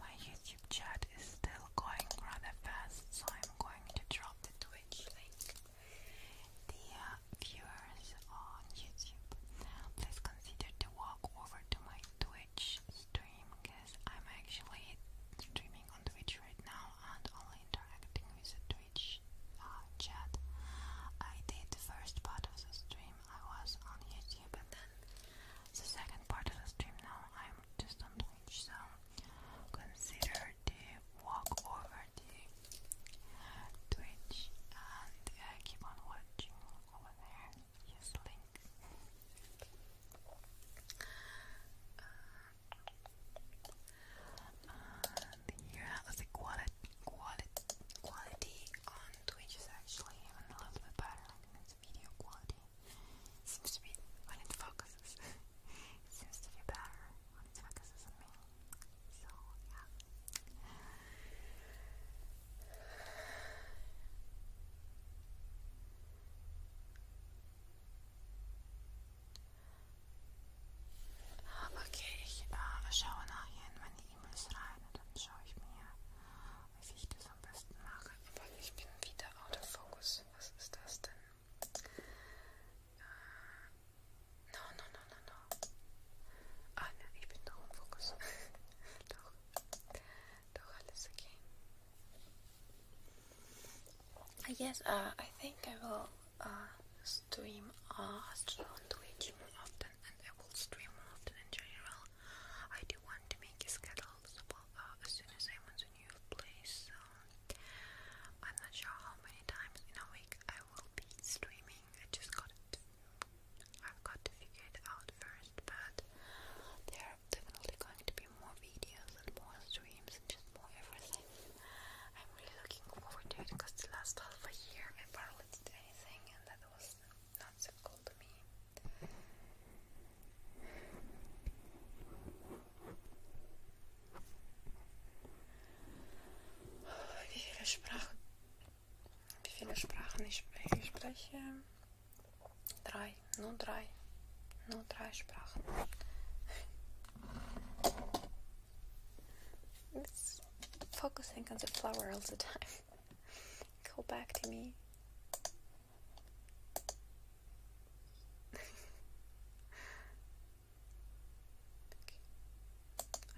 Speaker 1: my YouTube chat is still going rather fast so I'm going to drop the Twitch link. The uh, viewers on YouTube, please consider to walk over to my Twitch stream because I'm actually streaming on Twitch right now and only interacting with the Twitch uh, chat. I did the first part of the stream, I was on YouTube, and then the second part of the stream now I'm just on Twitch, so consider to walk over Twitch and uh, keep on watching over there. Yes, link. Uh, and yeah, the quality, quality, quality on Twitch is actually even a little bit better. Like it's video quality seems to be when [LAUGHS] it focuses. seems to be better when it focuses on me. So, ja. Okay, ich äh, schaue nachher in meine E-Mails rein und dann schaue ich mir, wie ich das am besten mache. Aber ich bin wieder out of focus. Was ist das denn? Äh, No,
Speaker 2: no, no, no, no. Ah, oh, nee, ich bin doch im Fokus. doch. Doch, alles
Speaker 1: okay. Yes, uh, I think I will uh, stream a stream on Twitch more often and I will stream often in general. I do want to make a schedule as uh, soon as I'm in a new place. So I'm not sure how many times in a week I will be streaming. I just got it I've got to figure it out first, but there are definitely going to be more videos and more streams and just more everything. I'm really looking forward to it because the last half a year I barely did anything and that was not so cool to me. Wie [SIGHS] viele Wie viele Sprachen ich spreche? Ich spreche drei, nur drei, nur drei It's focusing on the flower all the time. Go back to me. [LAUGHS]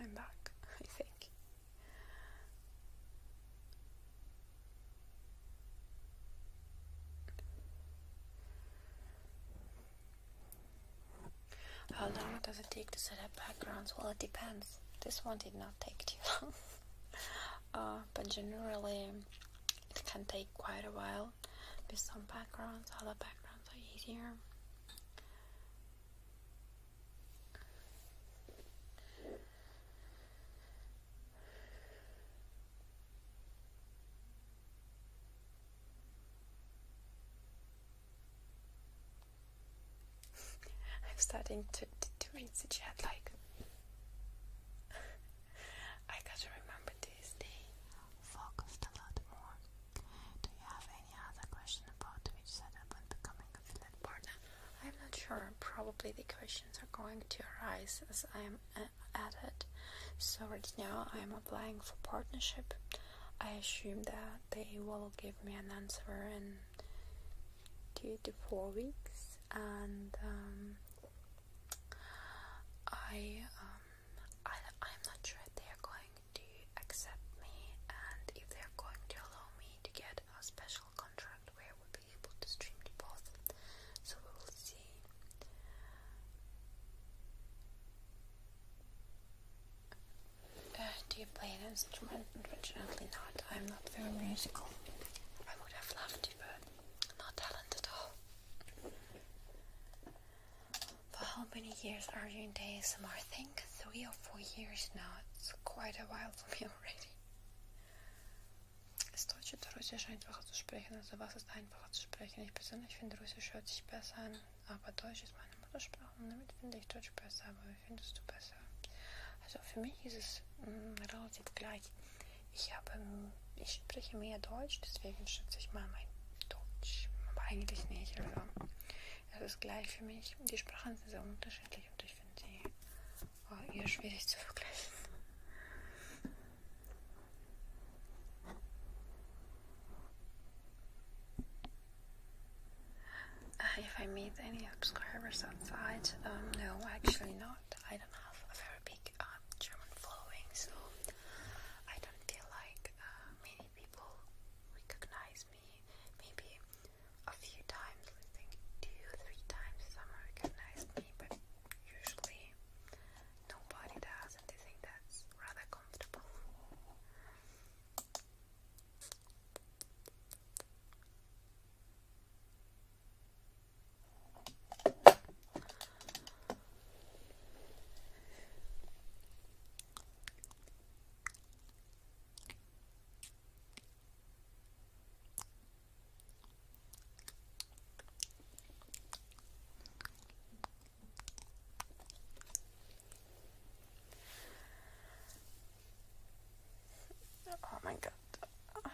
Speaker 1: I'm back, I think. How long does it take to set up backgrounds? Well, it depends. This one did not take too [LAUGHS] long. Uh, but generally, it can take quite a while with some backgrounds. Other backgrounds are easier. I'm starting to, to, to read the chat like I gotta remember this day. Focused a lot more. Do you have any other question about which setup and becoming a I'm not sure. Probably the questions are going to arise as I'm uh, at it. So right now I'm applying for partnership. I assume that they will give me an answer in two to four weeks, and um, I, um, I I'm not sure if they are going to accept me and if they are going to allow me to get a special contract where we'll be able to stream to both. So we will see. Uh, do you play an instrument? Unfortunately not. I'm not very musical. I would have loved to, but not talented at all. For how many years are you in the ASMR? I think three or four years now. It's quite a while for me already. Ist Deutsch oder Russisch einfacher zu sprechen? Also was ist einfacher zu sprechen? Ich persönlich finde Russisch hört sich besser an, aber Deutsch ist meine Muttersprache und damit finde ich Deutsch besser. Aber wie findest du besser? Also für mich ist es mh, mm, relativ gleich. Ich habe, ähm, ich spreche mehr Deutsch, deswegen schätze ich mal mein Deutsch. Aber eigentlich nicht. Also es ist gleich für mich. Die Sprachen sind sehr unterschiedlich. Und Uh, if I meet any subscribers outside, um, no, actually not. I don't have a very big um, German following, so I don't feel like uh, many people recognize me. Maybe a few times, I think two, three times someone recognized me, but usually nobody does, and I think that's rather comfortable. Oh my god,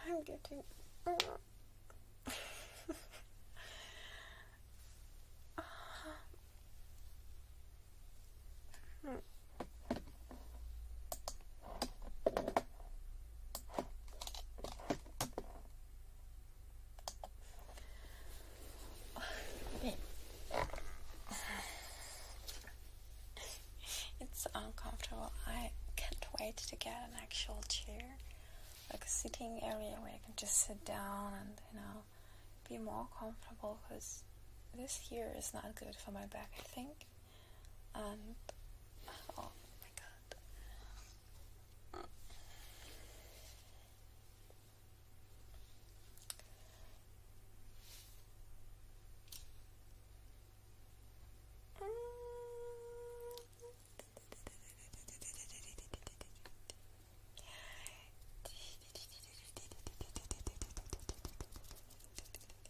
Speaker 2: I'm getting. [LAUGHS] Ah. [SIGHS]
Speaker 1: It's uncomfortable. I can't wait to get an actual chair, like a sitting area where I can just sit down and, you know, be more comfortable because this here is not good for my back, I think and oh my god. [LAUGHS]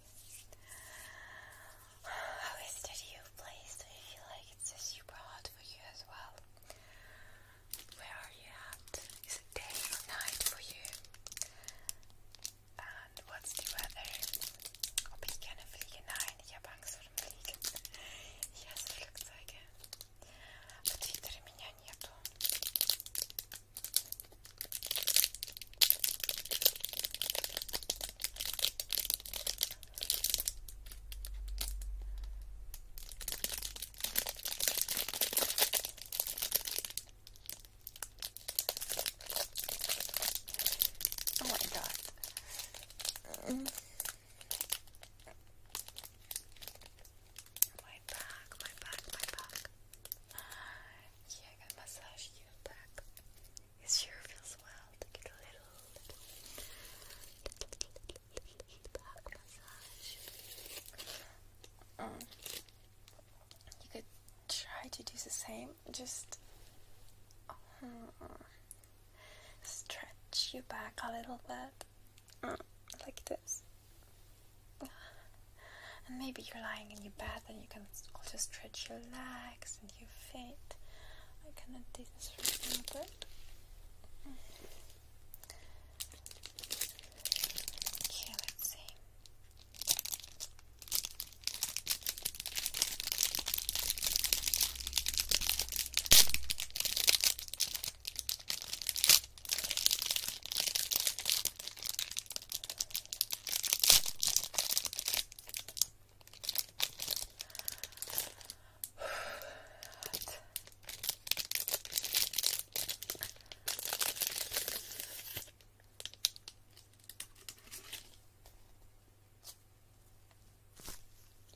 Speaker 1: How is the new place? Do you feel like it's super hot for you as well? Where are you at? Is it day or night for you? And what's the weather? Ob ich gerne fliege? Nein, ich habe Angst vor dem Fliegen. меня нету.
Speaker 2: Oh my god. Mm.
Speaker 1: My back, my back, my back. Yeah, I got a massage your back. It sure feels well to get a little, little, little, little, little back massage. Mm. You could try to do the same, just uh, stretch your back a little bit, mm, like this. And maybe you're lying in your bed and you can also stretch your legs and your feet. I cannot do this Okay, let's see.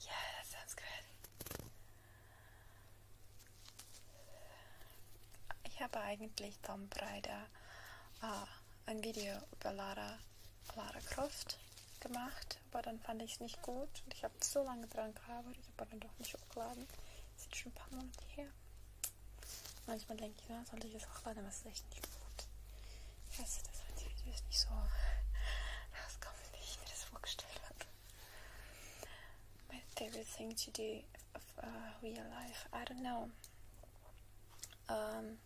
Speaker 1: Yeah, that sounds good. Ich habe eigentlich Tom Braider. Uh, äh, ein Video über Lara, Lara Croft gemacht, aber dann fand ich es nicht gut und ich habe so lange dran gearbeitet, aber dann doch nicht hochgeladen. Das ist schon ein paar Monate her. Manchmal denke ich, na, sollte ich das hochladen, aber es ist echt nicht gut. Ich weiß, das heutige Video ist nicht so rauskommen, wie ich mir das vorgestellt habe. My favorite thing to do of uh, real life, I don't know. Um,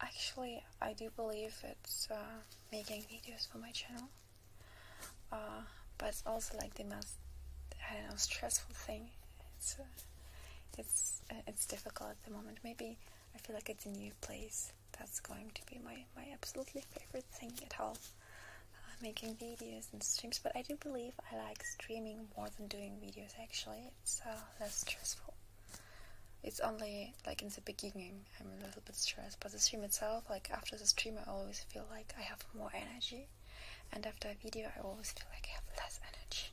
Speaker 1: actually, I do believe it's uh, making videos for my channel, uh, but it's also like the most I don't know stressful thing. It's uh, it's uh, it's difficult at the moment. Maybe I feel like it's a new place. That's going to be my my absolutely favorite thing at all. Uh, making videos and streams, but I do believe I like streaming more than doing videos. Actually, it's uh, less stressful. It's only like in the beginning I'm a little bit stressed, but the stream itself, like after the stream, I always feel like I have more energy, and after a video, I always feel like I have less energy.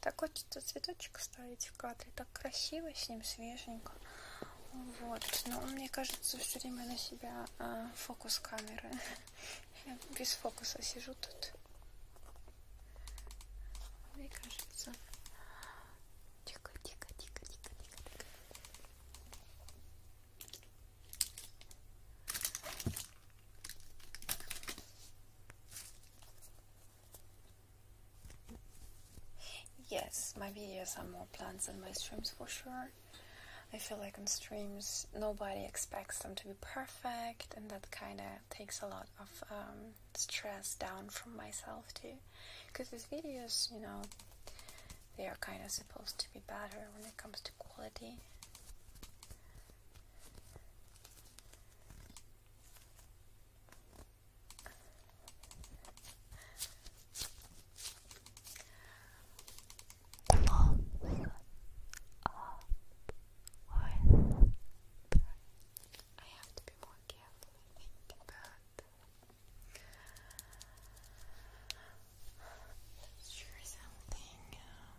Speaker 1: Так хочется цветочек ставить в кадре. Так красиво с ним, свеженько. Вот. Но мне кажется, все время на себя э, фокус камеры. [LAUGHS] Я без фокуса сижу тут. Мне кажется. Тихо, тихо, тихо, тихо, тихо, тихо. Yes, my videos are more plants than my streams for sure. I feel like on streams nobody expects them to be perfect, and that kind of takes a lot of um, stress down from myself too. Because these videos, you know, they are kind of supposed to be better when it comes to to quality. Close I have to be more careful, I think, something. Um,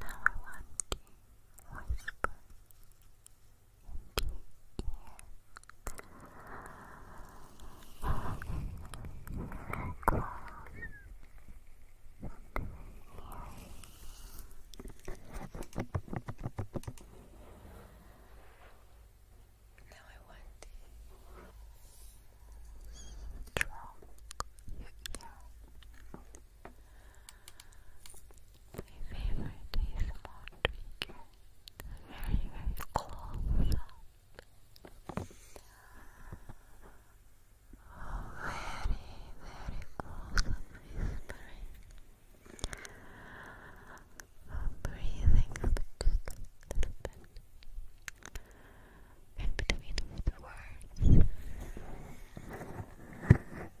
Speaker 1: Now I want to whisper into your ear. Close now I want to stroke your ear
Speaker 2: my favorite is more Very, very close very, very close up whispering. I'm breathing a little bit in between the words. very mindful touch your face, just breathe.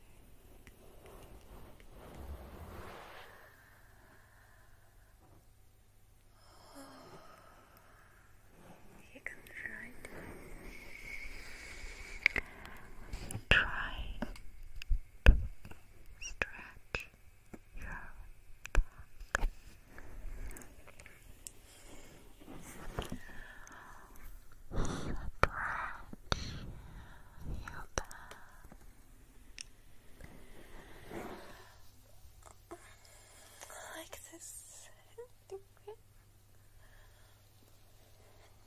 Speaker 2: You can try to try to stretch your back. Stretch your Like this. Ding, ding, ding.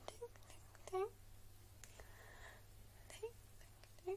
Speaker 2: Ding, ding, ding. Ding, ding, ding.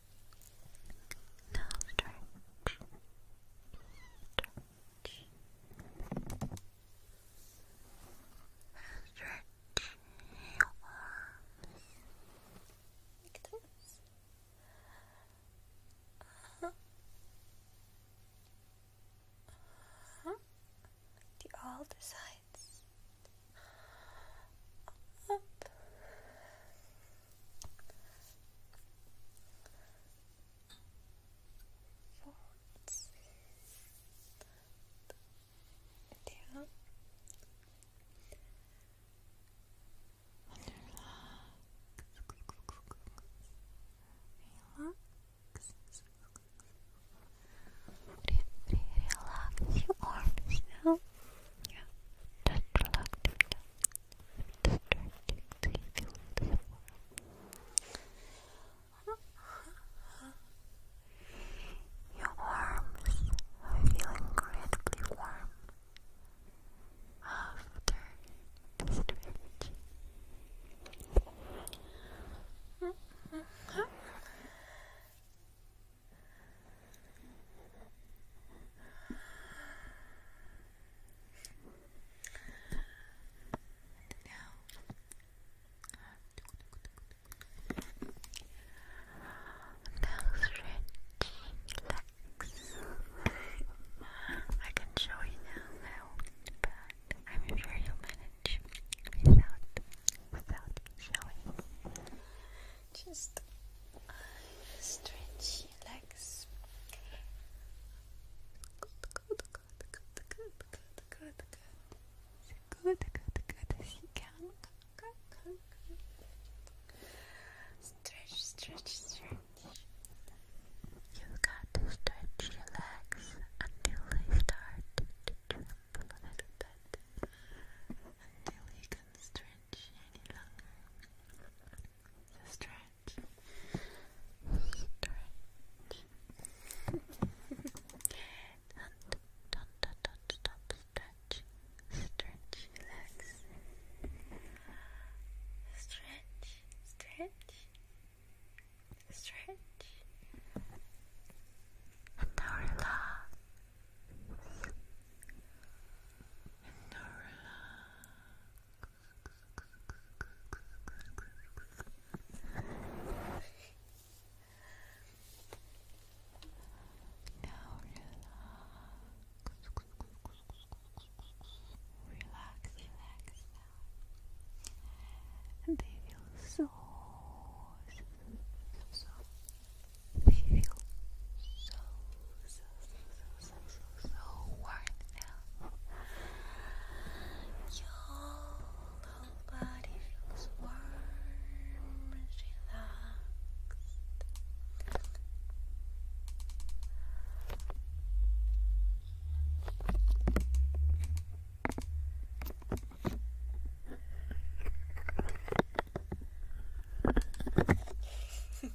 Speaker 2: Now stretch. Stretch. Stretch Like this. Uh -huh.
Speaker 1: Uh all the sides. Up. Forts. Yeah. And
Speaker 2: relax. Relax. Relax your arms now. Yeah, just relaxing now. Just you Your arms feel incredibly warm after the
Speaker 1: and now stretch, relax. I can show you now but I'm sure you'll manage without without showing. Just uh, stretch legs. Good, good, good, good, good, good, good, good, good, good. As you can. Stretch, stretch, stretch. You've got to stretch your legs until they start to tremble a little bit. Until you can stretch stretch any longer. So stretch. Stretch. don't, don't, don't, don't stop. Stretch. Stretch. Relax. Stretch. Stretch. Stretch. And now relax. Relax. Now relax. Now relax. Relax, relax now. They feel so, so, we feel so, so, so, so, so, so warm now. Your whole body feels warm and relaxed. [LAUGHS]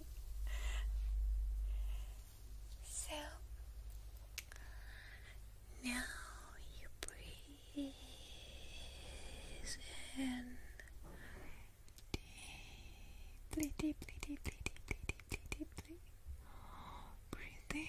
Speaker 1: so now you breathe in deeply, deeply, deeply, deeply, deeply, deeply. Breathe in.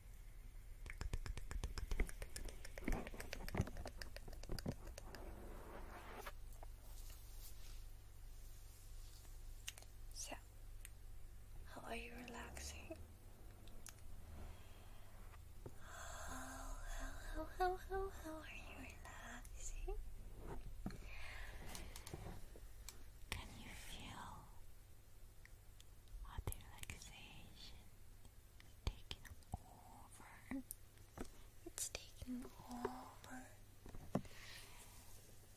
Speaker 1: So, how are you relaxing? how, how, how, how, how are you relaxing? Can you feel
Speaker 2: what relaxation taking over. It's taking over.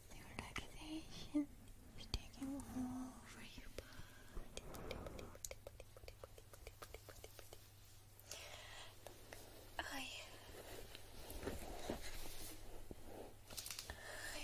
Speaker 2: The relaxation taking over your body. I, I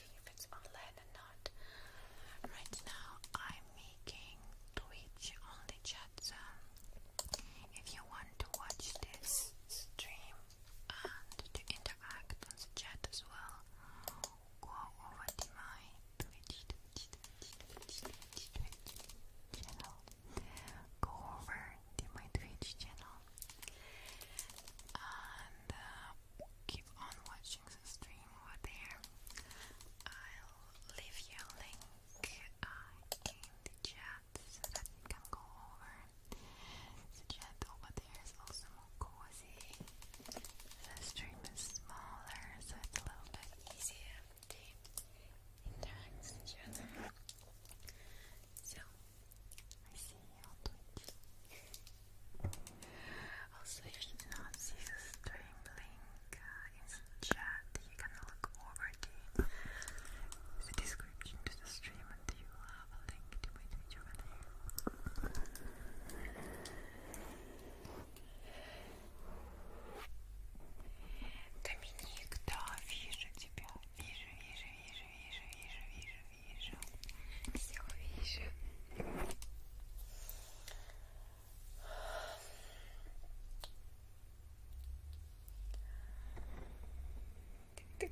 Speaker 1: if it's online or not. Right now, I'm making Twitch only chat zone. If you want to watch this stream and to interact on the chat as well, go over to my Twitch, channel. Go over to my Twitch channel. And uh, keep on watching the stream over there. I'll leave you a link uh, in the chat so that you can go over. The chat over there is also more cozy. The stream is smaller, so it's a little bit easier to interact with each other. So, I see you on Twitch. Also, you should not see the stream link uh, in the chat. You can look over the, description to the stream and you will have a link to my video in here. Доминик, да, вижу тебя, вижу, вижу, вижу, вижу, if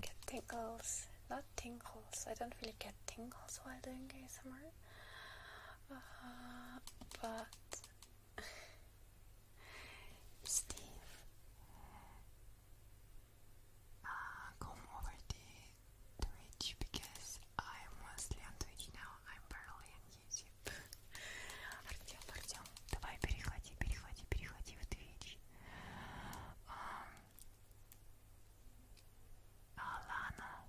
Speaker 1: get tingles, not tingles, I don't really get tingles while doing ASMR, uh, but Steve, come over to reach because I'm mostly on Twitch now, I'm barely on YouTube. Артем, Артем, давай переходи, переходи, переходи в Twitch. Um, Алана,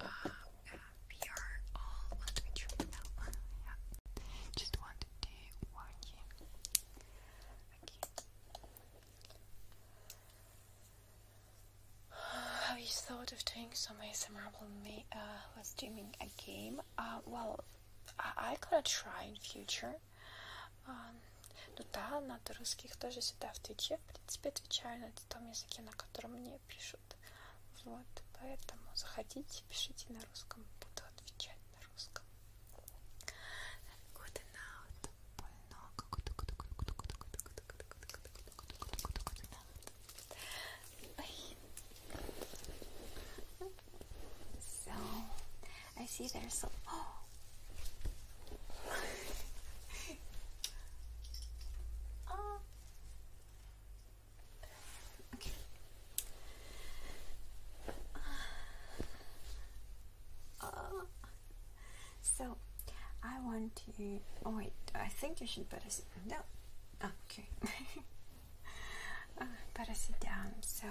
Speaker 1: Uh, we are all on Twitch Just wanted to warn you. Have you thought of doing some ASMR me, uh, while streaming a game? Uh, well, I, I gotta try in future. Um, not to ну да, just русских тоже сюда в Твиче, в принципе, отвечаю, но to там я языке, на котором мне пишут. Вот, поэтому заходите, пишите на русском, буду отвечать на русском. Good night. So, I see there's a... Oh! okay. Uh, so, I want to. Oh wait, I think you should better sit. No, okay. [LAUGHS] Uh, better sit down. So,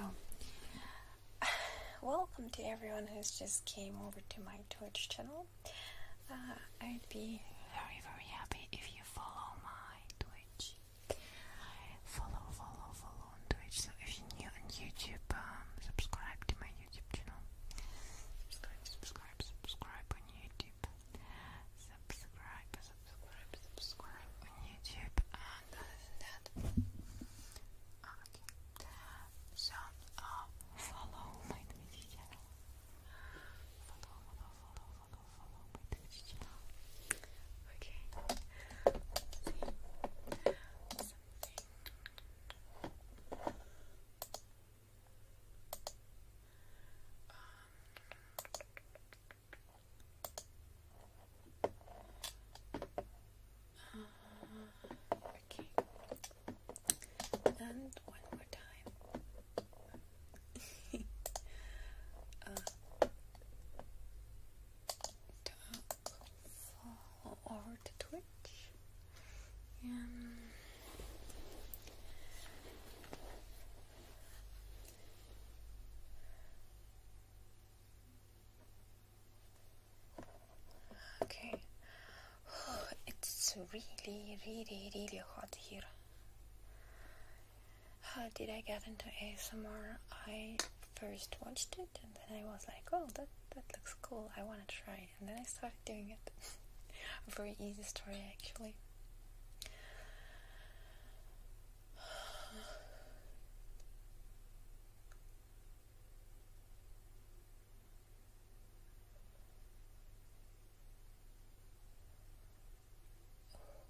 Speaker 1: [SIGHS] welcome to everyone who's just came over to my Twitch channel. Uh, I'd be very, very happy if you follow my Twitch. Follow, follow, follow on Twitch. So if you're new on YouTube, um, subscribe to my YouTube channel. Subscribe, subscribe, subscribe on YouTube. Subscribe, subscribe, subscribe on YouTube. And that, So, uh, follow my Twitch channel. Follow, follow, Okay.
Speaker 2: Um, uh, Okay. And one more time. [LAUGHS] uh, fall over to Twitch. Um,
Speaker 1: okay, [SIGHS] it's really, really, really hot here. How uh, did I get into ASMR? I first watched it and then I was like, oh, that, that looks cool, I wanna try And then I started doing it. [LAUGHS] very easy story, actually.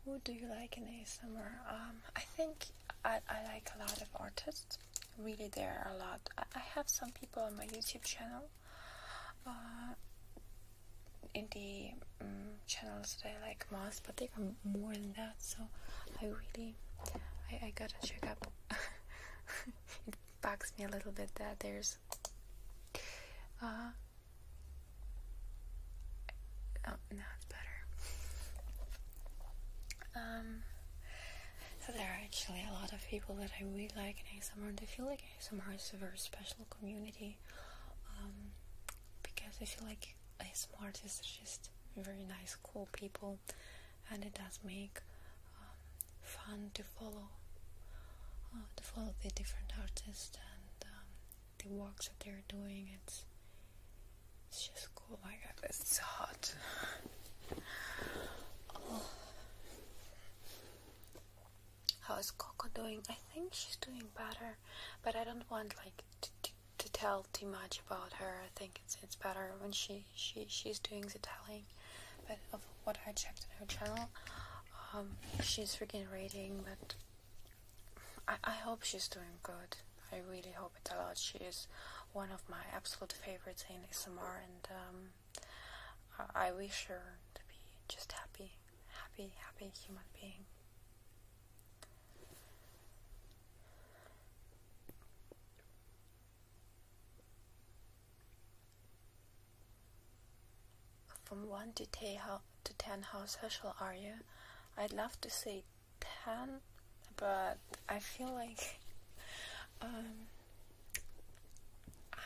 Speaker 1: Who do you like in ASMR? Um, I think I, I like a lot of artists. Really, there are a lot. I, I have some people on my YouTube channel. Uh, in the mm, channels that I like most, but there are more than that. So I really, I, I gotta check up. [LAUGHS] it bugs me a little bit that there's this. Uh, oh, now it's better. Um, there are actually a lot of people that I really like in ASMR, and I feel like ASMR is a very special community. Um, because I feel like ASMR is just very nice, cool people, and it does make um, fun to follow, uh, to follow the different artists and um, the works that they're doing. It's it's just cool. Oh my God, it's hot. [SIGHS] How is Coco doing? I think she's doing better, but I don't want like to, to, to tell too much about her. I think it's it's better when she she she's doing the telling but of what I checked on her channel, um, she's freaking rating, but I, I hope she's doing good. I really hope it a lot. She is one of my absolute favorites in ASMR, and um, I, I wish her to be just happy, happy, happy human being. From one to ten, how how social are you? I'd love to say ten, but I feel like um,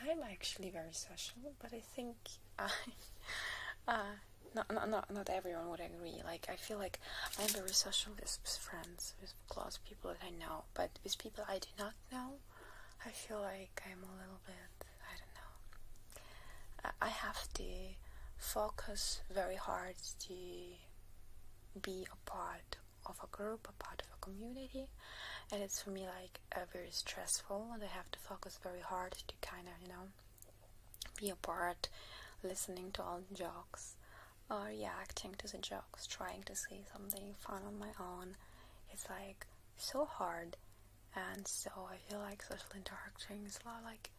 Speaker 1: I'm actually very social, but I think I. [LAUGHS] Uh, not, not, not, not everyone would agree. Like, I feel like I'm very social with friends, with close people that I know, but with people I do not know, I feel like I'm a little bit, I don't know. I have to focus very hard to be a part of a group, a part of a community, and it's for me like a very stressful, and I have to focus very hard to kind of, you know, be a part, listening to all the jokes, or reacting to the jokes, trying to say something fun on my own. It's like so hard and so I feel like social interactions are like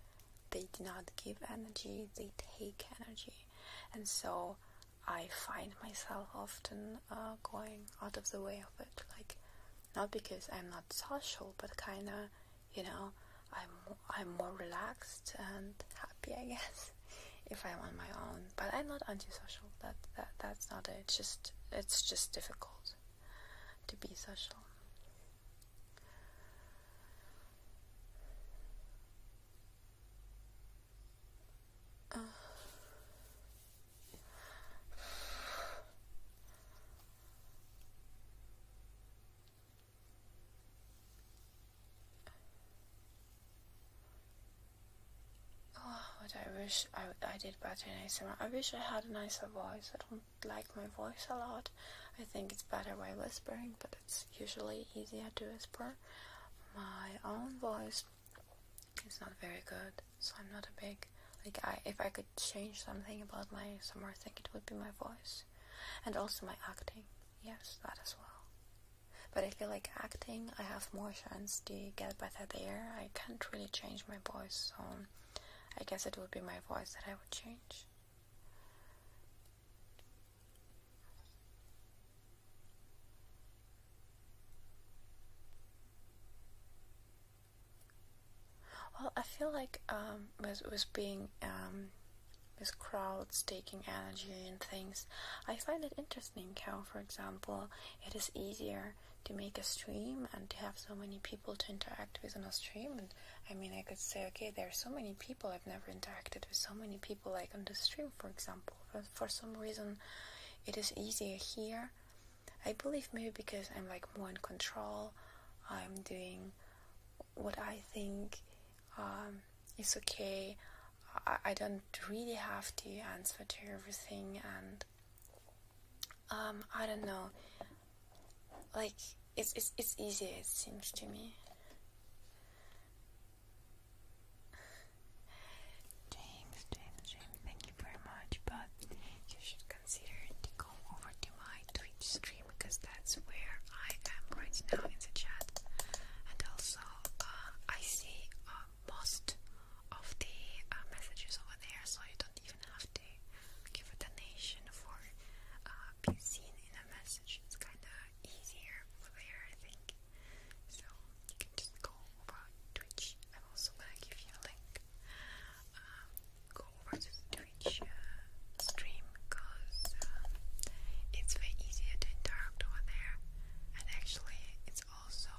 Speaker 1: they do not give energy, they take energy. And so I find myself often uh, going out of the way of it. Like, not because I'm not social, but kind of, you know, I'm, I'm more relaxed and happy, I guess, [LAUGHS] if I'm on my own but I'm not antisocial. That that that's not it. It's just it's just difficult to be social. Oh, but I wish I, I did better in summer. I wish I had a nicer voice. I don't like my voice a lot. I think it's better by whispering, but it's usually easier to whisper. My own voice is not very good, so I'm not a big like. I if I could change something about my summer, I think it would be my voice, and also my acting. Yes, that as well but I feel like acting, I have more chance to get better there. I can't really change my voice, so I guess it would be my voice that I would change. Well, I feel like um, with with being um, with crowds taking energy and things, I find it interesting how, for example, it is easier to make a stream and to have so many people to interact with on a stream and I mean I could say okay there are so many people I've never interacted with so many people like on the stream for example but for some reason it is easier here I believe maybe because I'm like more in control I'm doing what I think um, is okay I, I don't really have to answer to everything and um I don't know like it's it's it's easier it seems to me James James James thank you very much but you should consider to go over to my Twitch stream because that's where I am right now in the chat and also uh, I see uh, most of the uh, messages over there, so you don't even have to give a donation for uh, being seen in a message. It's kind of easier over there, I think. So you can just go over Twitch. I'm also gonna give you a link. Um, go over the Twitch uh, stream because it's way easier to interact over there, and actually, it's also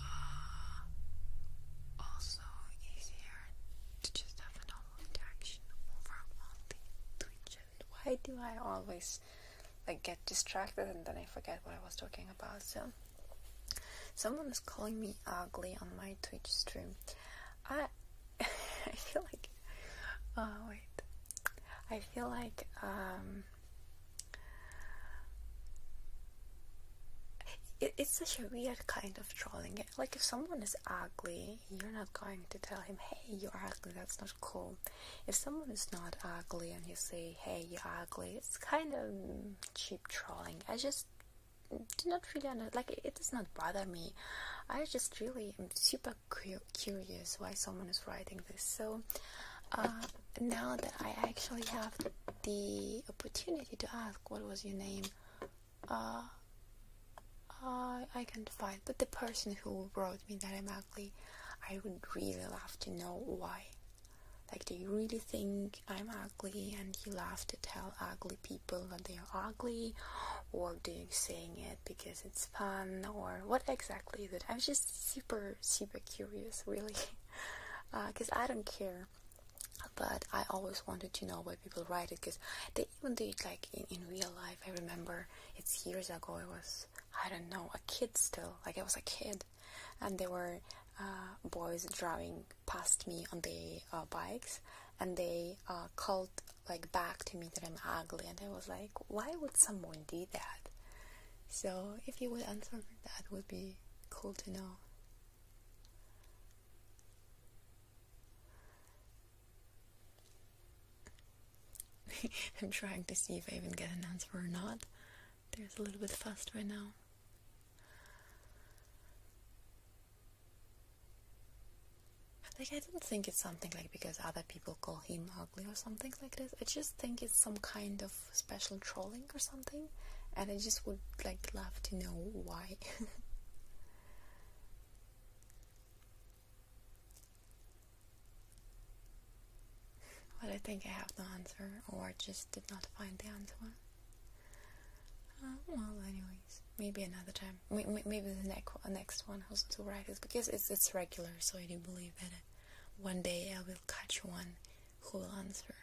Speaker 1: uh, also easier to just have a normal reaction over only Twitch. And why do I always like get distracted and then I forget what I was talking about? So someone is calling me ugly on my Twitch stream. I [LAUGHS] I feel like oh wait. I feel like um it's such a weird kind of trolling. Like if someone is ugly, you're not going to tell him, "Hey, you're ugly. That's not cool." If someone is not ugly and you say, "Hey, you're ugly," it's kind of cheap trolling. I just do not really under like it, does not bother me. I just really am super curious why someone is writing this. So. Uh, now that I actually have the opportunity to ask what was your name, uh, I, uh, I can't find. But the person who wrote me that I'm ugly, I would really love to know why. Like, do you really think I'm ugly and you love to tell ugly people that they are ugly? Or do you saying it because it's fun? Or what exactly is it? I'm just super, super curious, really. [LAUGHS] because [LAUGHS] uh, I don't care. But I always wanted to know why people write it because they even do it like in, in real life. I remember it's years ago. It was I don't know a kid still. Like I was a kid, and there were uh, boys driving past me on their uh, bikes, and they called like back to me that I'm ugly, and I was like, why would someone do that? So if you would answer that, would be cool to know. [LAUGHS] I'm trying to see if I even get an answer or not. There's a little bit fast right now. Like I don't think it's something like because other people call him ugly or something like this. I just think it's some kind of special trolling or something, and I just would like love to know why. [LAUGHS] but I think I have the answer, or just did not find the answer. Uh, well, anyways, maybe another time. maybe the next next one also to write is because it's it's regular, so I do believe that uh, one day I will catch one who will answer.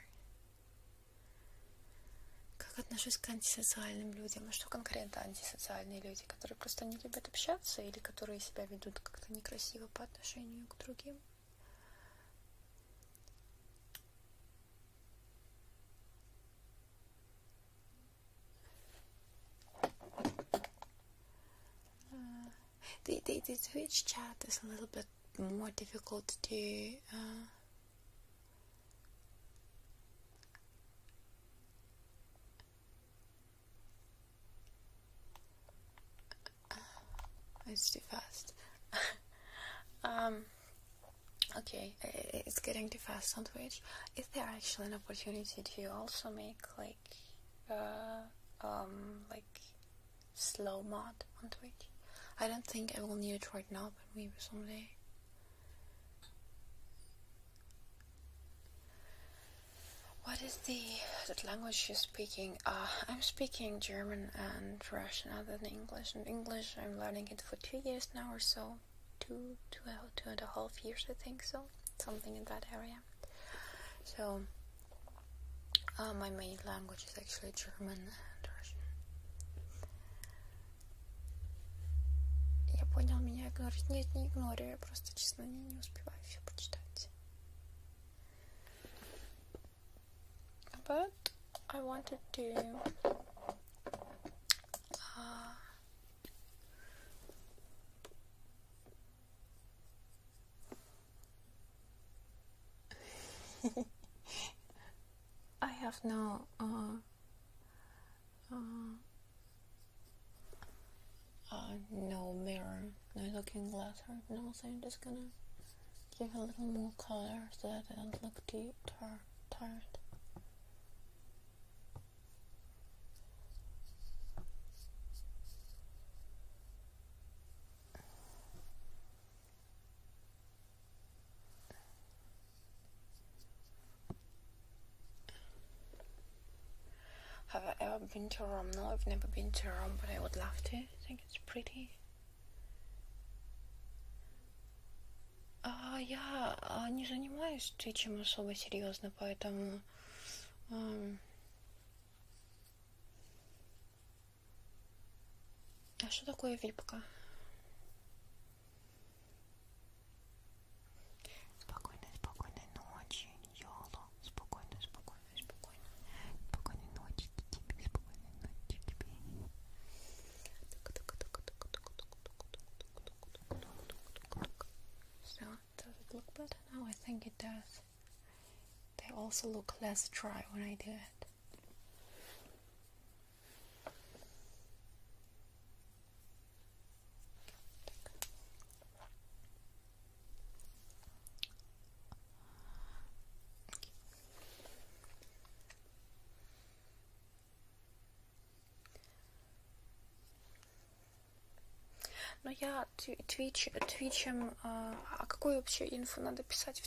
Speaker 1: Как отношусь к антисоциальным людям? А что конкретно антисоциальные люди, которые просто не любят общаться или которые себя ведут как-то некрасиво по отношению к другим? The, the, the Twitch chat is a little bit more difficult to uh, uh, it's too fast. [LAUGHS] um, okay, it's getting too fast, sandwich. Is there actually an opportunity to also make like, uh, um, like slow mod on Twitch. I don't think I will need it right now, but maybe someday. What is the, language you're speaking? Uh, I'm speaking German and Russian other than English. And English, I'm learning it for two years now or so. Two, two, two and a half years, I think so. Something in that area. So, Uh, my main language is actually German and Russian. Я понял, меня игнорит. Нет, не игнорю, я просто, честно, не, не успеваю все прочитать. But I wanted to uh, [LAUGHS] I have no uh, uh, uh, no mirror, no looking glass or nothing. Just gonna give a little more color so that it doesn't look too tar tired. Have I ever been to Rome? No, I've never been to Rome, but I would love to. I think it's pretty. А я не занимаюсь твичем особо серьезно, поэтому... А что такое випка? Спокойной, спокойной ночи, Йоло. Спокойной, спокойной, спокойной. Спокойной ночи тебе, спокойной ночи тебе. So, does it look better now? I think it does. They also look less dry when I do it. Но ну, я твич, э, твичем... А, а какую вообще инфу надо писать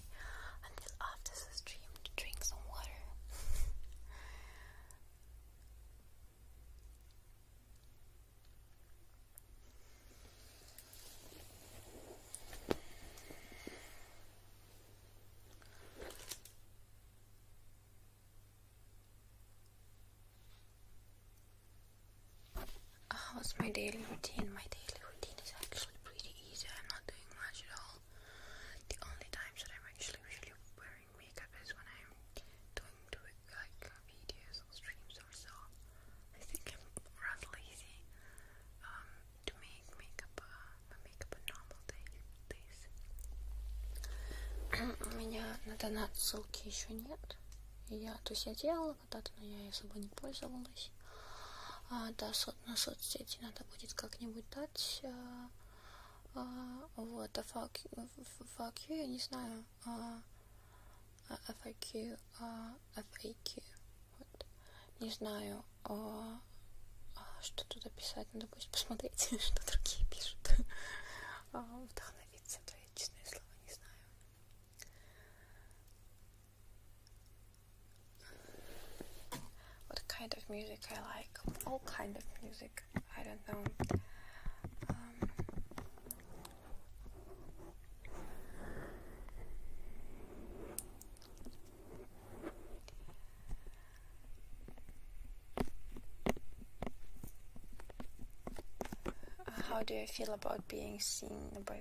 Speaker 1: away until after the stream to drink some water. How's my daily routine? My daily routine is actually pretty easy. I'm not doing much at all all. The only times that I'm actually usually wearing makeup is when I'm doing, like uh, videos or streams or so. I think I'm rather lazy um, to make makeup uh, makeup a normal day days. [CLEARS THROAT] У меня на донат ссылки еще нет. Я, то есть я делала когда-то, но я особо не пользовалась. да, на соцсети надо будет как-нибудь дать. А, а, вот, а fuck, fuck you, я не знаю. А, FAQ, а, а, а, а FAQ. Вот. Не знаю, а, что туда писать. Надо будет посмотреть, [LAUGHS] что другие пишут. А, вдохновиться, твои честные слова, не знаю. What kind of music I like? All kind of music. I don't know. Um, how do I feel about being seen by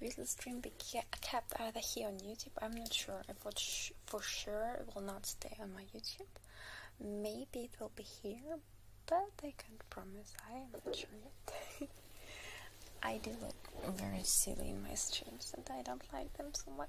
Speaker 1: Will the stream be kept either here on YouTube? I'm not sure for, for sure it will not stay on my YouTube. Maybe it will be here, but I can't promise. I am not sure yet. [LAUGHS] I do look very silly in my streams, and I don't like them so much.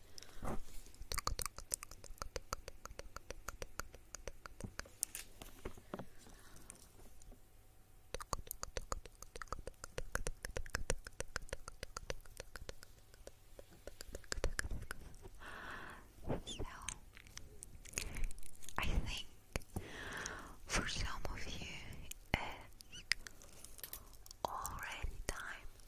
Speaker 1: So, I think for some of you already time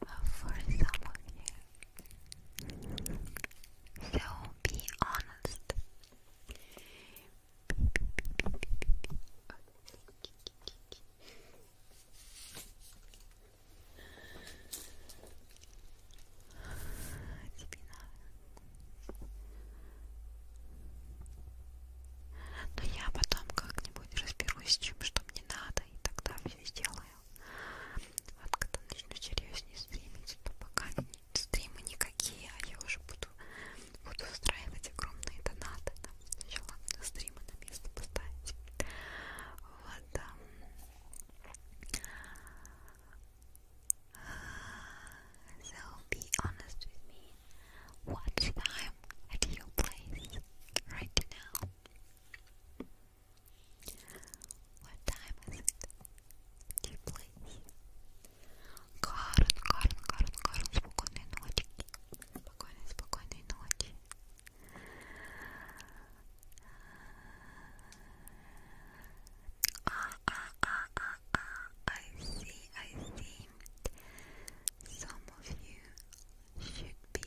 Speaker 1: for some of you. So be honest. Тебе надо. Но я потом как-нибудь разберусь с чем, что мне не надо, и тогда все сделаю. Вот когда начну серьезнее стримить, то пока стримы никакие, а я уже буду, буду устраивать огромные донаты. Да. Сначала стримы на место поставить. Вот, да. So be honest with me. What time at your place right now? What time is it? Do you please? Карен, Карен, Карен, Карен, спокойной ночи. Спокойной, спокойной ночи. Ah, ah, ah, ah, ah. I see, I see. Some of you should be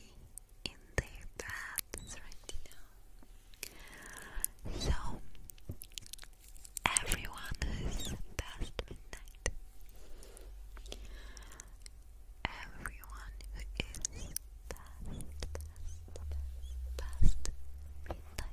Speaker 1: in their paths right now. So, everyone is past midnight. Everyone who is past, past, past midnight.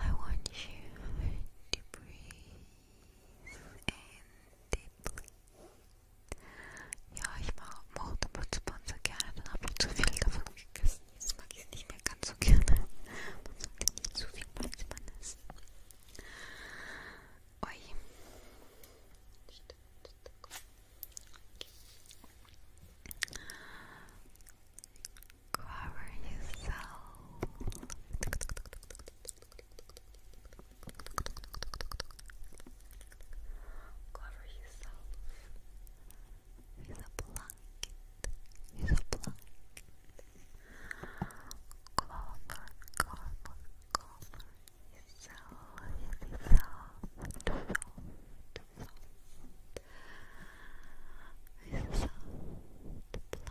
Speaker 1: I want you to breathe deeply. Ja, ich mache Multiple Sponsor gerne, dann habe ich zu viel davon gegessen. Jetzt es nicht mehr ganz so gerne. Man sollte nicht zu viel Malzmann essen. Oi cover yourself. Cover yourself with a blanket. With a blanket. Cover, cover, cover yourself. Yourself. Soft, soft.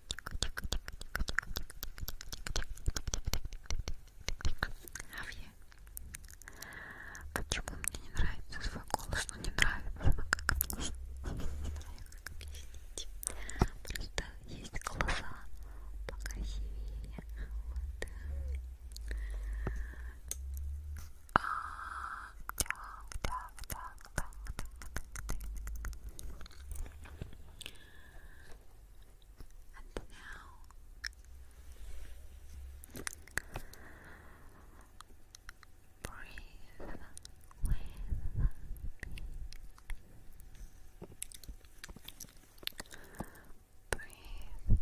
Speaker 1: А я? Почему мне не нравится свой голос? Ну не нравится, но как объяснить? Не знаю, как объяснить. Просто есть глаза покрасивее. Вот. А, так, так, так, так, так, так, так. and now breathe with me. Breathe with me. Breathe with me.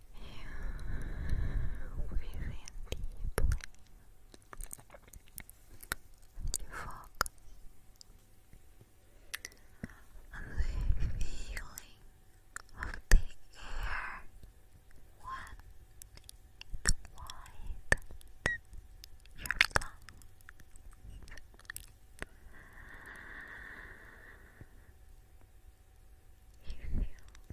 Speaker 1: You breathe in deeply. And you the feeling of the air when it widens your lungs you feel cold feeling in your whole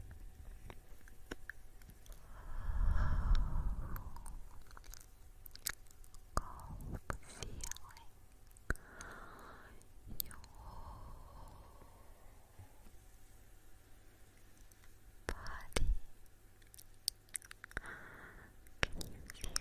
Speaker 1: body. Can you feel it? Can you, can you feel?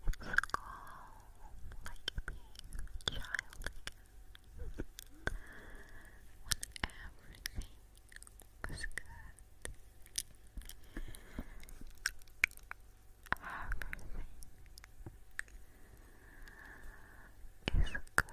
Speaker 1: calm like a child when everything was good. Everything is good now. It's good.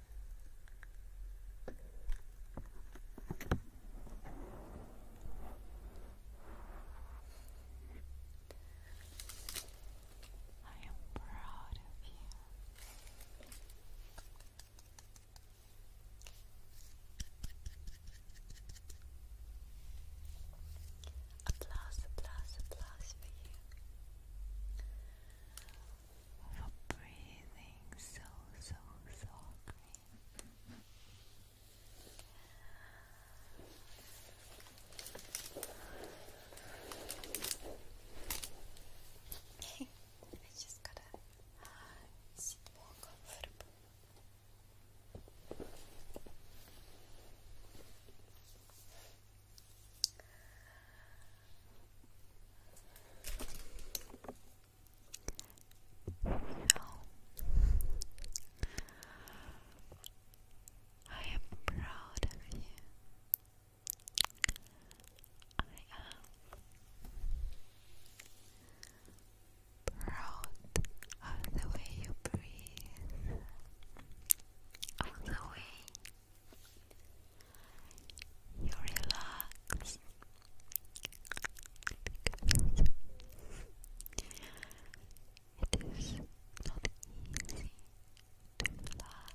Speaker 1: I am proud of you. Applause, applause, applause for you for breathing so, so softly.
Speaker 2: [LAUGHS] I just gotta sit more comfortable. Okay. So I am proud of you. I am proud of the way you breathe, of the way you relax, because it is not easy to relax.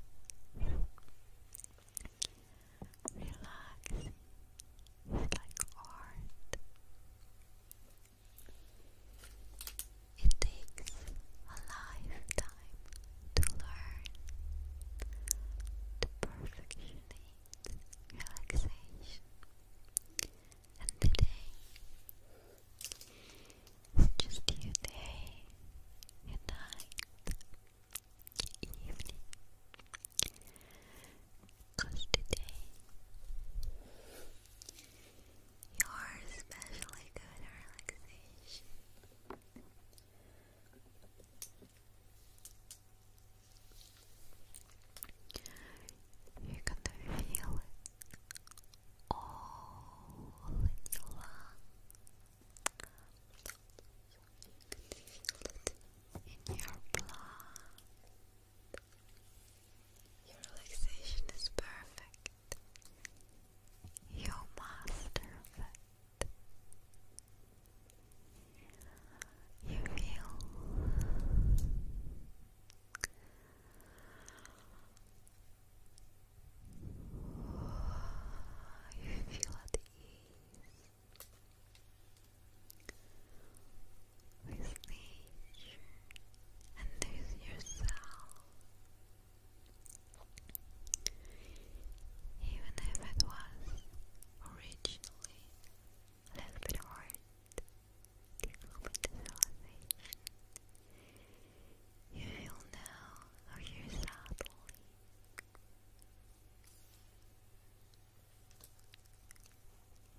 Speaker 2: Relaxing like art.
Speaker 1: It takes a lifetime to learn to perfectionly relaxation. And today just your day, your night, evening. Because today you're especially good at relaxation. You're gonna feel it all in your lungs. You can feel it in your blood. Your relaxation
Speaker 2: is perfect. You master of you feel you feel at ease with nature and with yourself even if it was originally a little bit hard developing You will know how you're saddling.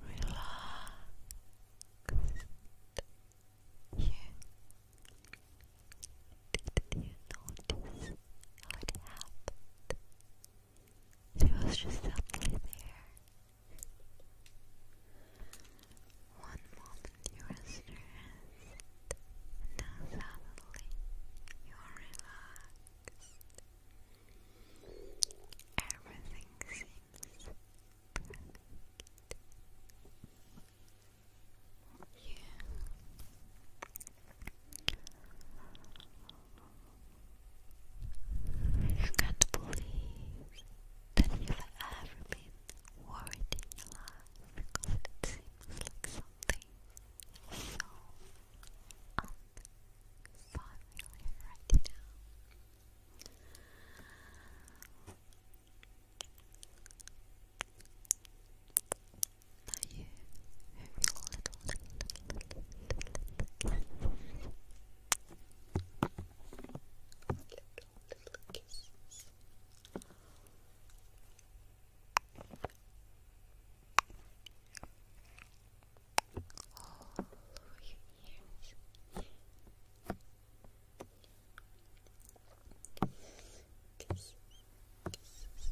Speaker 2: Relaxed. You did you notice how it it was just suddenly there. One moment you were stressed, and now suddenly you are Everything seems perfect. You can't believe that you've ever been worried in your life because it seems like something so unfamiliar right now. Now you have your little, Little kisses. All over your ears.
Speaker 1: Kisses, kisses. Kisses.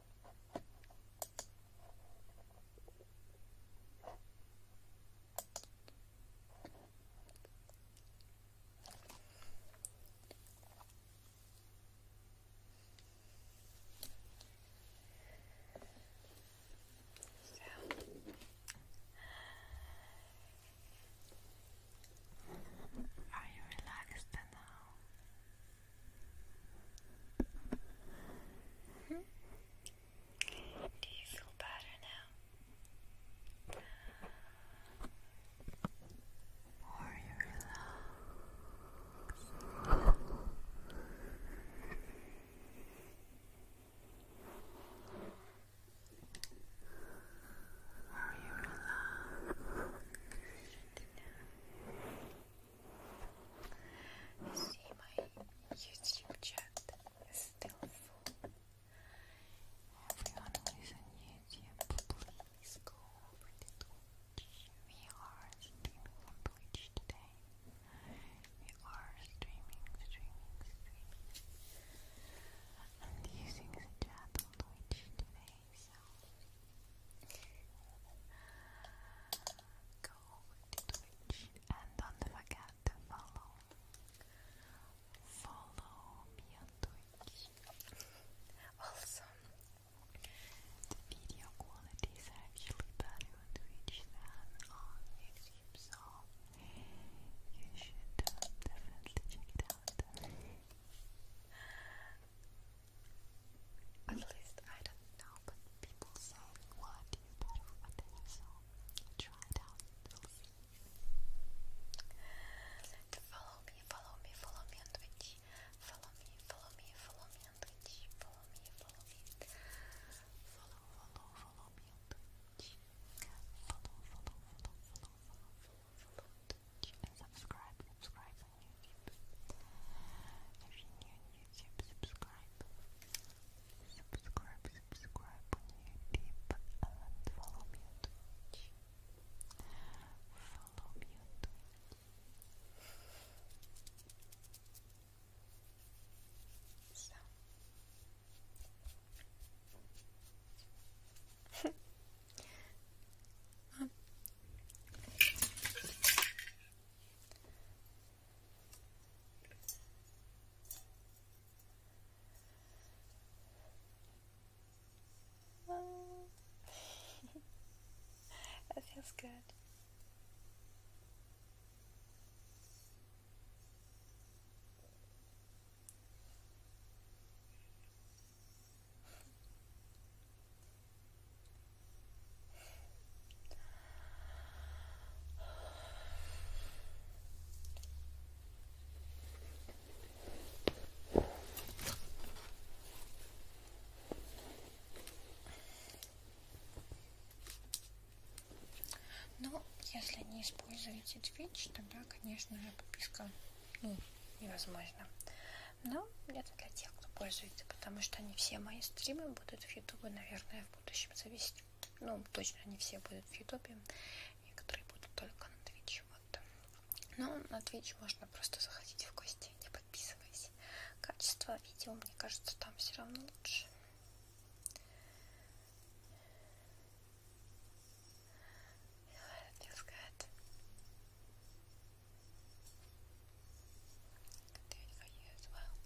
Speaker 1: So are you relaxed now? Hmm? Do you feel better now? More you relax. Are you relaxed now? I see my YouTube chat still full. Everyone who is on YouTube, please go We are streaming Twitch today. We are streaming, streaming, streaming. i using the chat Twitch today, go over and do forget to follow. Follow me on Twitch. Also, the video quality is actually better on Twitch than on YouTube, so you should definitely check it out. At least I don't know, but people say, what do you better for you so try it out, Follow me, follow me, follow me on Twitch. Follow me, follow me, follow me on Twitch. Follow me, follow me. Follow, follow, follow me on Twitch. Follow, follow, follow, follow, follow, follow, follow, follow Twitch. subscribe, subscribe, if you subscribe.
Speaker 2: Subscribe, subscribe on YouTube follow me Follow me So. [LAUGHS] Oh.
Speaker 1: [LAUGHS] that feels good. Но ну, если не используете Twitch, тогда, конечно же, подписка ну, невозможна. Но меня, это для тех, кто пользуется, потому что не все мои стримы будут в Ютубе, наверное, в будущем зависеть. Ну, точно не все будут в Ютубе, некоторые будут только на Твиче. Вот. Но на Твич можно просто заходить в гости, не подписываясь. Качество видео, мне кажется, там все равно лучше.
Speaker 2: can do for you as well.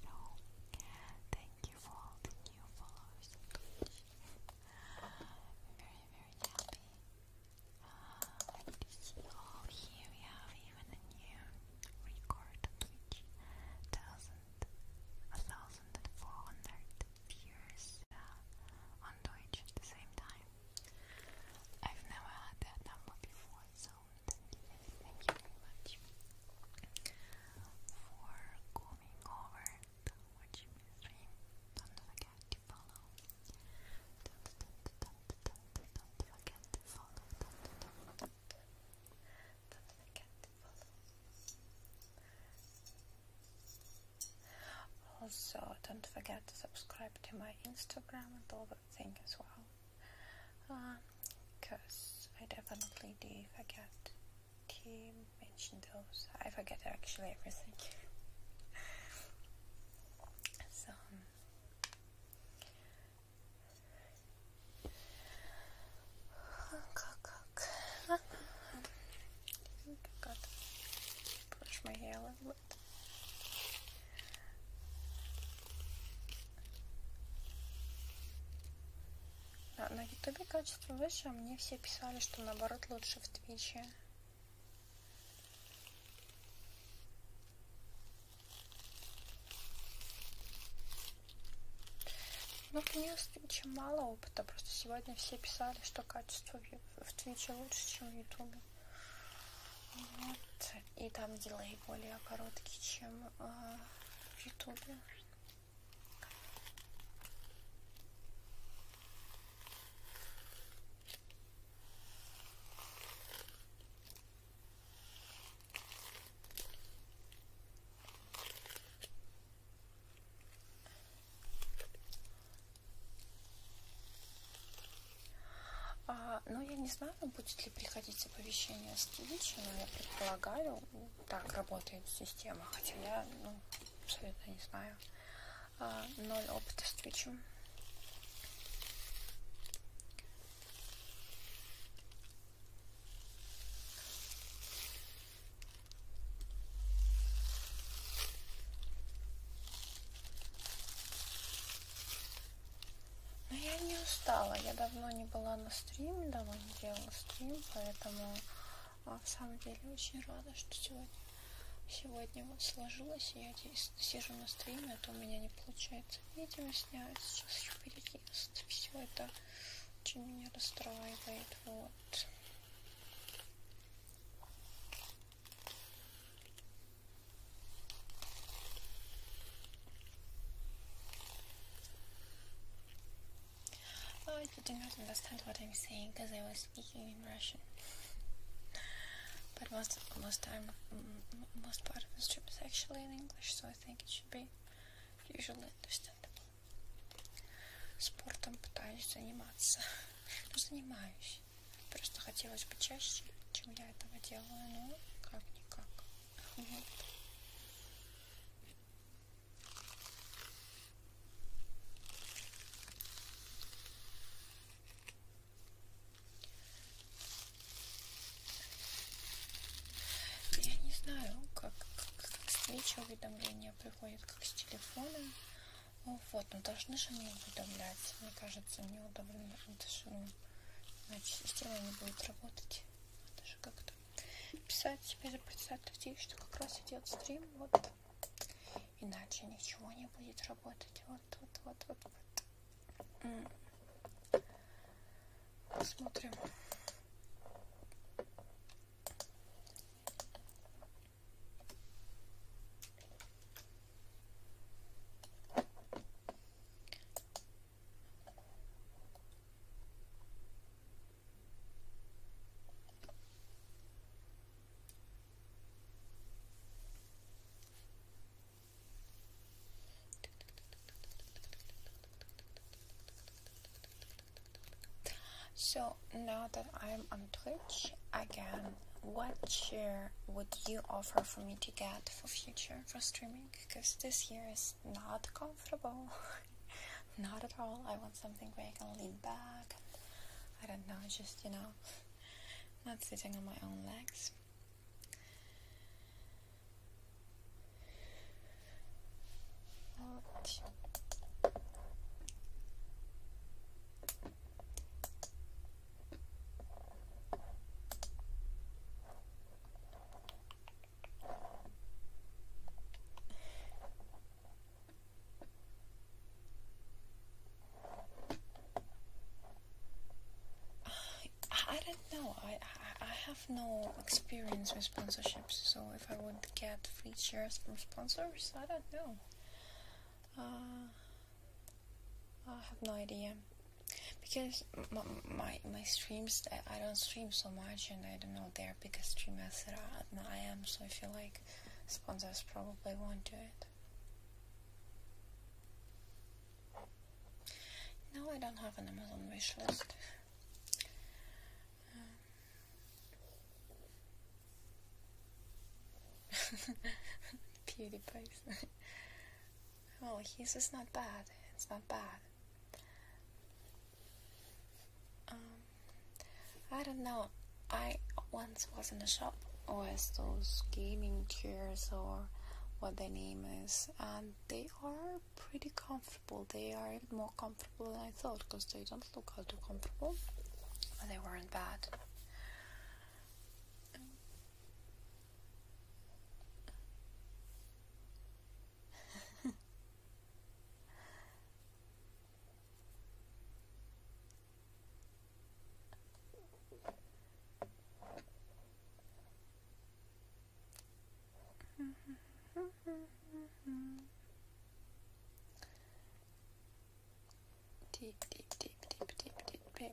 Speaker 2: So, thank you for all the new followers. I'm very, very happy uh,
Speaker 1: here. We have even a new record on Thousand, a thousand and four hundred viewers uh, on Twitch at the same time. I've never had that number before, so thank you, very much for going over Don't forget to follow. Don't, don't, don't, don't, don't forget to follow. Don't, don't. Don't forget to follow. Also, don't forget to subscribe to my Instagram and all that thing as well. Because um, I definitely do forget to mention those. I forget actually everything. [LAUGHS] so, um, I think I got to brush my hair a little было. Да, на ютубе качество выше, а мне все писали, что наоборот лучше в твиче. Ну, у меня с Твичем мало опыта, просто сегодня все писали, что качество в Твиче лучше, чем в Ютубе. Вот. И там дилей более короткий, чем э, в Ютубе. А, ну, я не знаю, будет ли приходить оповещение с Twitch, но я предполагаю, так работает система, хотя я, ну, абсолютно не знаю. А, ноль опыта с Twitch. Но ну, я не устала, я давно не была на стриме, давно не делала стрим, поэтому а, в самом деле очень рада, что сегодня, сегодня вот сложилось, и я здесь сижу на стриме, а то у меня не получается видео снять, сейчас еще переезд, все это очень меня расстраивает, вот. Oh, you do not understand what I'm saying because I was speaking in Russian. but most most time, most part of the strip is actually in English, so I think it should be usually understandable. Спортом пытаюсь заниматься. [LAUGHS] Ну, надеюсь. Просто хотелось бы чаще, чем я этого делаю, но как-никак. Вот. Я не знаю, как, как, как встреча уведомления приходит, как с телефона. Вот, ну должны же мне уведомлять. Мне кажется, мне удовлетворено сделаем. Иначе система не будет работать. Надо же как-то писать. Теперь представьте, что как раз идет стрим. Вот. Иначе ничего не будет работать. Вот, вот, вот, вот.
Speaker 2: вот. Посмотрим.
Speaker 1: So now that I'm on Twitch, I can what chair would you offer for me to get for future for streaming? Because this year is not comfortable, [LAUGHS] not at all. I want something where I can lean back. I don't know, just you know, not sitting on my own legs. Ouch. I, don't know. I, I, have no experience with sponsorships, so if I would get free shares from sponsors, I don't know. Uh, I have no idea because my, my, streams I don't stream so much and I don't know their biggest streamers as I am so I feel like sponsors probably won't do it. No, I don't have an Amazon wish list. PewDiePie. Um. [LAUGHS] [LAUGHS] Oh, he's just not bad. It's not bad. Um, I don't know. I once was in a shop with those gaming chairs or what the name is, and they are pretty comfortable. They are even more comfortable than I thought because they don't look all too comfortable, but they weren't bad deep, deep, deep, deep, deep, deep, deep.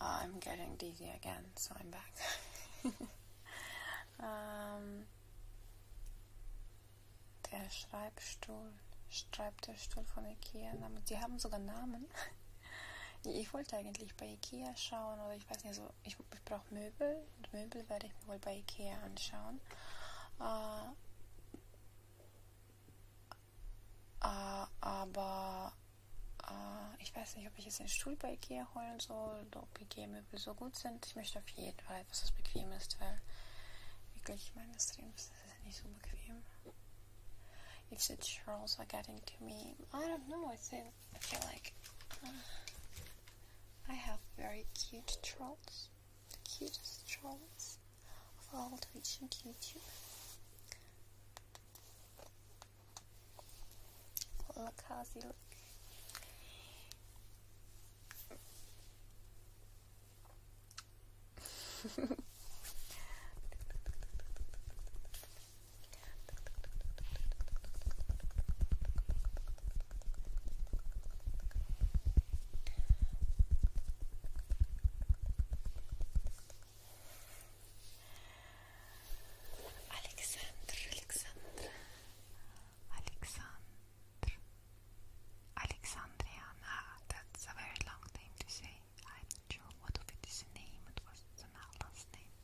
Speaker 1: Oh, I'm getting dizzy again, so I'm back. ähm, [LAUGHS] der Schreibstuhl, Schreibtischstuhl von Ikea. Die haben sogar Namen. [LAUGHS] Ich wollte eigentlich bei Ikea schauen oder ich weiß nicht, so ich, ich brauche Möbel. Und Möbel werde ich mir wohl bei Ikea anschauen. Äh, äh, aber äh, ich weiß nicht, ob ich jetzt den Stuhl bei Ikea holen soll oder ob Ikea-Möbel so gut sind. Ich möchte auf jeden Fall etwas, das bequem ist, weil wirklich meine Streams sind nicht so bequem. If the trolls are getting to me, I don't know. It's in, I feel like uh, I have very cute trolls, the cutest trolls of all Twitch and YouTube.
Speaker 2: Look how she look.
Speaker 1: Alexandr, Alexandr, Alexandr, Alexandriana. That's a very long name to say. I'm not sure what of it is a name. It was somehow last name.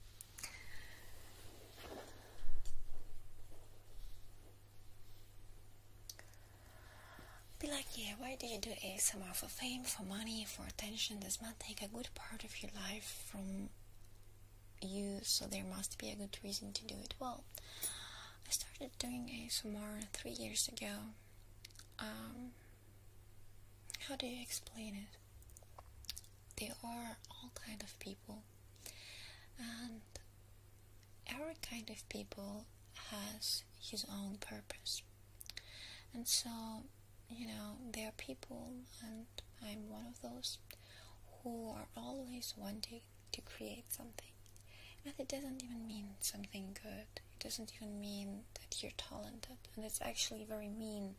Speaker 1: Be like, yeah, why do you do ASMR for fame, for money, for attention? Does not take a good part of your life from you, so there must be a good reason to do it well. I started doing ASMR three years ago. Um, how do you explain it? There are all kind of people, and every kind of people has his own purpose, and so you know, there are people, and I'm one of those who are always wanting to create something. And it doesn't even mean something good, it doesn't even mean that you're talented, and it's actually very mean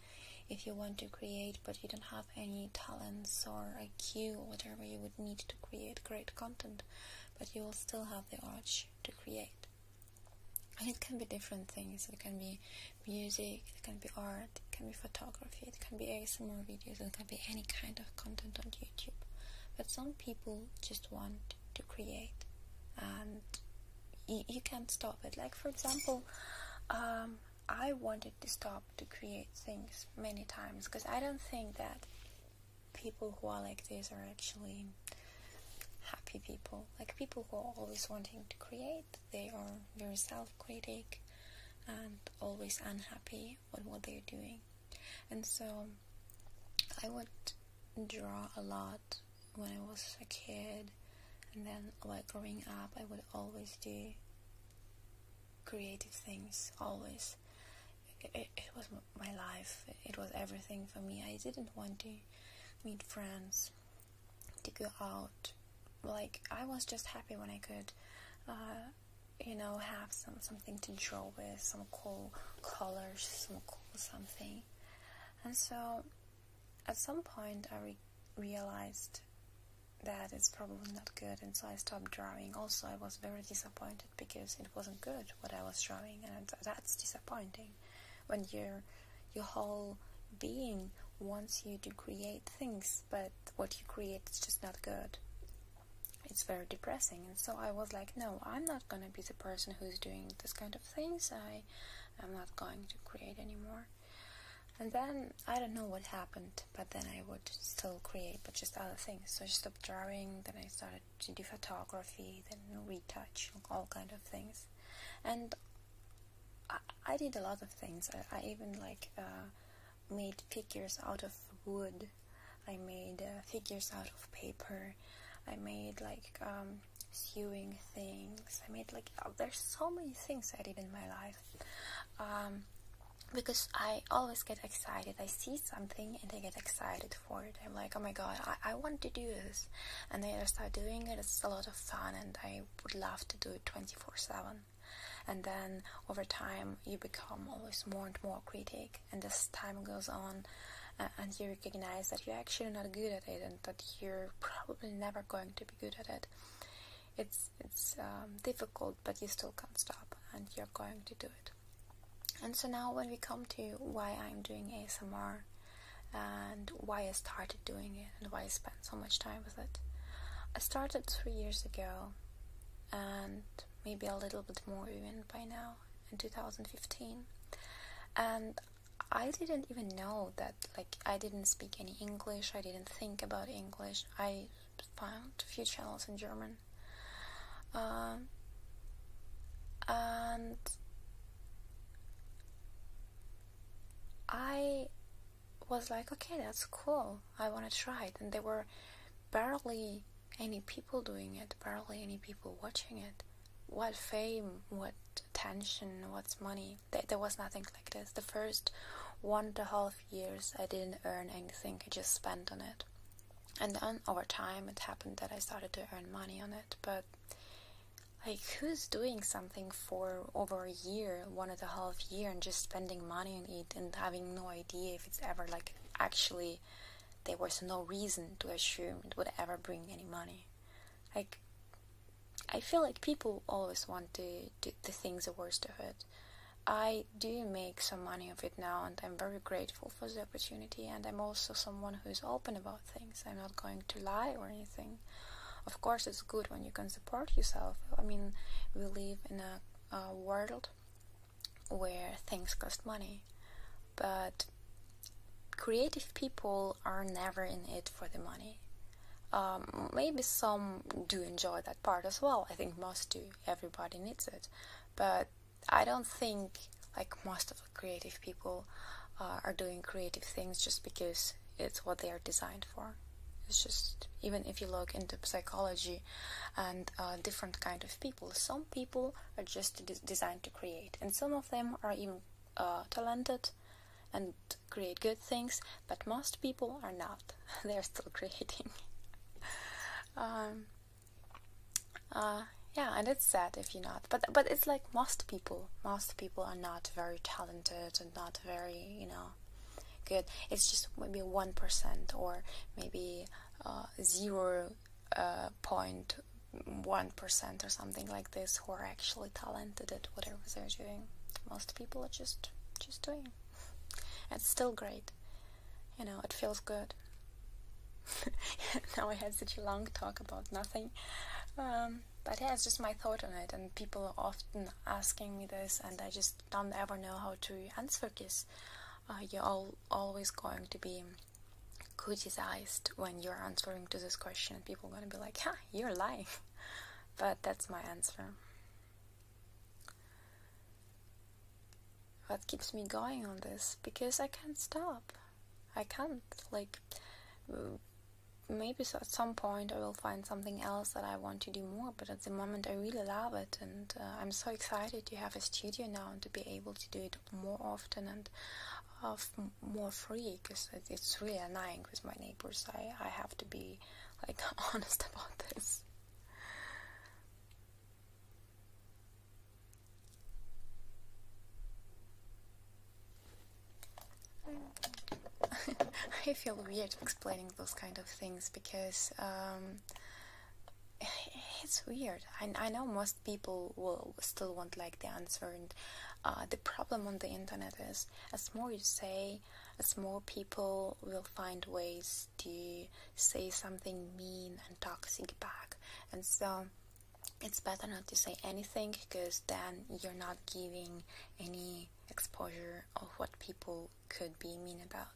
Speaker 1: if you want to create but you don't have any talents or IQ or whatever you would need to create great content, but you will still have the urge to create. And it can be different things. It can be music, it can be art, it can be photography, it can be ASMR videos, it can be any kind of content on YouTube. But some people just want to create and you, can't stop it. Like, for example, um, I wanted to stop to create things many times because I don't think that people who are like this are actually happy people. Like people who are always wanting to create they are very self critical and always unhappy with what they're doing. And so I would draw a lot when I was a kid, and then like growing up, I would always do creative things, always. it was my life, it was everything for me. I didn't want to meet friends to go out. Like I was just happy when I could, uh, you know, have some something to draw with, some cool colors, some cool something. And so, at some point, I realized that it's probably not good, and so I stopped drawing. Also, I was very disappointed because it wasn't good what I was drawing, and that's disappointing when your your whole being wants you to create things but what you create is just not good. It's very depressing, and so I was like, no, I'm not gonna be the person who's doing this kind of things. I am not going to create anymore. And then I don't know what happened, but then I would still create, but just other things. So I stopped drawing. Then I started to do photography, then retouch, all kind of things, and I, did a lot of things. I, even like uh, made figures out of wood. I made uh, figures out of paper. I made like um, sewing things. I made like oh, there's so many things I did in my life. Um, because I always get excited. I see something and I get excited for it. I'm like, oh my god, I, I want to do this. And then I start doing it. It's a lot of fun and I would love to do it 24 7 and then over time you become always more and more critic and as time goes on uh, and you recognize that you're actually not good at it and that you're probably never going to be good at it it's it's um, difficult but you still can't stop and you're going to do it and so now when we come to why i'm doing asmr and why i started doing it and why I spent so much time with it. I started three years ago and maybe a little bit more even by now in 2015 and I didn't even know that like I didn't speak any English I didn't think about English I found a few channels in German um, and I was like, okay, that's cool. I want to try it. And there were barely any people doing it, barely any people watching it. What fame, what attention, what's money? There, was nothing like this. The first one and a half years, I didn't earn anything, I just spent on it. And then over time, it happened that I started to earn money on it. But, like, who's doing something? for over a year, one and a half year, and just spending money on it and having no idea if it's ever like actually there was no reason to assume it would ever bring any money. Like, I feel like people always want to do the things the worst of it. I do make some money of it now, and I'm very grateful for the opportunity. And I'm also someone who is open about things. I'm not going to lie or anything. Of course, it's good when you can support yourself. I mean, we live in a, world where things cost money, but creative people are never in it for the money. Um, maybe some do enjoy that part as well. I think most do. Everybody needs it. But I don't think like most of the creative people uh, are doing creative things just because it's what they are designed for it's just even if you look into psychology and uh, different kind of people some people are just designed to create and some of them are even uh, talented and create good things but most people are not [LAUGHS] they're still [LAUGHS] creating um, uh, yeah and it's sad if you're not but but it's like most people most people are not very talented and not very you know good it's just maybe 1% or maybe 0.1% uh, uh, or something like this who are actually talented at whatever they're doing most people are just just doing it's still great you know it feels good [LAUGHS] now i had such a long talk about nothing um, but yeah it's just my thought on it and people are often asking me this and i just don't ever know how to answer this. Uh, you're always going to be criticized when you're answering to this question. People are going to be like, "Yeah, you're lying," [LAUGHS] but that's my answer. What keeps me going on this? Because I can't stop. I can't like maybe at some point I will find something else that I want to do more. But at the moment, I really love it, and uh, I'm so excited to have a studio now and to be able to do it more often and uh, more free because it's really annoying with my neighbors. I, I have to be like [LAUGHS] honest about this. [LAUGHS] I feel weird explaining those kind of things because um, [SIGHS] it's weird. I, know most people will still won't like the answer, and uh, the problem on the internet is as more you say, as more people will find ways to say something mean and toxic back, and so it's better not to say anything because then you're not giving any exposure of what people could be mean about.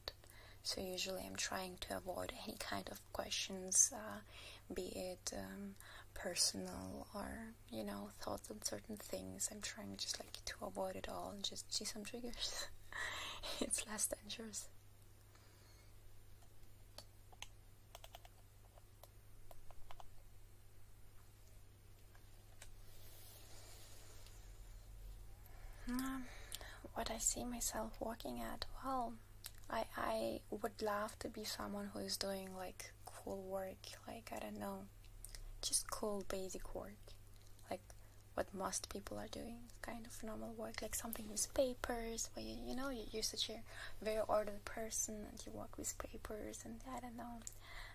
Speaker 1: So usually I'm trying to avoid any kind of questions, uh, be it um, personal or you know thoughts on certain things. I'm trying just like to avoid it all and just see some triggers. [LAUGHS] it's less dangerous. Um, what I see myself working at, well, I I would love to be someone who is doing like cool work, like I don't know, just cool basic work, like what most people are doing, kind of normal work, like something with papers, where you, know you, you're such a very ordered person and you work with papers and I don't know,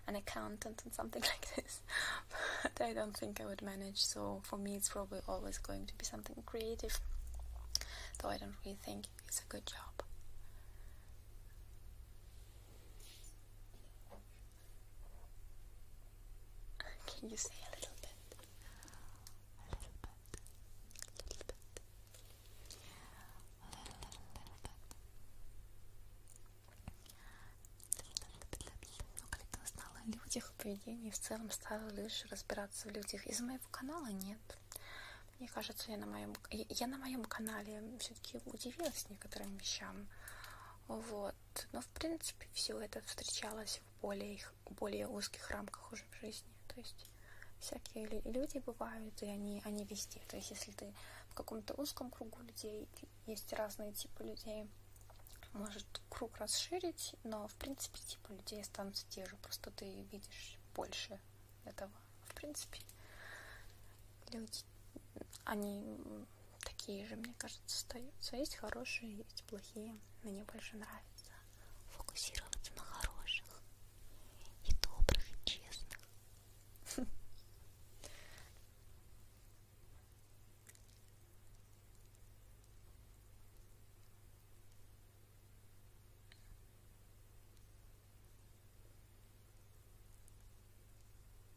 Speaker 1: an accountant and something [LAUGHS] like this, but I don't think I would manage. So for me, it's probably always going to be something creative. Though I don't really think it's a good job. Can you say a little bit? A little bit. A little bit. A little, little, little bit. Ну, когда узнала о людях, поведении, в целом стала лишь разбираться в людях. Из моего канала нет. Мне кажется, я на моем, я на моем канале все-таки удивилась некоторым вещам. Вот. Но, в принципе, все это встречалось в более, более узких рамках уже в жизни. То есть всякие люди бывают, и они, они везде. То есть, если ты в каком-то узком кругу людей, есть разные типы людей. Может круг расширить, но в принципе типы людей останутся те же. Просто ты видишь больше этого. В принципе, люди, они такие же, мне кажется, остаются. Есть хорошие, есть плохие. Мне больше нравится фокусироваться на хороших и добрых, и честных.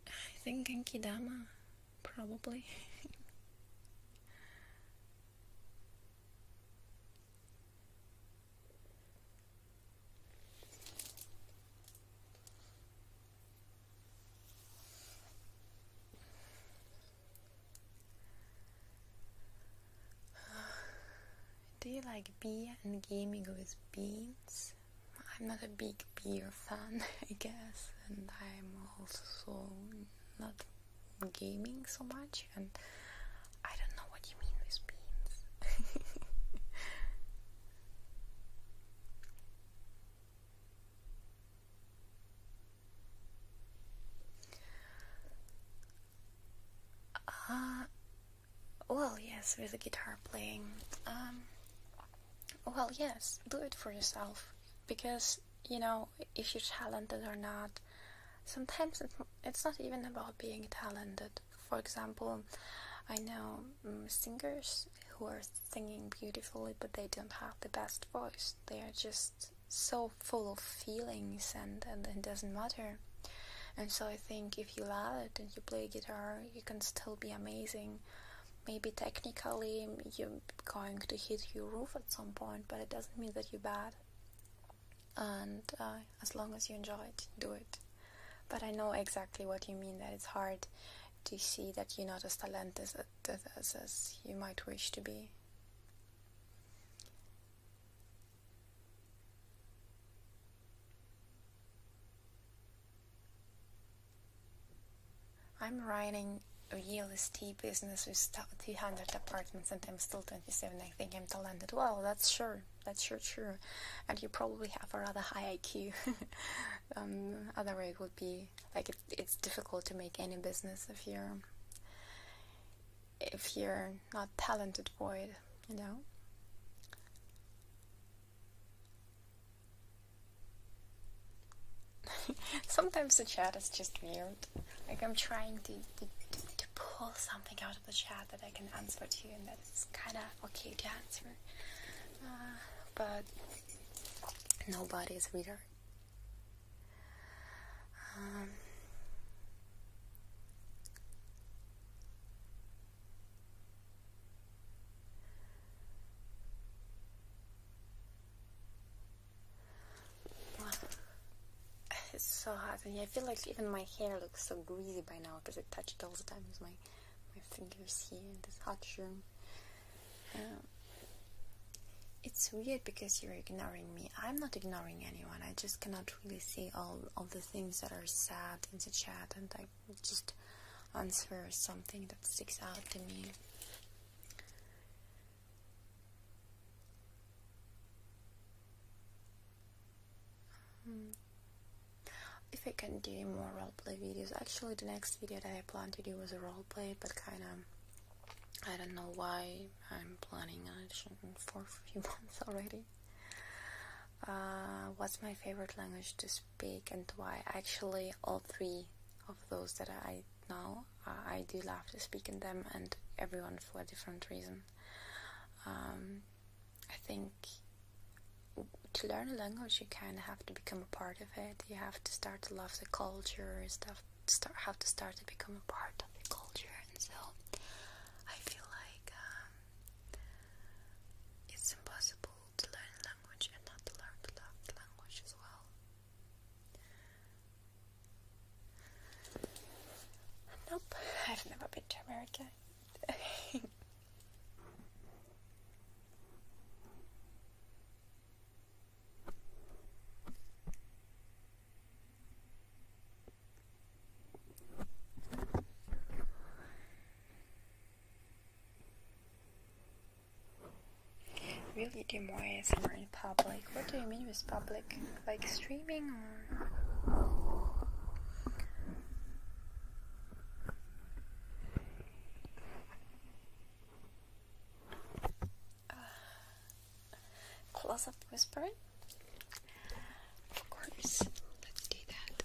Speaker 1: I think Genkidama, probably. [SIGHS] Do you like beer and gaming with beans? I'm not a big beer fan, [LAUGHS] I guess, and I'm also not gaming so much, and I don't know what you mean with beans. [LAUGHS] Uh, well, yes, with the guitar playing. Um, well, yes, do it for yourself. Because, you know, if you're talented or not, sometimes it's not even about being talented. For example, I know mm, singers who are singing beautifully, but they don't have the best voice. They are just so full of feelings, and, and it doesn't matter. And so I think if you love it and you play guitar, you can still be amazing. Maybe technically you're going to hit your roof at some point, but it doesn't mean that you're bad. And uh, as long as you enjoy it, do it. But I know exactly what you mean that it's hard to see that you're not as talented death as, as you might wish to be. I'm running a real estate business with 200 apartments and I'm still 27. I think I'm talented. Well, that's sure. That's sure true. And you probably have a rather high IQ. [LAUGHS] um, other way would be like it's difficult to make any business if you're if you're not talented for it, you know. [LAUGHS] Sometimes the chat is just weird. Like I'm trying to, to, pull something out of the chat that I can answer to, and that's kind of okay to answer. Uh, but nobody is reader wow. Um, [SIGHS] it's so hot and I feel like even my hair looks so greasy by now because I touch it all the time with my my fingers here in this hot room. Um, it's weird because you're ignoring me. I'm not ignoring anyone. I just cannot really see all of the things that are sad in the chat, and I just answer something that sticks out to me. Hmm. if I can do more roleplay videos, actually the next video that I plan to do was a roleplay, but kind of I don't know why I'm planning an audition for a few [LAUGHS] months already. Uh, what's my favorite language to speak and why? Actually, all three of those that I know, uh, I do love to speak in them, and everyone for a different reason. Um, I think to learn a language, you kind of have to become a part of it. You have to start to love the culture, stuff start have to start to become a part of the culture, and so I feel like um, it's impossible to learn a language and not to learn to love language as well. Nope, I've never been to America. [LAUGHS] Really do more ASMR in public. What do you mean with public? Like streaming or uh, close up whispering. Of course, let's do that.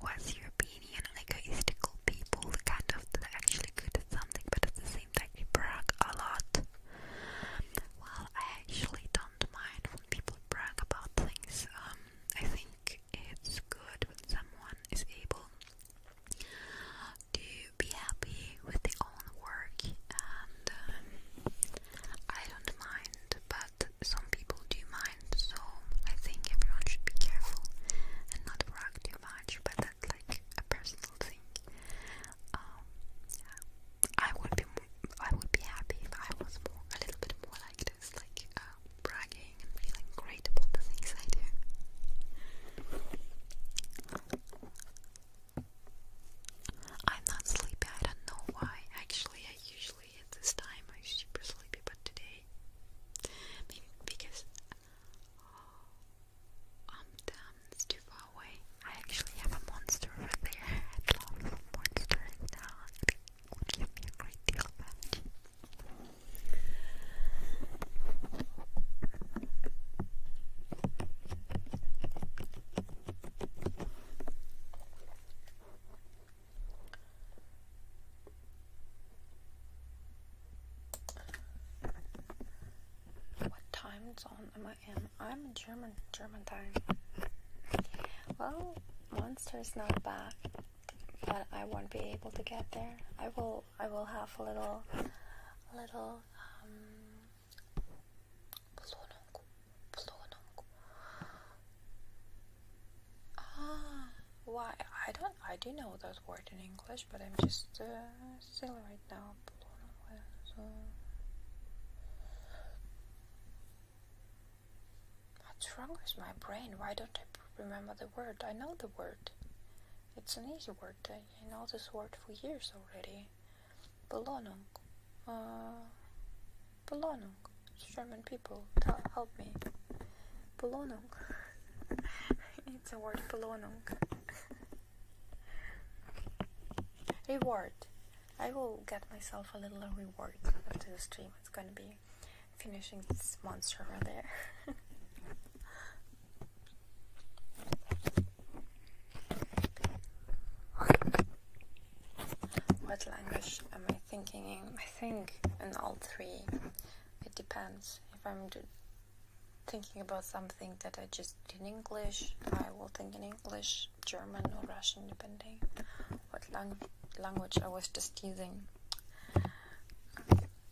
Speaker 1: What's your opinion on people, kind of actually good at something but at the same they brag a lot? Well, I actually don't mind when people brag about things. Um, I think it's good when someone is able to be happy with their own work, and um, I don't mind, but some people do mind, so I think everyone should be careful and not work too much, but that's like a personal thing. Um, yeah. I would be, I would be happy if I was more, a little bit more like like um, bragging and feeling great about the things I do. I'm not sleepy, I don't know why. Actually, I usually at this time I'm super sleepy, but today, maybe because oh, um, Amsterdam's too far away. I actually have a monster over there. I love now. It me a deal what time zone am I in? I'm in German, German time. Well, Monster's not back but I won't be able to get there. I will I will have a little little um Ah, why I don't I do know that word in English, but I'm just uh, silly right now. What's wrong with my brain? Why don't I remember the word? I know the word. It's an easy word. I know this word for years already. Belohnung. Uh, Belohnung. German people, help me. Belohnung. [LAUGHS] it's a word, Belohnung. [LAUGHS] reward. I will get myself a little reward after the stream. It's gonna be finishing this monster over there. [LAUGHS] what language am I thinking in? I think in all three. It depends. If I'm thinking about something that I just did in English, I will think in English, German, or Russian, depending what language I was just using.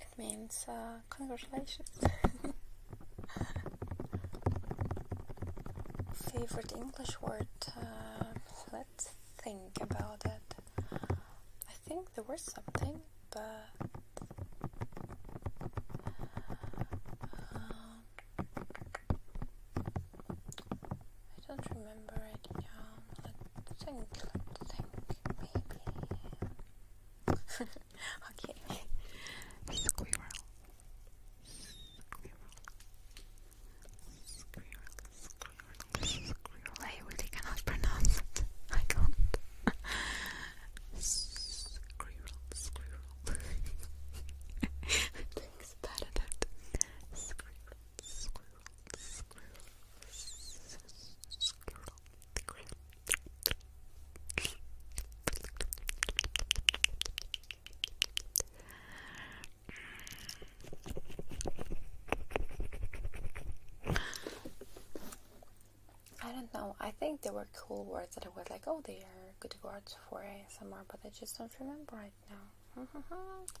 Speaker 1: It means uh, congratulations. [LAUGHS] Favorite English word? Uh, let's think about it. I think there was something, but. Um, I don't remember it. Um, Think, think, baby. okay. Squirrel. Squirrel.
Speaker 2: Squirrel. Squirrel. Squirrel. I really cannot pronounce it. I can't. Squirrel. Squirrel. Thanks, better that. Squirrel.
Speaker 1: I don't know. I think there were cool words that I was like, oh, they are good words for ASMR, but I just don't remember right now. [LAUGHS]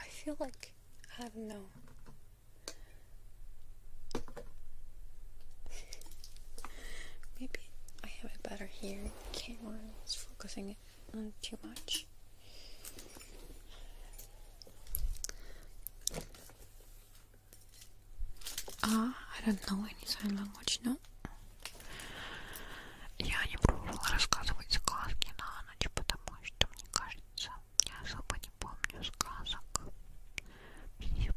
Speaker 1: I feel like I have no. Maybe I have it better here. Camera is focusing on too much. А, I don't know any sign language, no. Я не пробовала рассказывать сказки на ночь, потому что, мне кажется, я особо не помню сказок ее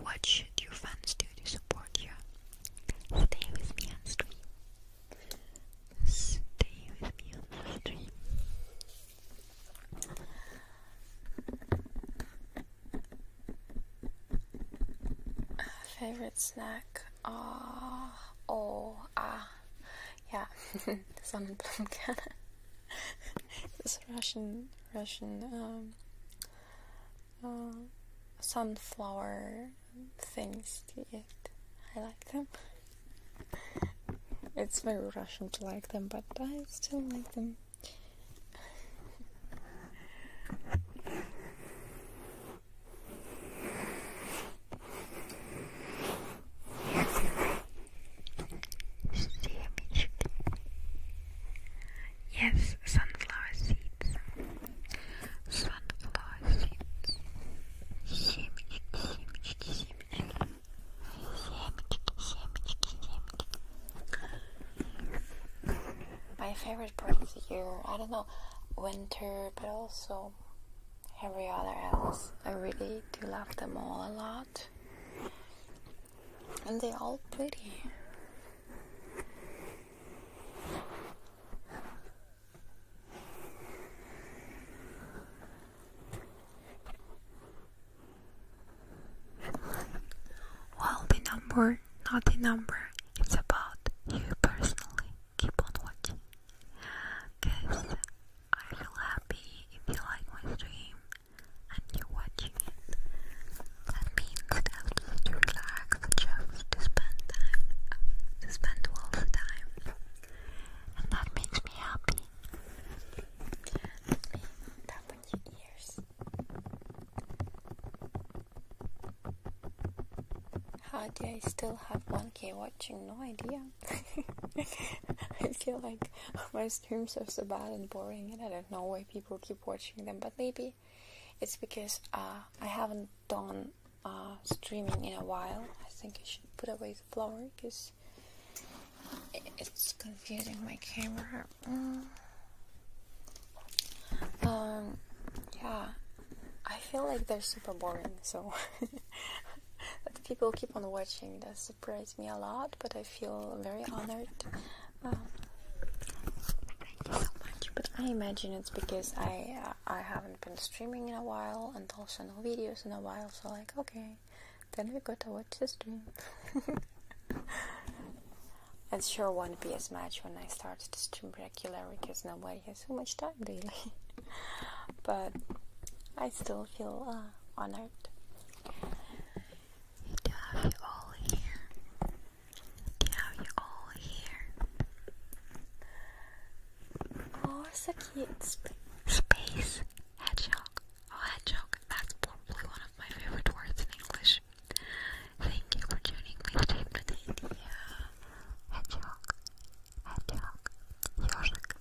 Speaker 1: What should your fans to support you? Stay with me on stream. Stay with me on stream. Favorite snack? Ah, oh, oh, ah, yeah, Sonnenblumenkerne. [LAUGHS] this [LAUGHS] Russian, Russian, um, uh, sunflower things to eat. I like them. [LAUGHS] It's very Russian to like them, but I still like them.
Speaker 2: Семечки. Yes, sunflower seeds. Sunflower seeds. Семечки,
Speaker 1: My favorite part of the year, I don't know, winter, but also every other else. I really do love them all a lot. And they're all pretty. Well, the number, not the number, it's about you personally. Keep on watching. Guys, I feel happy if you like my stream and you're watching it. That means that just to relax, just to spend time, uh, to spend all the time. And that makes me happy. Let me tap on your ears. How do I still have 1k watching? No idea. [LAUGHS] I feel like my streams are so bad and boring, and I don't know why people keep watching them, but maybe it's because uh, I haven't done uh, streaming in a while. I think I should put away the flower because it's confusing my camera. Mm. Um, yeah, I feel like they're super boring, so [LAUGHS] that people keep on watching. That's surprised me a lot, but I feel very honored. Um, but I imagine it's because I uh, I haven't been streaming in a while and also no videos in a while, so like okay, then we gotta watch this stream. [LAUGHS] it sure won't be as much when I start to stream regularly because nobody has so much time daily. [LAUGHS] but I still feel uh, honored to have you all here. To have you all here. Oh, it's a cute space hedgehog. Oh, hedgehog. That's probably one of my favorite words in English. Thank you for tuning me today. Yeah. Hedgehog. Hedgehog. Ёжик.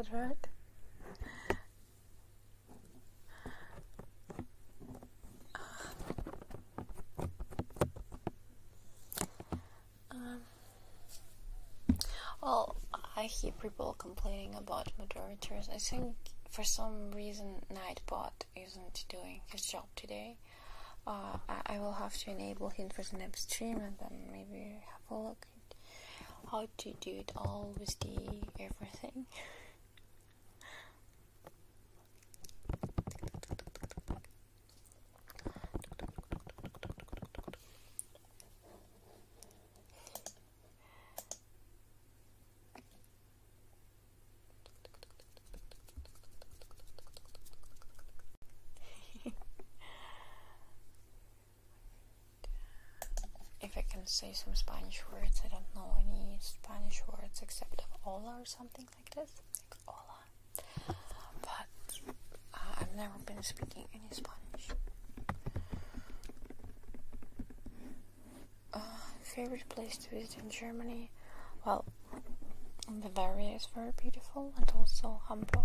Speaker 1: Bad, right? Um, well, I hear people complaining about moderators. I think for some reason Nightbot isn't doing his job today. Uh, I, will have to enable him for the next stream and then maybe have a look how to do it all with the everything. [LAUGHS] if I can say some Spanish words, I don't know any Spanish words except of hola or something like this, like hola. But uh, I've never been speaking any Spanish. Uh, favorite place to visit in Germany? Well, Bavaria is very beautiful, and also Hamburg.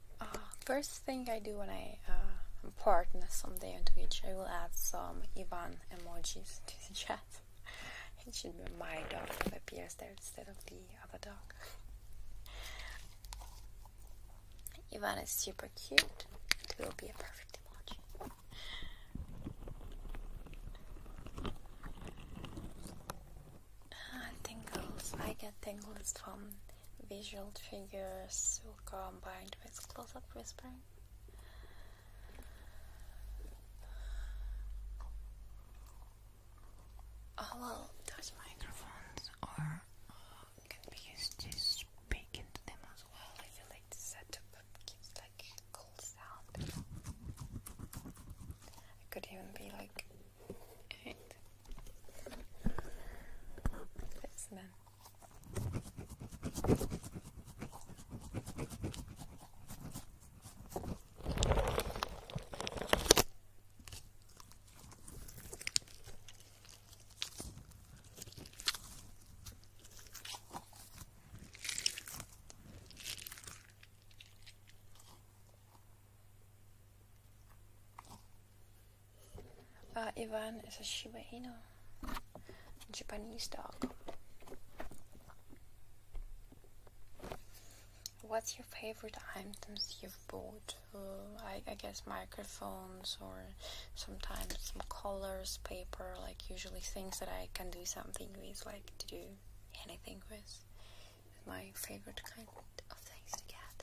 Speaker 1: Uh, first thing I do when I uh, partner someday on Twitch, I will add some Ivan emojis [LAUGHS] to the chat. it should be my dog that appears there instead of the other dog. Ivan is super cute. It will be a perfect emoji. Ah, tingles. I get tingles from visual triggers combined with close up whispering. Oh well, those microphones are uh, can be used to speak into them as well. I feel like the setup gives like cool sound. It could even be like Alright. Put some in. Uh, Ivan is a Shiba Inu, Japanese dog. What's your favorite items you've bought? Uh, I, guess microphones or sometimes some colors, paper, like usually things that I can do something with, like to do anything with. my favorite kind of things to get.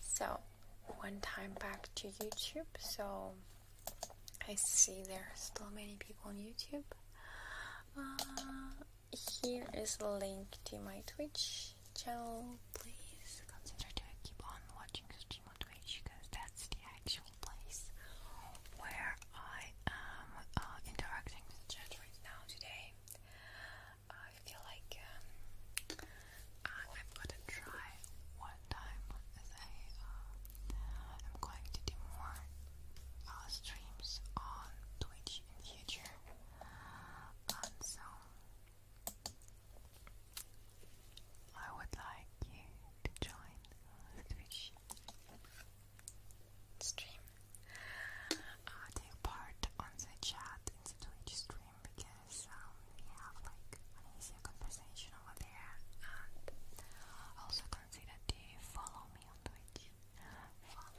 Speaker 1: So, one time back to YouTube. So, I see there are still many people on YouTube. Uh, here is a link to my Twitch channel. Please consider to keep on watching stream on Twitch because that's the actual place where I am uh, interacting with the chat right now today. I feel like um, I've got to try one time I uh, am going to do more uh, streams on Twitch in future, and um, so I would like you to join Twitch stream uh, take part on the chat in the Twitch stream because um, we have like an easier conversation over there also consider to follow me on Twitch follow me on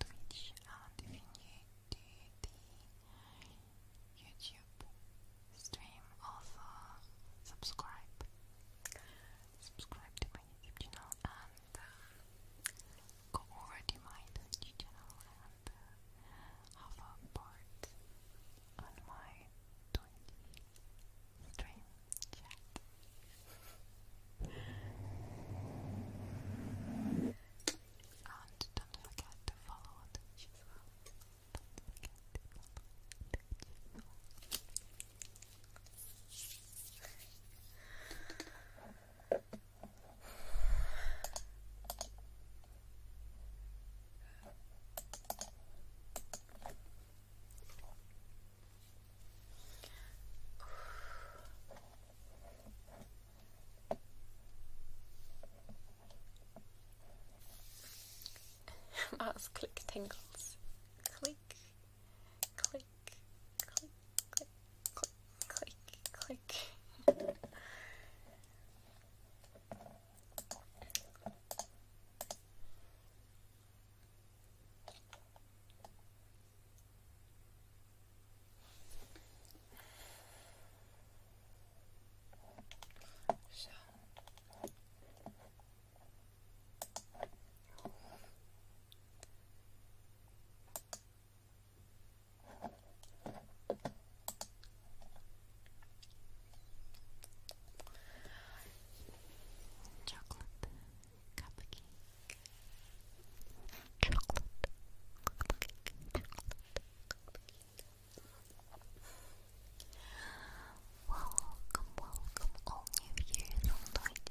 Speaker 1: Twitch and if you need the YouTube stream also uh, subscribe subscribe to my YouTube channel and um, go already my Twitch channel and uh, have a part on my Twitch chat. and don't forget to follow Twitch as well. [LAUGHS] Mouse click tingles. Click, click, click, click, click, click, click, click. So Chocolate cupcake. Chocolate cupcake. Welcome, welcome all new years, all night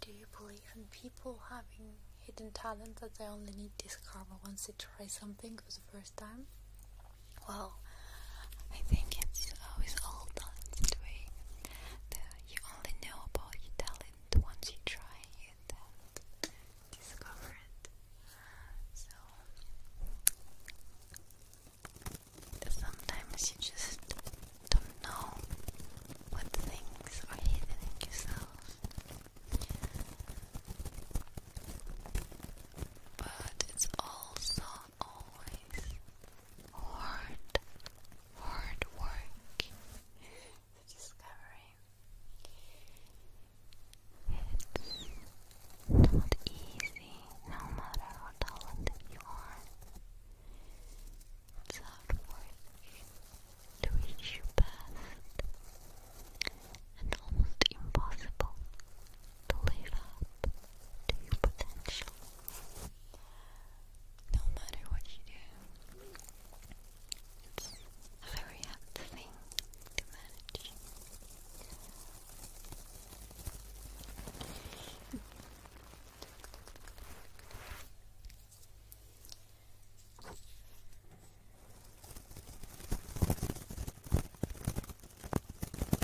Speaker 1: Do you believe in people having hidden talent that they only need to discover once they try something for the first time? Well, I think it's uh, all talents that way. you only know about your talent once you try it discover it. So sometimes you just don't know what things are hidden in yourself. But it's also not always hard, hard work to discovery. It's not easy, no matter how talented you are. It's hard work to reach your best, and almost impossible to live up to your potential no matter what you do. It's a very hard thing to manage.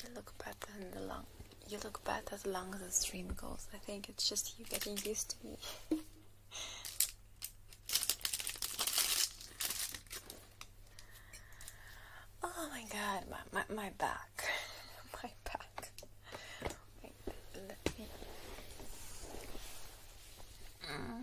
Speaker 1: You look better than the long. You look better than the long as the stream goes. I think it's just you getting used to me. [LAUGHS] Oh my god, my my, back. my back. [LAUGHS]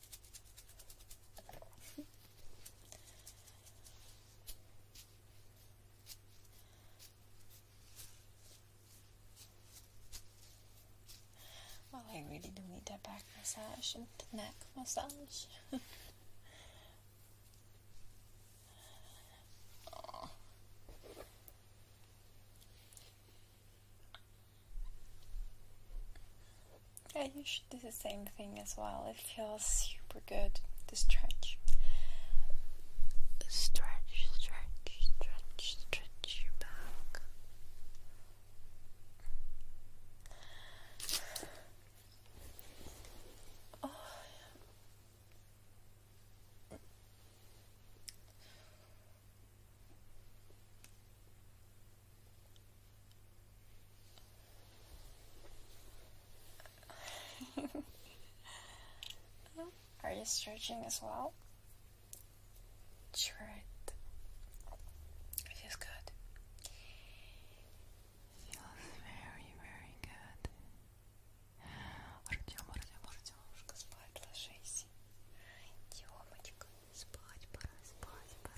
Speaker 1: Well, I really do need that back massage and neck massage. [LAUGHS] Yeah, you should do the same thing as well. It feels super good to stretch.
Speaker 2: Stretch, stretch, stretch, stretch your back. Oh. [LAUGHS]
Speaker 1: Are you stretching as well? Sure. It feels good. Feels very, very good. [GASPS] Should do спать пора.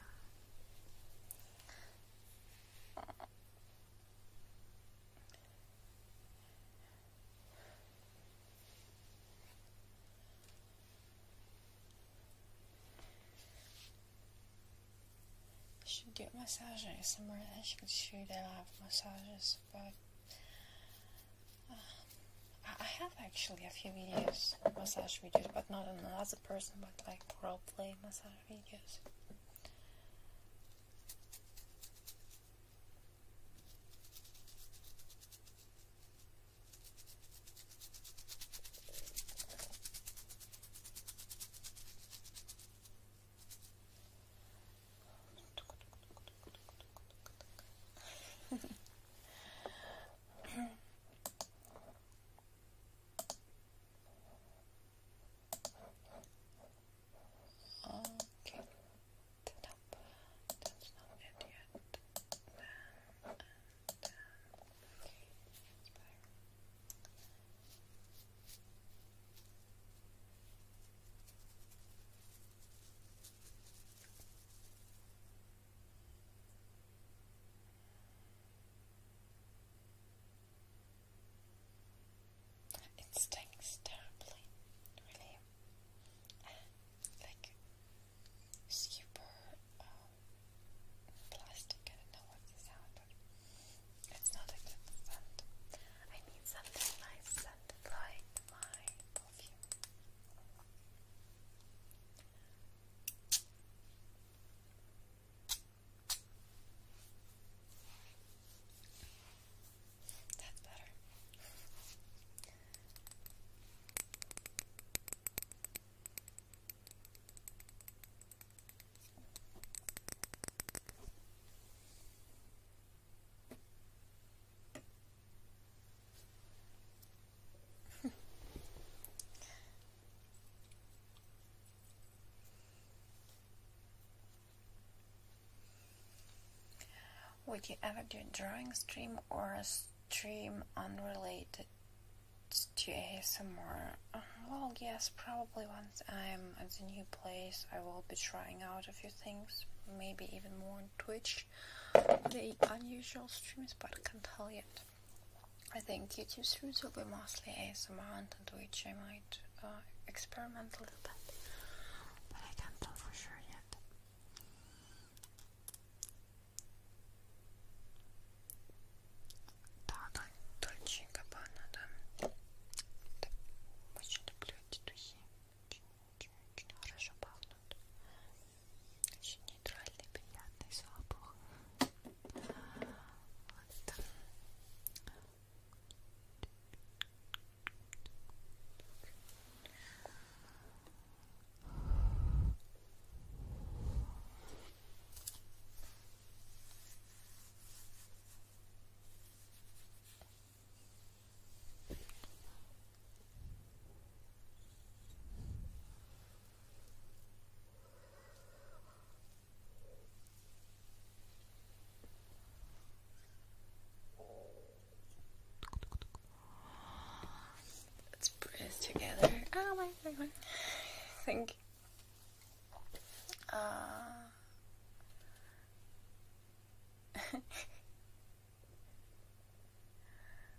Speaker 1: I should get massages somewhere. I should show that I have massages, but I have actually a few videos, massage videos, but not another person, but like role play massage videos.
Speaker 2: [LAUGHS] Okay, nope, that's not it yet. Then, and, then. Uh, okay.
Speaker 1: It stinks terribly, really. like super um, plastic. I don't know what this sound, but it's not a good scent. I need something nice and like my perfume. That's better. [LAUGHS] Would you ever do a drawing stream or a stream unrelated to ASMR? Uh, well, yes, probably once I'm at the new place, I will be trying out a few things, maybe even more on Twitch. The unusual streams, but I can't tell yet. I think YouTube's route will be mostly ASMR and on Twitch I might uh, experiment a little bit, but I can't tell sure yet. Так, да? очень люблю эти Очень-очень хорошо пахнут. Очень нейтральный, приятный запах. Вот. Хорошо. Let's breathe together. Oh my god. I think uh [LAUGHS]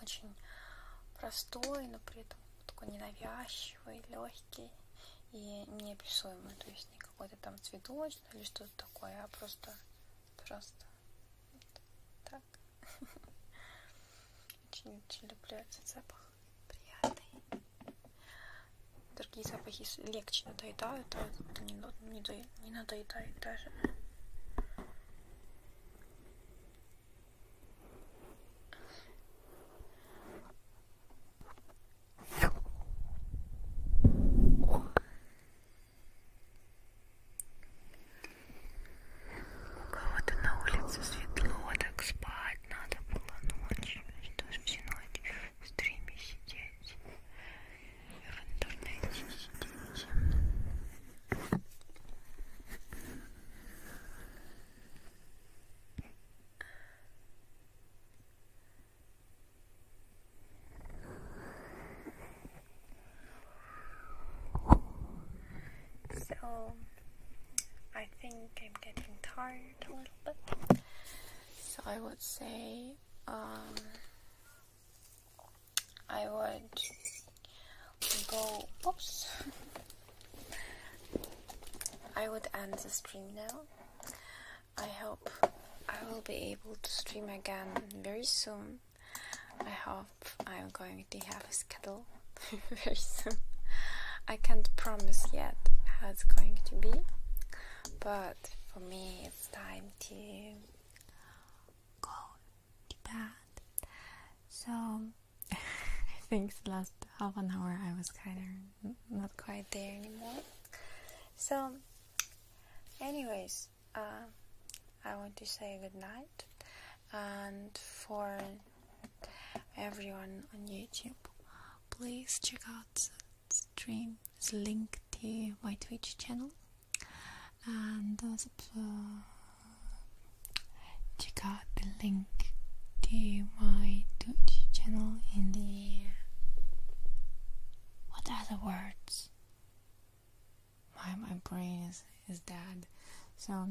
Speaker 1: очень простой, но при этом такой ненавязчивый, легкий и неописуемый. То есть не какой-то там цветочный или что-то такое, а просто, просто вот так. Очень-очень [LAUGHS] люблю этот запах. Приятный. Другие запахи легче надоедают, а это не, не, не надоедает даже. У
Speaker 2: кого-то на улице светло, так спать надо было ночью. Что ж всю ночь в стриме сидеть? В интернете сидеть. So,
Speaker 1: I think I'm getting tired a little bit. So, I would say um, I would Oops. I would end the stream now. I hope I will be able to stream again very soon. I hope I'm going to have a schedule [LAUGHS] very soon. I can't promise yet how it's going to be, but for me it's time to go to bed. So I [LAUGHS] think the last half an hour I was kind of not quite there anymore. So, anyways, uh, I want to say good night, and for everyone on YouTube, please check out stream stream's link to my Twitch channel and also check out the link to my Twitch channel in the what are the words? My my brain is is dead. So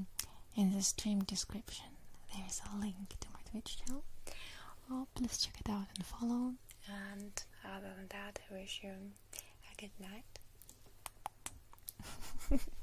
Speaker 1: in the stream description there is a link to my Twitch channel. Oh, please check it out and follow. And other than that, I wish you a good night. [LAUGHS]